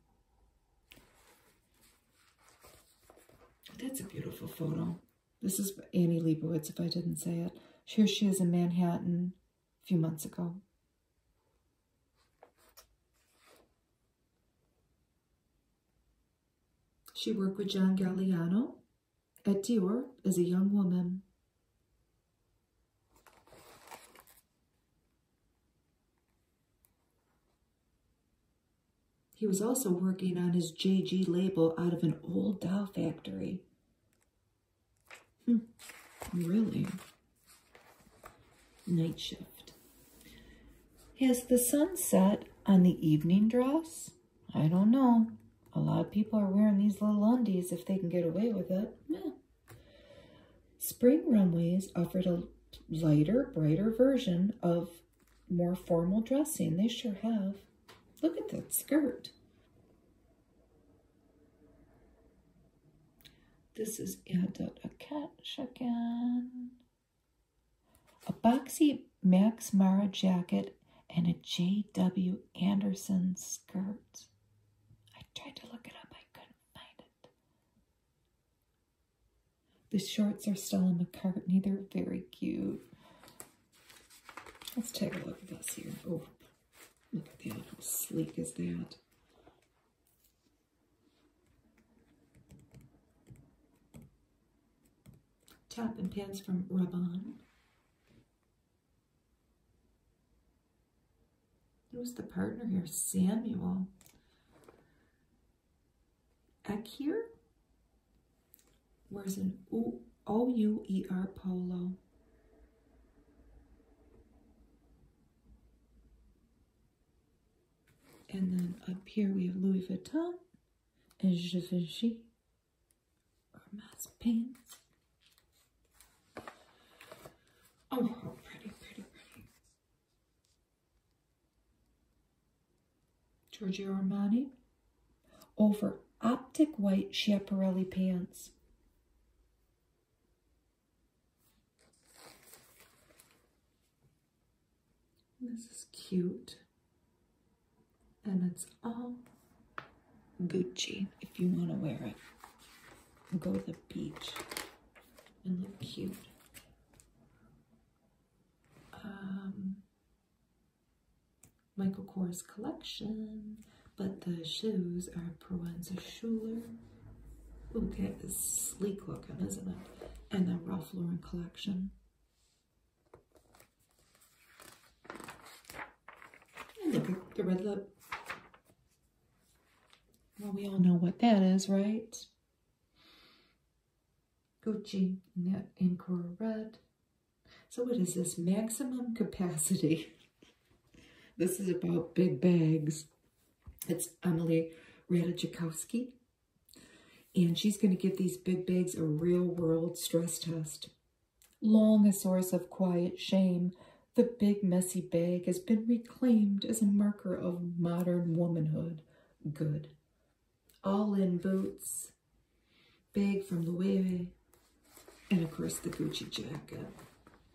Speaker 1: That's a beautiful photo. This is Annie Leibovitz, if I didn't say it. Here she is in Manhattan a few months ago. She worked with John Galliano at Dior as a young woman. He was also working on his JG label out of an old doll factory. Hmm. Really? Night shift. Has the sun set on the evening dress? I don't know. A lot of people are wearing these little undies if they can get away with it. Spring runways offered a lighter, brighter version of more formal dressing. They sure have. Look at that skirt. This is added a Erdot again. A boxy Max Mara jacket and a J.W. Anderson skirt. I tried to look it up, I couldn't find it. The shorts are Stella McCartney, they're very cute. Let's take a look at this here. Oh, Look at that, how sleek is that? Top and pants from Raban. Who's the partner here? Samuel. Ek here wears an O-U-E-R polo. And then up here we have Louis Vuitton and Givenchy Hermes pants. Oh, pretty, pretty, pretty. Giorgio Armani over Optic White Schiaparelli pants. This is cute. And it's all Gucci if you want to wear it. Go to the beach and look cute. Um, Michael Kors collection but the shoes are Provenza Schuler. Okay, it's sleek looking, isn't it? And the Ralph Lauren collection. And look the red lip. Well, we all know what that is, right? Gucci in that Red. So what is this? Maximum capacity. This is about big bags. It's Emily Ratajkowski. And she's going to give these big bags a real-world stress test. Long a source of quiet shame, the big messy bag has been reclaimed as a marker of modern womanhood. Good. All in boots. Bag from Loewe. And of course the Gucci jacket.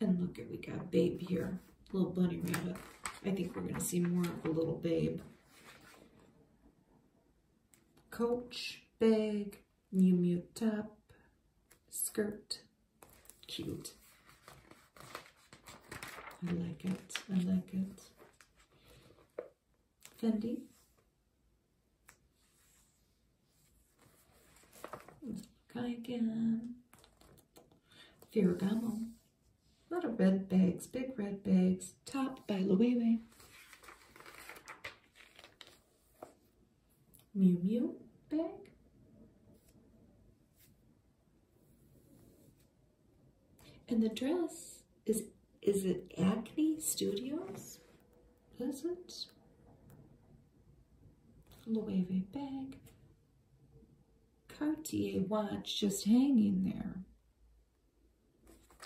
Speaker 1: And look at, we got Babe here, little bunny rabbit. I think we're gonna see more of the little Babe. Coach, bag, New mute top, skirt, cute. I like it, I like it. Fendi, Cayenne, Ferragamo, lot of red bags, big red bags, top by Loewe, Mew Mew bag, and the dress is is it Acne Studios? Pleasant. Louis V bag. Cartier watch just hanging there.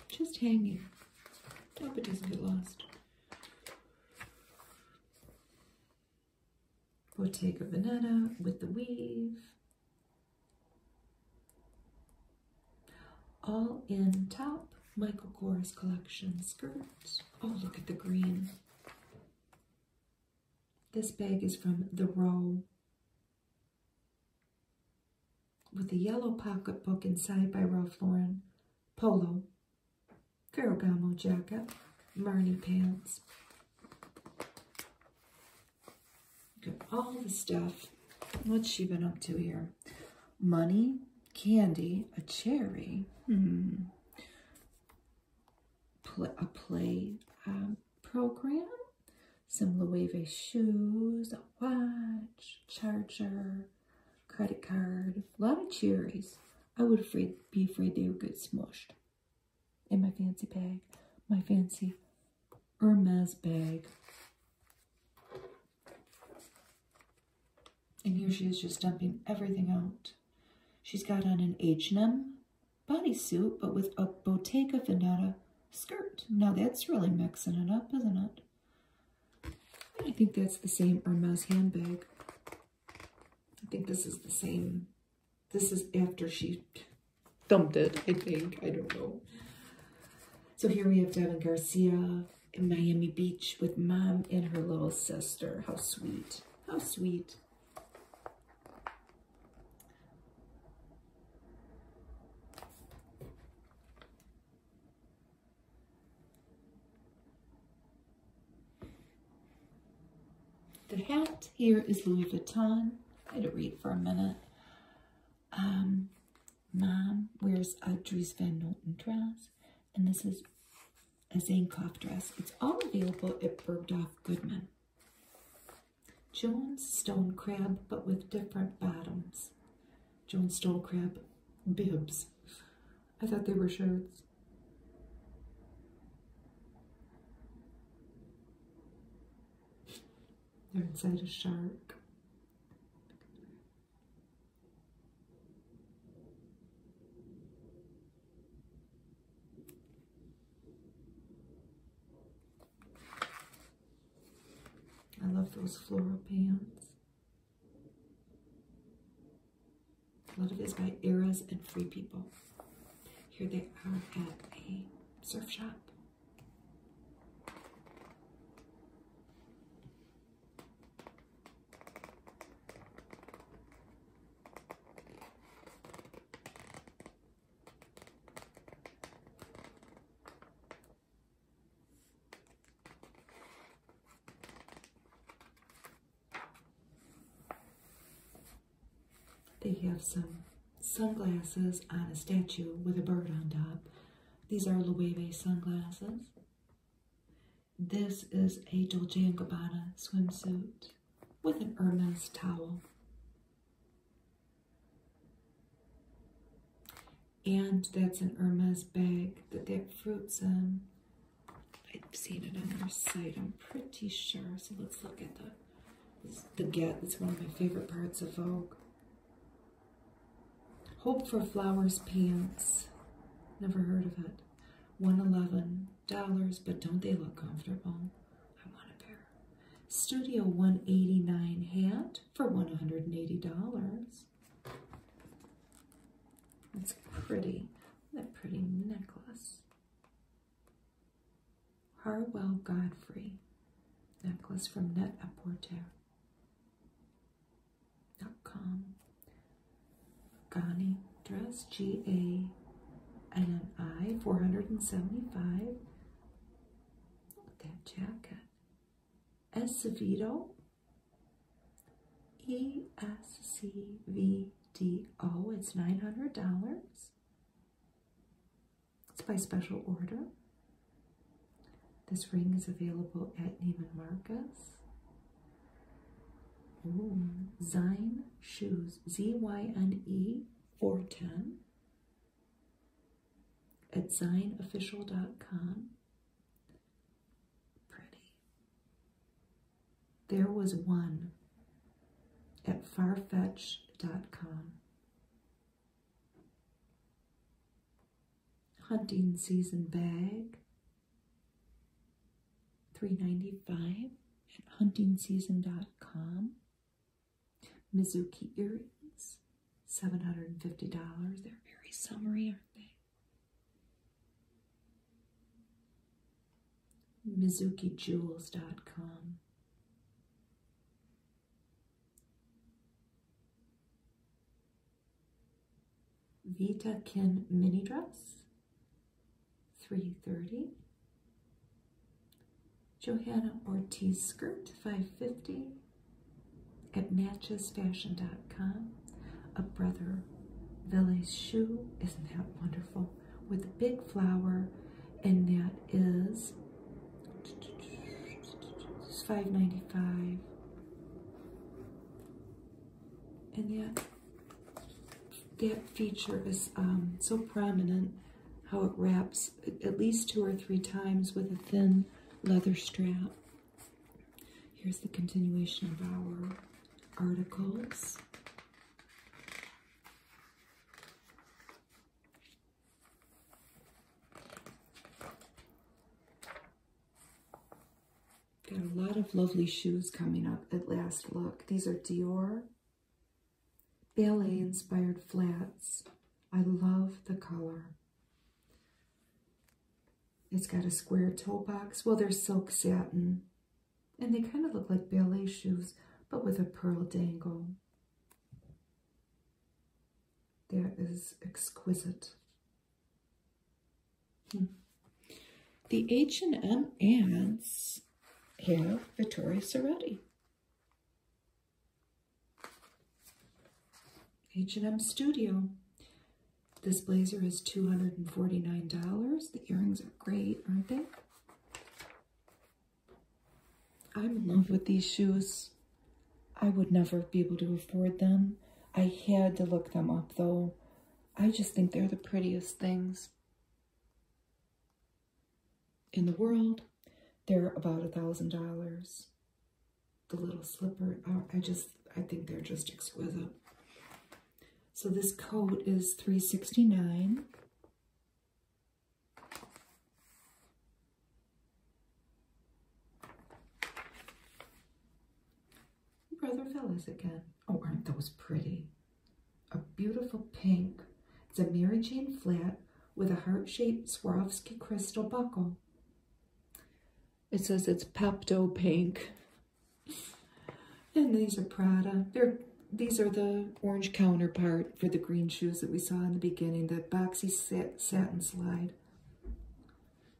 Speaker 1: Just hanging. Hope it doesn't get lost. Bottega Veneta with the weave. All in top Michael Kors collection skirt. Oh, look at the green. This bag is from The Row with a yellow pocketbook inside by Ralph Lauren, polo, Ferragamo jacket, Marnie pants. Look at all the stuff. What's she been up to here? Money, candy, a cherry. Hmm a play um, program, some Loewe shoes, a watch, charger, credit card, a lot of cherries. I would be afraid they would get smushed in my fancy bag, my fancy Hermes bag. And here she is just dumping everything out. She's got on an H&M bodysuit, but with a Bottega Veneta skirt. Now that's really mixing it up, isn't it? I think that's the same Hermes handbag. I think this is the same. This is after she dumped it, I think. I don't know. So here we have Devin Garcia in Miami Beach with mom and her little sister. How sweet. How sweet. The hat here is Louis Vuitton. I had read for a minute. Um, mom wears a Dries Van Noten dress, and this is a Zankoff dress. It's all available at Bergdorf Goodman. Jones Stone Crab, but with different bottoms. Jones Stone Crab bibs. I thought they were shirts. They're inside a shark. I love those floral pans. A lot of this by Eras and Free People. Here they are at a surf shop. They have some sunglasses on a statue with a bird on top. These are Loewe sunglasses. This is a Dolce & Gabbana swimsuit with an Hermes towel. And that's an Hermes bag that they have fruits in. I've seen it on their site, I'm pretty sure. So let's look at the, the get. It's one of my favorite parts of Vogue. Hope for Flowers pants. Never heard of it. 111 dollars, but don't they look comfortable? I want a pair. Studio 189 hat for $180. That's pretty. That pretty necklace. Harwell Godfrey necklace from Net a Porter.com. Gani dress, G A and an I, 475. Look at that jacket. Escovedo, E S C V D O, it's $900. It's by special order. This ring is available at Neiman Marcus. Zine shoes, Z Y and Z Y N E 410 at zineofficial.com. Pretty. There was one at farfetch dot com. Hunting season bag. Three ninety five dollars 95 at huntingseason.com. Mizuki earrings, $750. They're very summery, aren't they? MizukiJewels.com. Vita Kin mini dress, 330. Johanna Ortiz skirt, 550 at natchesfashion.com. A brother Velez shoe, isn't that wonderful? With a big flower, and that is $5.95. And that that feature is um, so prominent how it wraps at least two or three times with a thin leather strap. Here's the continuation of our articles. Got a lot of lovely shoes coming up at last look. These are Dior ballet inspired flats. I love the color. It's got a square toe box. Well, they're silk satin. And they kind of look like ballet shoes, but with a pearl dangle. That is exquisite. Hmm. The H&M ads here, Vittoria Soretti. H&M Studio. This blazer is $249. The earrings are great, aren't they? I'm in love with these shoes. I would never be able to afford them. I had to look them up, though. I just think they're the prettiest things. In the world, they're about a thousand dollars. The little slipper, I just, I think they're just exquisite. So this coat is three sixty nine. Brother Fellas again. Oh, aren't those pretty? a beautiful pink. It's a Mary Jane flat with a heart-shaped Swarovski crystal buckle. It says it's Pepto Pink. And these are Prada. They're, these are the orange counterpart for the green shoes that we saw in the beginning, That boxy satin slide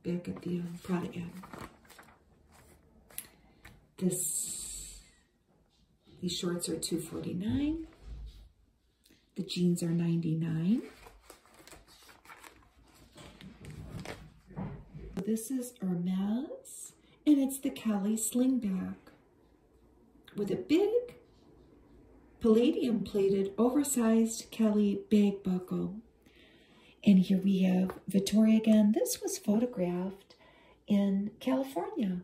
Speaker 1: back at the uh, Prada ad. This these shorts are $249. The jeans are $99. This is Hermes, and it's the Kelly slingback with a big palladium plated oversized Kelly bag buckle. And here we have Victoria again. This was photographed in California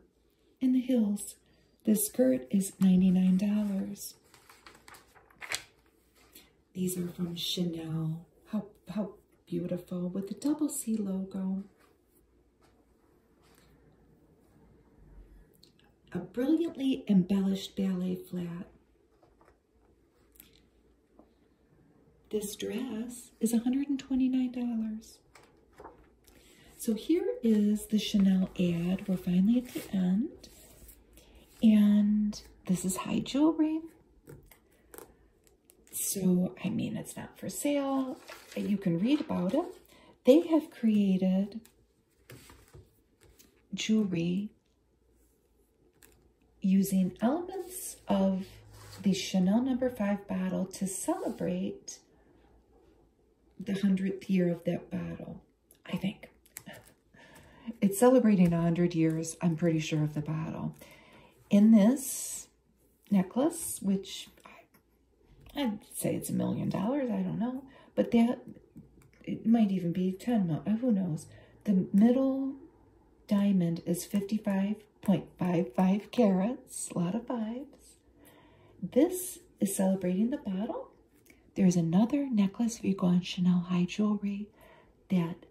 Speaker 1: in the hills. This skirt is $99. These are from Chanel. How, how beautiful with the double C logo. A brilliantly embellished ballet flat. This dress is $129. So here is the Chanel ad. We're finally at the end. And this is high jewelry. So, I mean, it's not for sale. You can read about it. They have created jewelry using elements of the Chanel number five bottle to celebrate the 100th year of that battle, I think. It's celebrating 100 years, I'm pretty sure, of the battle. In this necklace, which I, would say it's a million dollars, I don't know, but that, it might even be 10, who knows. The middle diamond is 55 0.55 carats, a lot of vibes. This is celebrating the bottle. There's another necklace for Yvonne Chanel high jewelry that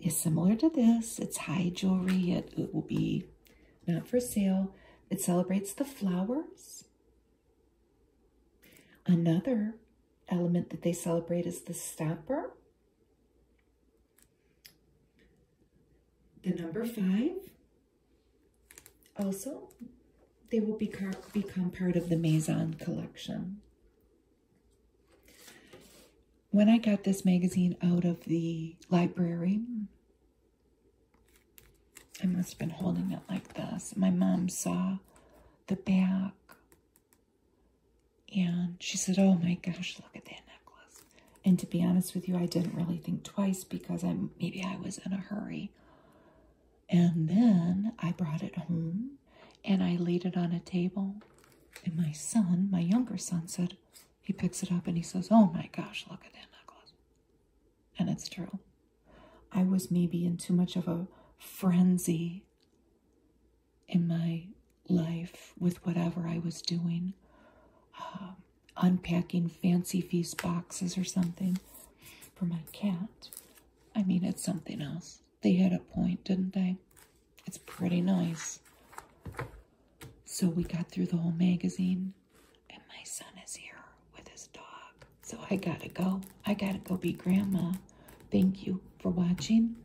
Speaker 1: is similar to this. It's high jewelry. it will be not for sale. It celebrates the flowers. Another element that they celebrate is the stopper. The number five, also, they will become part of the Maison collection. When I got this magazine out of the library, I must have been holding it like this. My mom saw the back and she said, oh my gosh, look at that necklace. And to be honest with you, I didn't really think twice because I maybe I was in a hurry. And then I brought it home and I laid it on a table. And my son, my younger son, said, he picks it up and he says, Oh my gosh, look at that necklace. And it's true. I was maybe in too much of a frenzy in my life with whatever I was doing. Um, unpacking Fancy Feast boxes or something for my cat. I mean, it's something else. They had a point, didn't they? It's pretty nice. So we got through the whole magazine, and my son is here with his dog. So I gotta go. I gotta go be grandma. Thank you for watching.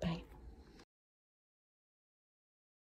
Speaker 1: Bye.